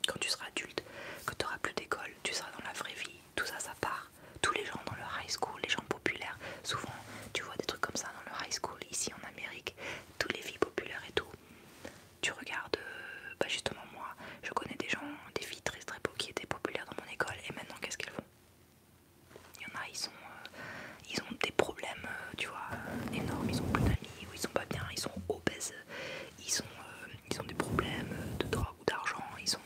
quand tu seras adulte, que tu auras plus d'école, tu seras dans la vraie vie, tout ça, ça part. Tous les gens dans leur high school, les gens populaires, souvent tu vois des trucs comme ça dans le high school ici en Amérique, tous les filles populaires et tout. Tu regardes, euh, bah justement moi, je connais des gens, des filles très très beaux qui étaient populaires dans mon école et maintenant qu'est-ce qu'elles font il y en a, ils, sont, euh, ils ont des problèmes, euh, tu vois, énormes, ils ont plus d'amis, ou ils sont pas bien, ils sont obèses, ils, euh, ils ont des problèmes de drogue ou d'argent, ils sont,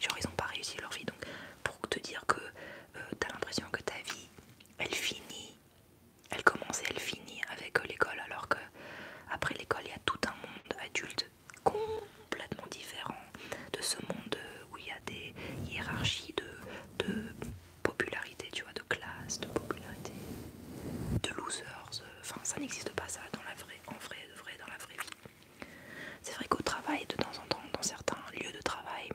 genre ils ont pas réussi leur vie. Donc pour te dire que t'as l'impression que ta vie, elle finit, elle commence et elle finit avec l'école, alors que après l'école, il y a tout un monde adulte con complètement différent de ce monde où il y a des hiérarchies de, de popularité, tu vois, de classe, de popularité, de losers. Enfin, ça n'existe pas ça dans la vraie, en vrai, de vrai, dans la vraie vie. C'est vrai qu'au travail, de temps en temps, dans certains lieux de travail,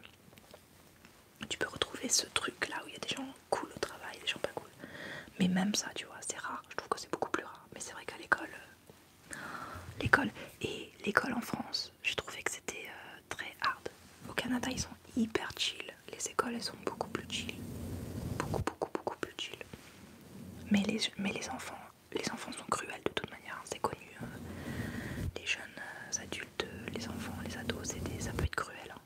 tu peux retrouver ce truc là où il y a des gens cool au travail, des gens pas cool. Mais même ça, tu vois, c'est rare. Je trouve que c'est beaucoup plus rare. Mais c'est vrai qu'à l'école, L'école. Et l'école en France, j'ai trouvé que c'était euh, très hard. Au Canada, ils sont hyper chill. Les écoles, elles sont beaucoup plus chill. Beaucoup, beaucoup, beaucoup plus chill. Mais les, mais les enfants, les enfants sont cruels de toute manière. C'est connu. Hein. les jeunes euh, adultes, euh, les enfants, les ados, ça peut être cruel. Hein.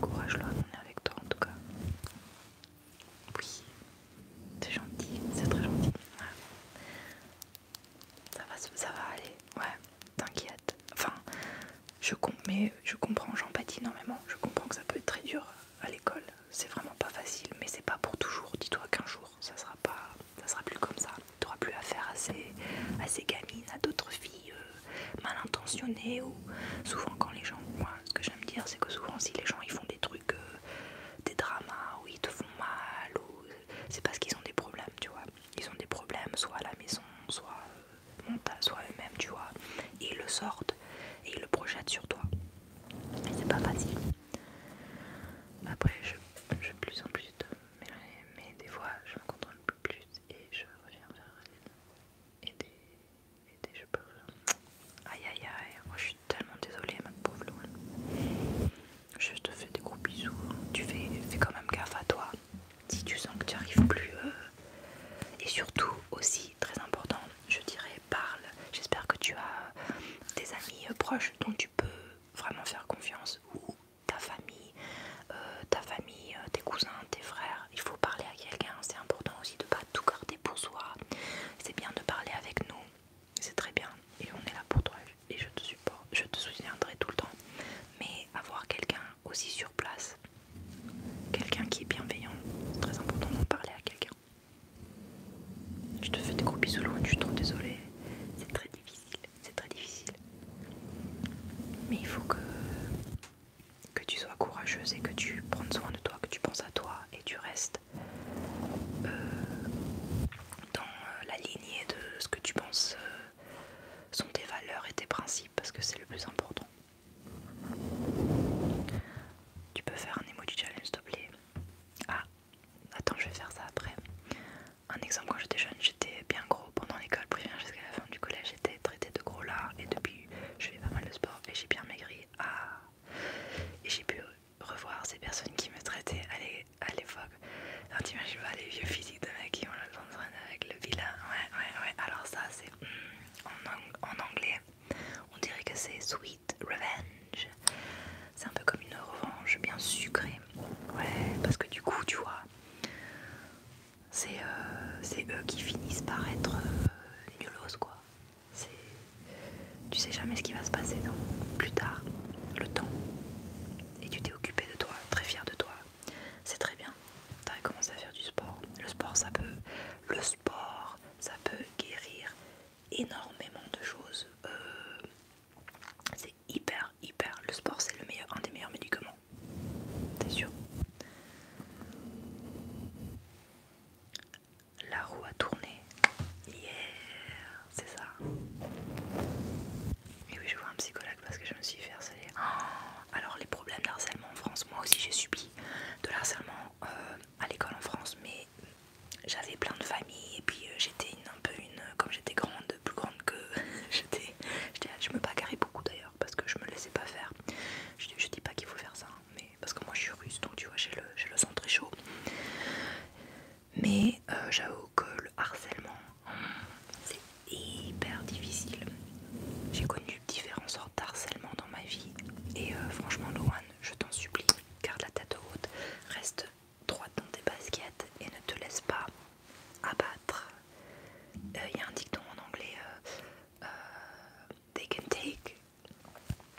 courage là on est avec toi en tout cas. Oui, c'est gentil, c'est très gentil. Ça, va, ça va aller, ouais, t'inquiète. Enfin, je, mais je comprends, j'empathie énormément. Je comprends que ça peut être très dur à l'école. C'est vraiment pas facile, mais c'est pas pour toujours. Dis-toi qu'un jour, ça sera pas, ça sera plus comme ça. T'auras plus affaire à ces, à ces gamines, à d'autres filles euh, mal intentionnées ou souvent quand les gens. Moi, ce que j'aime dire, c'est que souvent si les gens ils font des trucs euh, euh, des dramas où ils te font mal, ou euh, c'est parce qu'ils ont des problèmes, tu vois. Ils ont des problèmes soit à la maison, soit, euh, soit eux-mêmes, tu vois. Et ils le sortent et ils le projettent sur toi. Et c'est pas facile. Après, je, je plus en plus de mêler, mais des fois je me contrôle plus et je reviens vers elle. Et, je peux. Aïe aïe aïe, tellement désolée, ma pauvre Loul. Je te fais des gros bisous. Hein. Tu fais, fais quand même gaffe à toi. Si tu sens que tu arrives plus. Euh, et surtout, aussi très important, je dirais, parle. J'espère que tu as des amis euh, proches dont tu peux vraiment faire confiance. Ou ta famille, euh, ta famille, tes cousins, tes frères. Il faut parler à quelqu'un. C'est important aussi de ne pas tout garder pour soi. C'est bien de parler avec nous c'est très bien et on est là pour toi et je te supporte, je te soutiendrai tout le temps. Mais avoir quelqu'un aussi sur place, quelqu'un qui est bienveillant, c'est très important d'en parler à quelqu'un. Je te fais des gros bisous, je suis trop désolée, c'est très difficile, c'est très difficile. Mais il faut que, que tu sois courageuse et que tu prennes soin de toi, que tu penses à toi et tu restes euh, dans euh, la lignée de ce que tu penses euh, sont tes valeurs et tes principes parce que c'est le plus important. Tu peux faire un emoji challenge s'il te plaît. Ah, attends, je vais faire ça après. Un exemple, quand j'étais jeune, j'étais bien gros pendant l'école primaire jusqu'à la fin du collège, j'étais traité de gros lard et depuis je fais pas mal de sport et j'ai bien maigri. Ah, et j'ai pu revoir ces personnes qui me traitaient à l'époque. Alors imagines pas les vieux physiques de mec qui ont le temps de avec le vilain. Ouais, ouais, ouais. Alors ça, c'est hmm, en, anglais. On dirait que c'est sweet revenge. C'est un peu comme une revanche bien sucrée. Ouais, parce que du coup, tu vois, c'est euh, eux qui finissent par être euh, nulose quoi quoi. Tu sais jamais ce qui va se passer non plus tard, le temps. Et tu t'es occupé de toi, très fier de toi. C'est très bien. Tu as commencé à faire du sport. Le sport, ça peut, le sport, ça peut guérir énormément de choses. Euh, c'est hyper, hyper. Le sport, c'est le meilleur, un des meilleurs médicaments. T'es sûr La roue a tourné Hier, Yeah, c'est ça. Et oui, je vois un psychologue parce que je me suis fait harceler. Oh, alors, les problèmes de harcèlement en France, moi aussi j'ai subi de l'harcèlement euh, à l'école en France, mais j'avais plein de familles et puis euh, j'étais un peu une. Comme j'étais grande, plus grande que. (laughs) Je me bagarrais beaucoup d'ailleurs parce que je me laissais pas faire. Je, dis pas qu'il faut faire ça, hein, mais parce que moi je suis russe donc tu vois, j'ai le, le sang très chaud mais euh, j'avoue que le harcèlement c'est hyper difficile. J'ai connu différentes sortes harcèlement dans ma vie et euh, franchement Loan, je t'en supplie, garde la tête haute, reste droite dans tes baskets et ne te laisse pas abattre. Il euh, y a un dicton en anglais, take and take,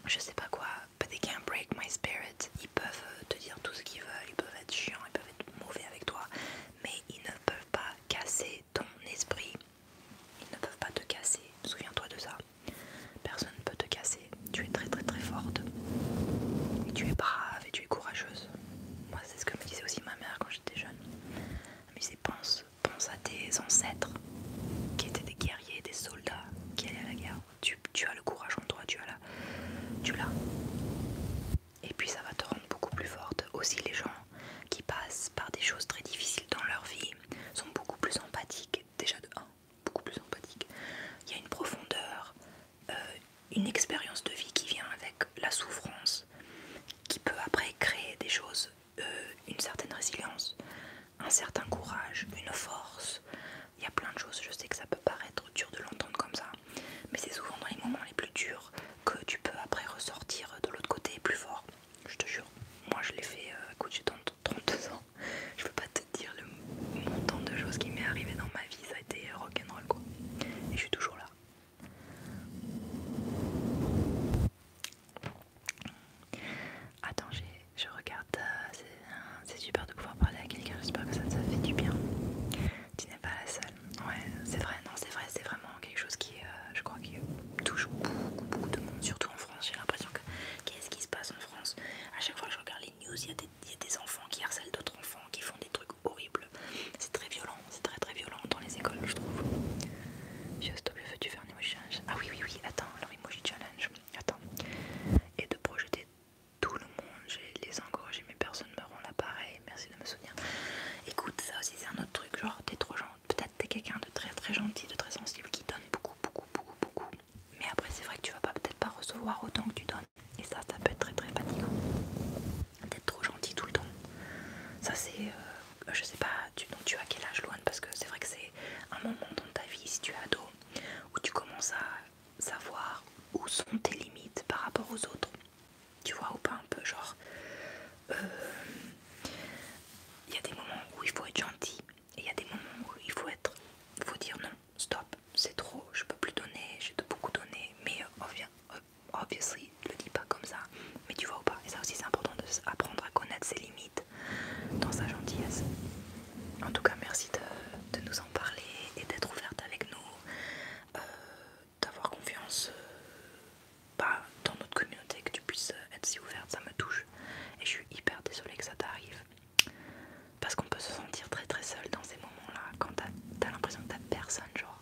je sais pas quoi, they break my spirit. Ils peuvent euh, te dire tout ce qu'ils veulent, ils peuvent être chiants, ils peuvent être mauvais avec toi, mais ils ne peuvent pas casser ton esprit. Ils ne peuvent pas te casser. Souviens-toi de ça. Personne ne peut te casser. Tu es très très très forte. tu es brave et tu es courageuse. Moi, c'est ce que me disait aussi ma mère quand j'étais jeune. Elle me disait pense, à tes ancêtres qui étaient des guerriers, des soldats qui allaient à la guerre tu, as le courage en toi, tu as la, tu l'as. Et puis ça va te rendre beaucoup plus forte. Aussi les gens qui passent par des choses très difficiles dans leur vie sont beaucoup plus empathiques. Déjà de 1, beaucoup plus empathiques. Il y a une profondeur, euh, une expérience de vie qui vient avec la souffrance, qui peut après créer des choses, euh, une certaine résilience, un certain courage, une force. Il y a plein de choses, je sais que ça peut paraître dur de l'entendre comme ça, mais c'est souvent dans les moments les plus durs que tu peux après ressortir de l'autre côté plus fort. Je te jure, moi je l'ai fait, à euh, écoute, j'ai 32 ans, (laughs) je peux pas te dire le montant de choses qui m'est arrivé dans ma vie, ça a été rock'n'roll quoi. Et je suis toujours là. Attends, je regarde, euh, c'est super de pouvoir parler à quelqu'un, j'espère que ça te fait du bien. Tu n'es pas la seule. Ouais, c'est vrai, non, c'est vrai, c'est vraiment quelque chose qui, euh, je crois, qui touche beaucoup, beaucoup de monde, surtout en France. J'ai l'impression que qu'est-ce qui se passe en France À chaque fois que je regarde les news, il y, a des enfants qui harcèlent d'autres enfants, qui font des trucs horribles. C'est très violent, c'est très très violent dans les écoles, je trouve. Je stop, veux-tu faire un emoji challenge Ah oui, oui, oui, attends, alors emoji challenge, attends. Et de projeter tout le monde, j'ai les encouragés, mais personne me rend l'appareil, merci de me souvenir Écoute, ça aussi c'est un autre truc, genre t'es trop gentil, peut-être t'es quelqu'un de très très gentil, de très sensible, qui donne beaucoup, beaucoup, beaucoup, beaucoup. Mais après c'est vrai que tu vas pas peut-être pas recevoir autant que tu donnes. Et ça, ça peut être très très fatigant. D'être trop gentil tout le temps. Ça c'est... Euh, je sais pas, tu, donc tu as quel âge loin Parce que c'est vrai que c'est un moment dans ta vie, si tu es ado, où tu commences à savoir où sont tes limites par rapport aux autres. Tu vois ou pas un peu genre... Il euh, y a des moments où il faut être gentil et il y a des moments où il faut être... Il faut dire non, stop, c'est trop, je peux plus donner, j'ai beaucoup donné, mais euh, euh, obviously, ne le dis pas comme ça. Mais tu vois ou pas, et ça aussi c'est important de apprendre à connaître ses limites dans sa gentillesse. En tout cas, merci de, nous en parler et d'être ouverte avec nous, euh, d'avoir confiance euh, bah, dans notre communauté, que tu puisses euh, être si ouverte, ça me touche. Et je suis hyper désolée que ça t'arrive. Parce qu'on peut se sentir très très seul dans ces moments-là, quand t'as l'impression que t'as personne, genre.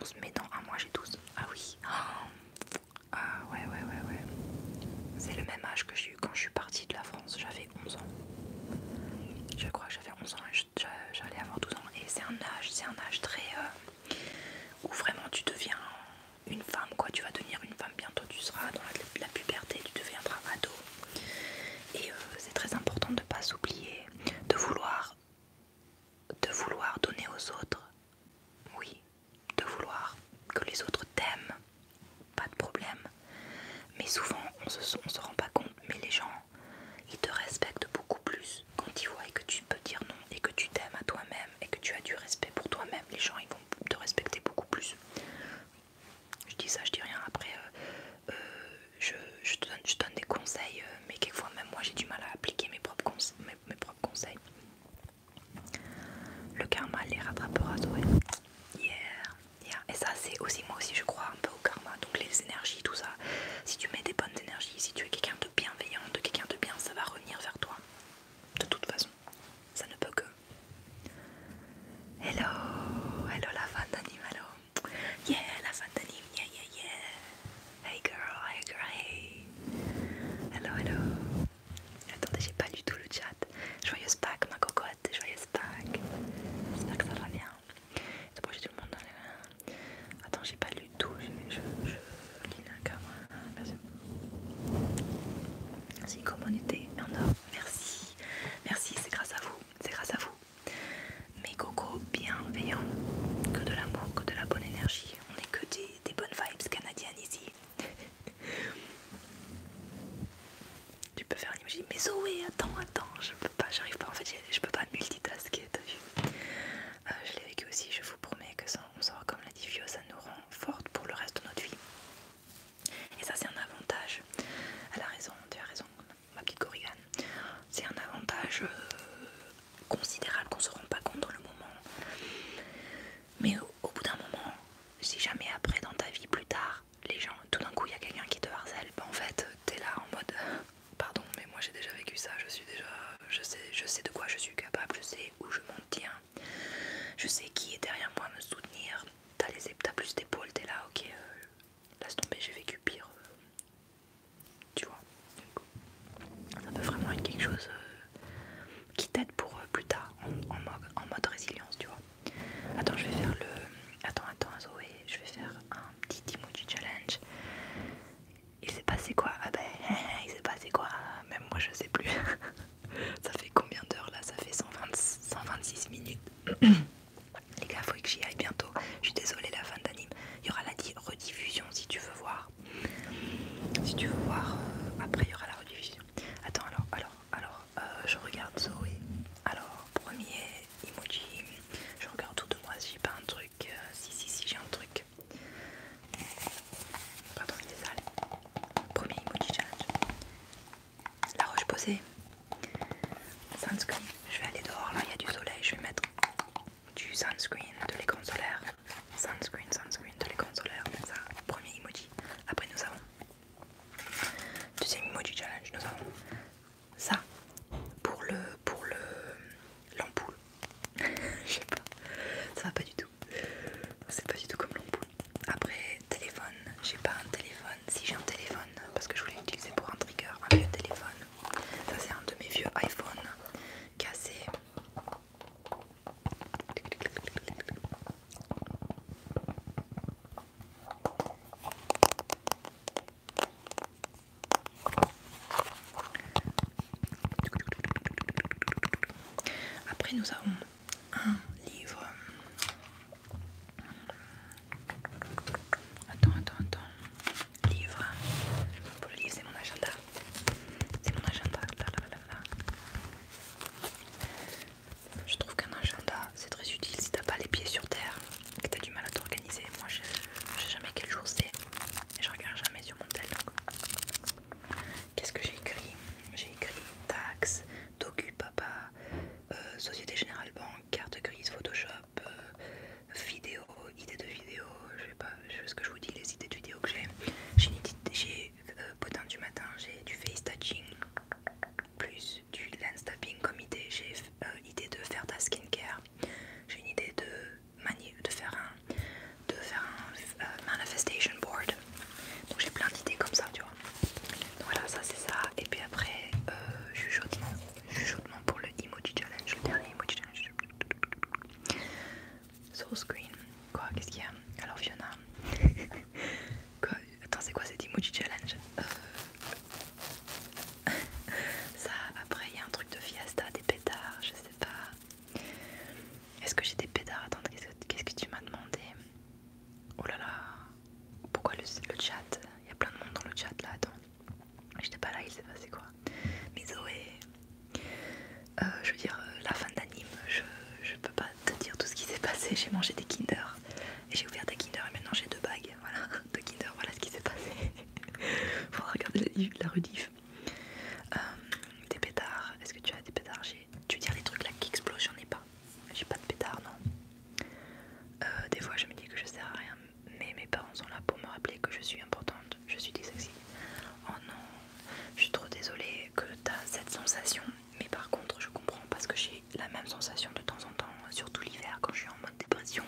On se met dans un mois, j'ai 12. Ah oui. Ah ouais, ouais, ouais, ouais. C'est le même âge que j'ai eu quand je suis partie de la France. 11 ans. Je crois que j'avais 11 ans et j'allais avoir 12 ans. Et c'est un âge, c'est un âge très... Euh, où vraiment tu deviens une femme, quoi. Tu vas devenir une femme bientôt, tu seras dans la, puberté, tu deviendras ado. Et euh, c'est très important de ne pas oublier de vouloir, de vouloir donner aux autres. Oui, de vouloir que les autres t'aiment, pas de problème. Mais souvent, on se, se rend pas compte, mais les gens, ils te respectent beaucoup plus quand ils voient que tu peux dire non et que tu t'aimes à toi-même et que tu as du respect pour toi-même. Les gens, ils vont te respecter beaucoup plus. Je dis ça, je dis rien. Après, euh, euh, je, donne, des conseils, euh, mais quelquefois, même moi, j'ai du mal à appliquer mes propres, conseils. Le karma les rattrapera, Zoé. Yeah. Et ça c'est aussi moi aussi je crois un peu au karma, donc les énergies, tout ça. Si tu mets des bonnes énergies, si tu es quelqu'un de bienveillant, de quelqu'un de bien, ça va revenir vers toi. De toute façon, ça ne peut que. Hello, hello la fan d'anime, hello. Yeah, la fan d'anime, yeah, yeah, yeah. Hey girl, hey girl, hey. Hello, hello. Attendez, j'ai pas du tout le chat. Joyeuse Pâques, ma cocotte, joyeuse Pâques. J'espère que ça va bien. C'est j'ai tout le monde dans les mains. Attends, j'ai pas lu tout. Je, je, lis Merci. C'est Merci comme en or. Merci. Merci, c'est grâce à vous. C'est grâce à vous. Mes cocos bienveillants. Que de l'amour, que de la bonne énergie. On est que des bonnes vibes canadiennes ici. (laughs) tu peux faire musique, mais Zoé attends attends je peux pas j'arrive pas en fait je peux pas multitasker t'as vu euh, je l'ai vécu aussi je vous promets que ça on sort comme la Divio, ça nous rend forte pour le reste de notre vie et ça c'est un avantage elle a raison tu as raison ma petite c'est un avantage euh, considérable qu'on se rend pas compte dans le moment mais au bout d'un moment si jamais après dans ta vie plus tard les gens, tout d'un coup il y a quelqu'un qui te harcèle, bah en fait t'es là en mode pardon mais moi j'ai déjà vécu ça, je suis déjà, je sais, je sais de quoi je suis capable, je sais où je m'en tiens, je sais qui est derrière moi me soutenir, t'as plus d'épaule, t'es là ok, euh, laisse tomber, j'ai vécu pire, euh, tu vois, ça peut vraiment être quelque chose euh, qui t'aide pour plus tard en mode résilience, tu vois. Attends, je vais faire le. Attends, attends, Zoé, je vais faire un petit emoji challenge. Il s'est passé quoi Ah ben, (laughs) il s'est passé quoi Même moi, je sais plus. (laughs) ça fait combien d'heures là Ça fait 126 minutes. (clears throat) Les gars, faut que j'y aille bientôt. Je suis désolée, la fin d'anime. Il y aura la rediffusion si tu veux voir. Si tu veux voir, euh, après il y aura la rediffusion. Attends, alors, alors, alors, euh, je regarde Zoé. Alors, premier emoji. Je regarde tout de moi si j'ai pas un truc. Euh, si, si, si, j'ai un truc. Pardon, il est sale. Premier emoji challenge. La roche posée. Sunscreen. Je vais aller dehors, là il y a du soleil. Je vais mettre du sunscreen de l'écran solaire. Sunscreen, sunscreen de l'écran solaire. Ça, premier emoji. Après, nous avons Deuxième du challenge, nous avons ça pour le pour le l'ampoule. (laughs) Je sais pas, ça va pas du tout. C'est pas du tout comme l'ampoule. Après téléphone, j'ai pas un téléphone. Si j'ai un téléphone, parce que je voulais l'utiliser pour un trigger, un vieux téléphone. Ça c'est un de mes vieux iPhone cassé. Après nous avons un livre. Attends, attends, attends. Livre. Pour le livre, c'est mon agenda. C'est mon agenda. là, là, là. Je trouve qu'un agenda c'est très utile si t'as pas les pieds sur terre, que t'as du mal à t'organiser. Moi je, sais jamais quel jour c'est et je regarde jamais sur mon téléphone. Qu'est-ce que j'ai écrit J'ai écrit taxes, docu papa, euh, Société Générale Banque, carte grise, Photoshop, euh, vidéo, idées de vidéo, je sais pas je sais ce que je vous dis, les idées de vidéos que j'ai. J'ai j'ai euh, potin du matin, j'ai du face touching, plus du lens tapping comme idée. J'ai une euh, idée de faire de la skincare. J'ai une idée de, de faire un, de faire euh, manifestation board. Donc j'ai plein d'idées comme ça, tu vois. Donc voilà, ça c'est ça. Et puis après, chuchotement, euh, pour le emoji challenge, le dernier emoji challenge. Soul screen. Quoi Qu'est-ce qu'il y a Alors Fiona. (laughs) Attends, c'est quoi cet emoji challenge euh, (laughs) Ça, après, il y a un truc de fiesta, des pétards, je sais pas. Est-ce que j'ai des pétards Attends, qu'est-ce que tu m'as demandé Oh là là Pourquoi le, chat Il y a plein de monde dans le chat là, attends. J'étais pas là, il s'est passé quoi Mais Zoé, euh, je veux dire, euh, la fin d'anime, je, je peux pas te dire tout ce qui s'est passé. J'ai mangé des Kinder et j'ai ouvert des Kinder et maintenant j'ai deux bagues. Voilà, (laughs) deux Kinder, voilà ce qui s'est passé. (laughs) Faudra regarder la, la euh, des pétards, est-ce que tu as des pétards Tu veux dire les trucs là qui explosent J'en ai pas. J'ai pas de pétards, non. Euh, des fois je me dis que je sers à rien, mais mes parents sont là pour me rappeler que je suis importante, je suis dyslexique. Oh non, je suis trop désolée que tu as cette sensation mais par contre je comprends parce que j'ai la même sensation de temps en temps, surtout l'hiver quand je suis en mode dépression.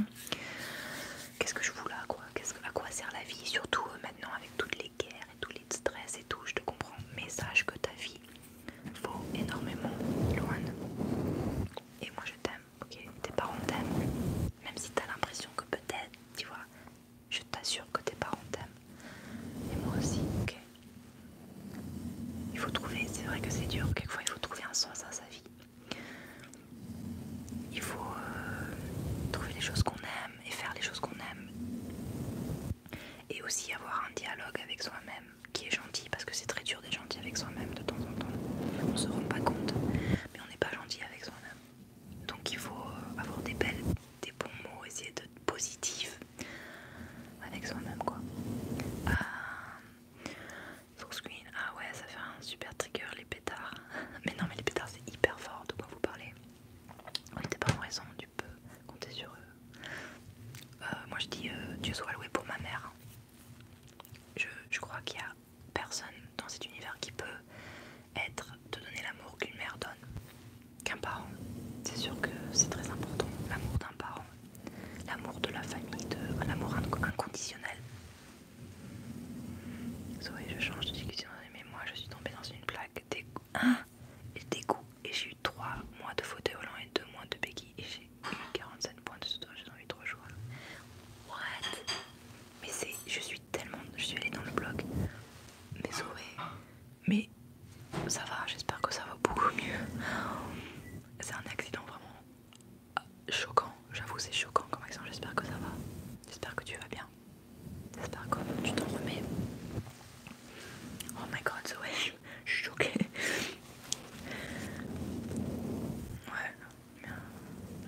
Qu'est-ce que je voulais, là quoi Qu'est-ce À quoi sert la vie Surtout euh, maintenant avec toutes les guerres et tous les stress et tout, je te comprends. Mais sache que ta vie vaut énormément, loin. Et moi je t'aime, ok Tes parents t'aiment, même si t'as l'impression que peut-être, tu vois, je t'assure que tes parents t'aiment. Et moi aussi, ok il faut trouver, c'est vrai que c'est dur, quelquefois il faut trouver un sens à sa vie. Il faut euh, trouver les choses qu'on aime et faire les choses qu'on aime. Et aussi avoir un dialogue avec soi-même qui est gentil parce que c'est très dur d'être gentil avec soi-même de temps en temps. On ne se rend pas compte, mais on n'est pas gentil avec soi-même. Donc il faut euh, avoir des belles, des bons mots, essayer d'être positif avec soi-même quoi. Euh, screen. Ah ouais, ça fait un super trigger les pétards. (laughs) Mais non, mais les pétards c'est hyper fort de quoi vous parlez. Oui, était pas en raison, tu peux compter sur eux. Euh, moi je dis euh, Dieu soit loué pour ma mère. Je, crois qu'il y a personne dans cet univers qui peut être te donner l'amour qu'une mère donne. Qu'un parent. C'est sûr que c'est très important, l'amour d'un parent l'amour de la famille, de l'amour inconditionnel. Zoé, je change de discussion, mais moi je suis tombée dans une plaque dégoût... Hein Et j'ai eu 3 mois de fauteuil volant et 2 mois de béquille. Et j'ai eu 47 points de soutien, j'ai eu 3 jours. What Mais c'est. Je suis tellement. Je suis allée dans le blog. Mais Zoé. Mais ça va, j'espère que ça va beaucoup mieux c'est un accident vraiment choquant. J'avoue, c'est choquant comme accident. J'espère que ça va. J'espère que tu vas bien. J'espère que tu t'en remets. Oh my god, so (laughs) je suis choquée. Ouais,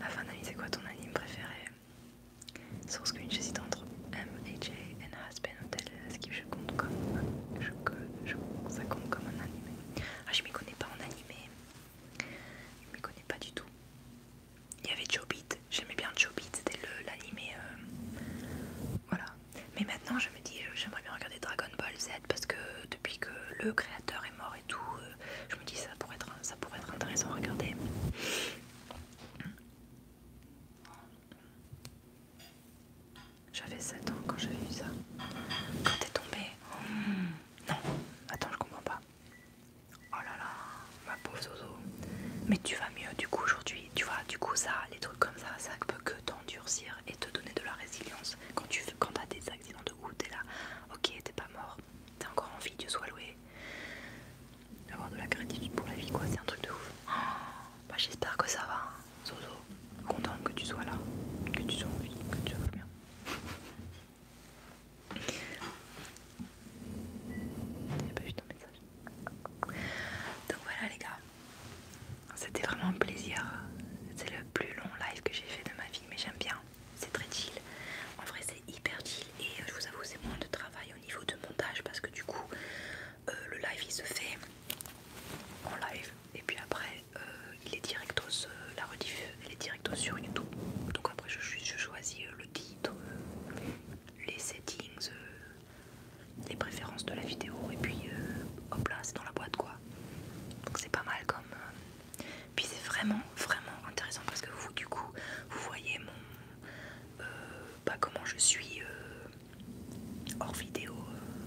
la fin d'année, c'est quoi ton anime préféré Source que j'hésite entre M, A, AJ and Husband ce que je compte comme. ça compte comme un animé. Ah, je m'y connais pas en animé. Je m'y connais pas du tout. Il y avait Bit, j'aimais bien Bit, c'était l'animé. Euh, voilà. Mais maintenant, je me dis, j'aimerais bien regarder Dragon Ball Z parce que depuis que le créateur est mort et tout, euh, je me dis, ça pourrait être, ça pourrait être intéressant à regarder. J'avais 7 ans quand j'ai vu ça. Quand t'es tombé hmm. Non, attends, je comprends pas. Oh là là, ma pauvre Zozo. Mais tu vas mieux du coup aujourd'hui. Tu vois, du coup, ça, les trucs comme ça, ça ne peut que t'endurcir et te donner de la résilience. Quand tu quand as des accidents de route, t'es là, ok, t'es pas mort, t'es encore envie que Dieu soit loué. Avoir de la gratitude pour la vie, quoi, c'est un truc de ouf. Oh, bah, j'espère que ça va. Hein. Zozo, contente que tu sois là, que tu sois en vie, que tu sois bien. (laughs) J'ai pas vu ton message. Donc voilà les gars, c'était vraiment un plaisir. C'est le plus long live que j'ai fait de ma vie, mais j'aime bien. C'est très chill. En vrai, c'est hyper chill et euh, je vous avoue, c'est moins de travail au niveau de montage parce que du coup, euh, le live il se fait en live et puis après euh, il est directos, euh, la rediff, elle est directos sur YouTube. Donc après je, choisis euh, le titre, les settings, les préférences de la vidéo et puis hop là c'est dans la boîte quoi. Donc c'est pas mal comme... Puis c'est vraiment vraiment intéressant parce que vous du coup vous voyez mon... Bah, comment je suis hors vidéo,